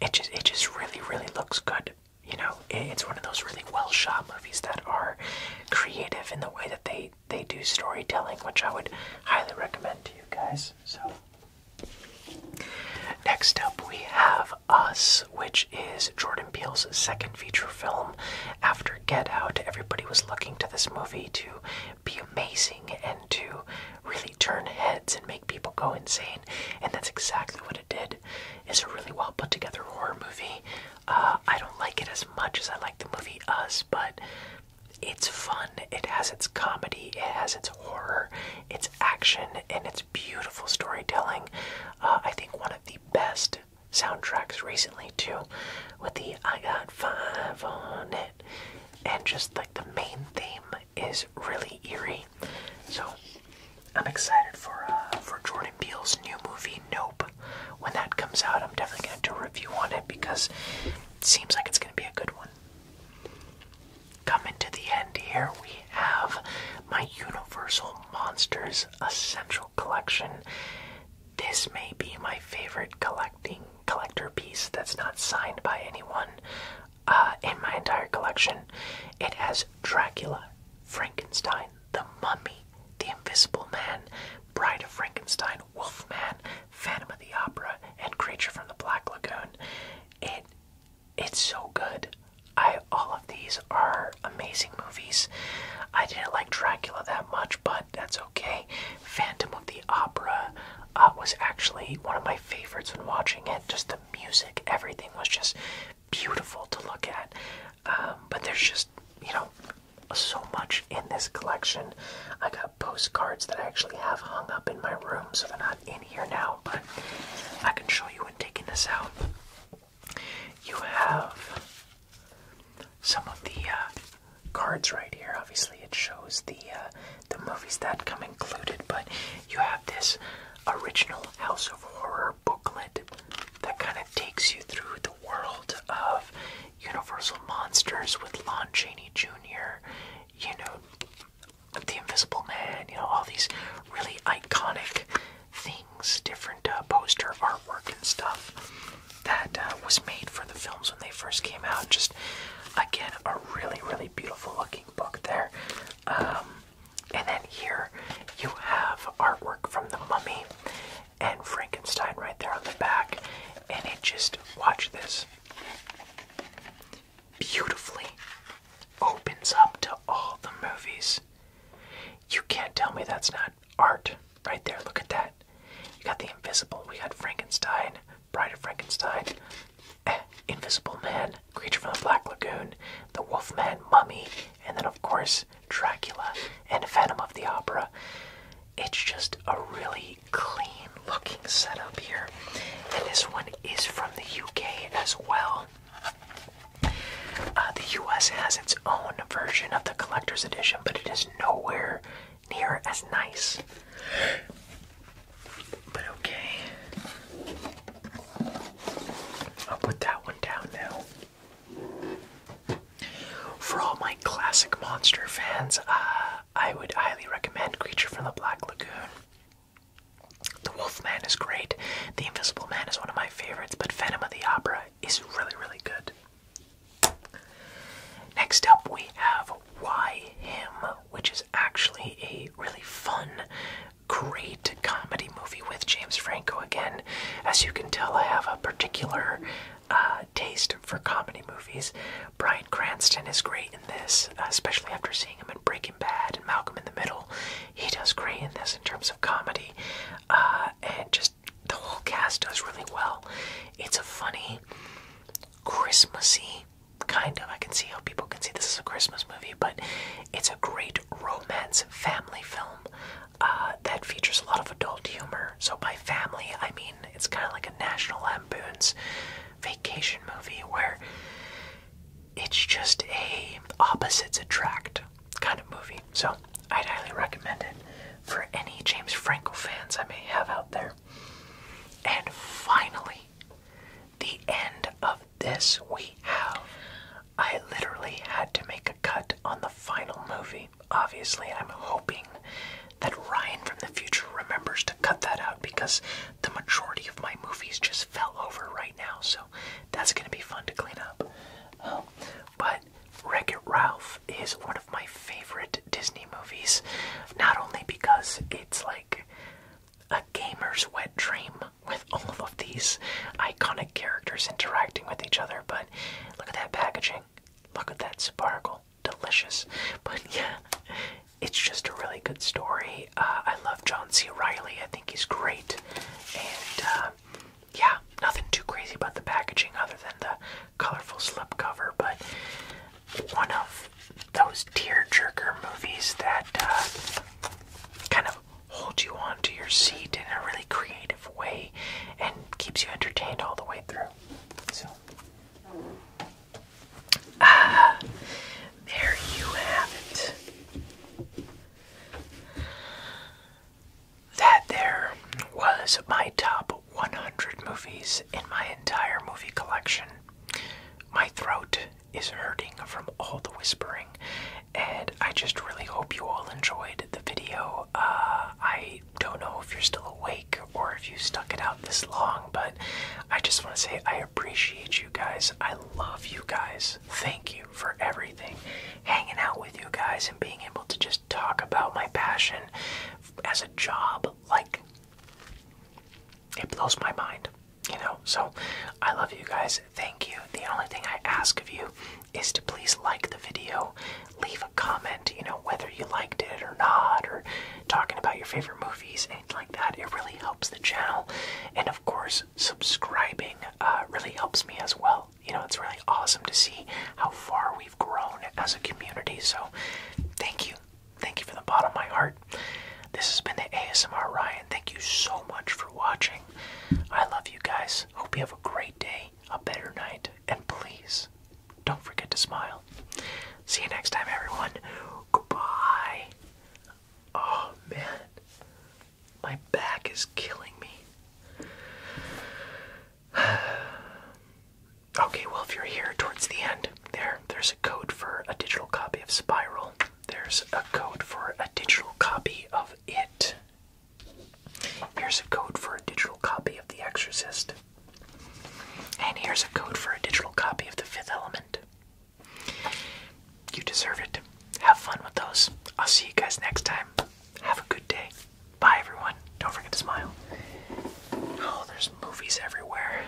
it just, it just really, really looks good. You know, it's one of those really well shot movies that are creative in the way that they they do storytelling, which I would highly recommend to you guys. So. Next up, we have Us, which is Jordan Peele's second feature film after Get Out, everybody was looking to this movie to be amazing and to really turn heads and make people go insane, and that's exactly what it did. It's a really well put together horror movie. Uh, I don't like it as much as I like the movie Us, but it's fun. It has its comedy, it has its horror, its action, and its beautiful storytelling. Uh, I think one of the best soundtracks recently too, with the I Got Five on it, and just like the main theme is really eerie. So I'm excited for uh, for Jordan Peele's new movie Nope. When that comes out, I'm definitely gonna do a review on it because it seems like it's gonna be a good one. Coming to the end here, we have my Universal Monsters Essential collection. This may be my favorite collecting collector piece that's not signed by anyone uh, in my entire collection. It has Dracula, Frankenstein, The Mummy, The Invisible Man, Bride of Frankenstein, Wolfman, Phantom of the Opera, and Creature from the Black Lagoon. It it's so good. I all of these are amazing movies. I didn't like Dracula that much, but that's okay. Phantom of the Opera uh, was actually one of my favorites when watching it. Just the music, everything was just beautiful to look at. Um, but there's just, you know, so much in this collection. I got postcards that I actually have hung up in my room, so they're not in here now, but I can show you when taking this out. You have some of the uh, cards right here. Obviously, it shows the uh, the movies that come included, but you have this original House of Horror booklet that kind of takes you through the world of Universal monsters with Lon Chaney Jr. You know. The Invisible Man, you know, all these really iconic things, different uh, poster artwork and stuff that uh, was made for the films when they first came out. Just again, a really, really beautiful looking book there. Um, and then here you have artwork from The Mummy and Frankenstein right there on the back. And it just, watch this, beautifully opens up to all the movies. You can't tell me that's not art. Right there, look at that. You got the invisible, we got Frankenstein, Bride of Frankenstein, eh, Invisible Man, Creature from the Black Lagoon, The Wolfman, Mummy, and then, of course, Dracula and Phantom of the Opera. It's just a really clean looking setup here. And this one is from the UK as well. Uh, the US has its own version of the collector's edition, but it is nowhere near as nice. But okay. I'll put that one down now. For all my classic monster fans, uh, I would highly recommend Creature from the Black Lagoon. The Wolf Man is great. The Invisible Man is one of my favorites, but *Venom of the Opera is really, really good. Next up, we have Yim, which is actually a really fun, great comedy movie with James Franco. Again, as you can tell, I have a particular uh, taste for comedy movies. Brian Cranston is great in this, especially after seeing him in Breaking Bad and Malcolm in the Middle. He does great in this in terms of comedy. Uh, and just the whole cast does really well. It's a funny, Christmassy kind of. I can see how people can see this is a Christmas movie, but it's a great romance family film uh, that features a lot of adult humor. So by family, I mean it's kind of like a National Lampoon's Vacation movie where it's just a opposites attract kind of movie. So I'd highly recommend it for any James Franco fans I may have out there. And finally, the end of this we have. I literally had to make a cut on the final movie. Obviously, I'm hoping that Ryan from the future remembers to cut that out because the majority of my movies just fell over right now, so that's gonna be fun to clean up. Um, but but Wreck It Ralph is one of my favorite Disney movies, not only because it's like a gamer's wet dream with all of these iconic characters interacting with each other, but look at that packaging, look at that sparkle, delicious. But yeah, it's just a really good story. Uh, I love John C. Riley, I think he's great, and uh, yeah, nothing too crazy about the packaging other than the colorful slipcover, but one of those tear-jerker movies that uh, kind of hold you onto your seat in a really creative way and keeps you entertained all the way through. So, ah, there you have it that there was my top 100 movies in my entire movie collection. My throat is hurting from all the whispering, and I just really hope you all enjoyed the video. Uh, I don't know if you're still awake or if you stuck it out this long, but I just want to say I appreciate you guys. I love you guys. Thank you for everything. Hanging out with you guys and being able to just talk about my passion as a job, like it blows my mind, you know. So I love you guys. Thank you. The only thing I ask of you is to please like the video, leave a comment, you know, whether you liked it or not, or talking about your favorite movies, anything like that. It really helps the channel. And of course, subscribing uh, really helps me as well. You know, it's really awesome to see how far we we've grown as a community. So thank you. Thank you from the bottom of my heart. This has been the ASMR Ryan. Thank you so much for watching. I love you guys. Hope you have a great day, a better night, and please don't forget to smile. See you next time, everyone. Goodbye. Oh, man. My back is killing me. [sighs] okay, well, if you're here towards the end, there, there's a code for a digital copy of Spiral. There's a code for a digital copy of It. Here's a code for a digital copy of The Exorcist. And here's a code for a digital copy of The Fifth Element. You deserve it. Have fun with those. I'll see you guys next time. Have a good day. Bye, everyone. Don't forget to smile. Oh, there's movies everywhere.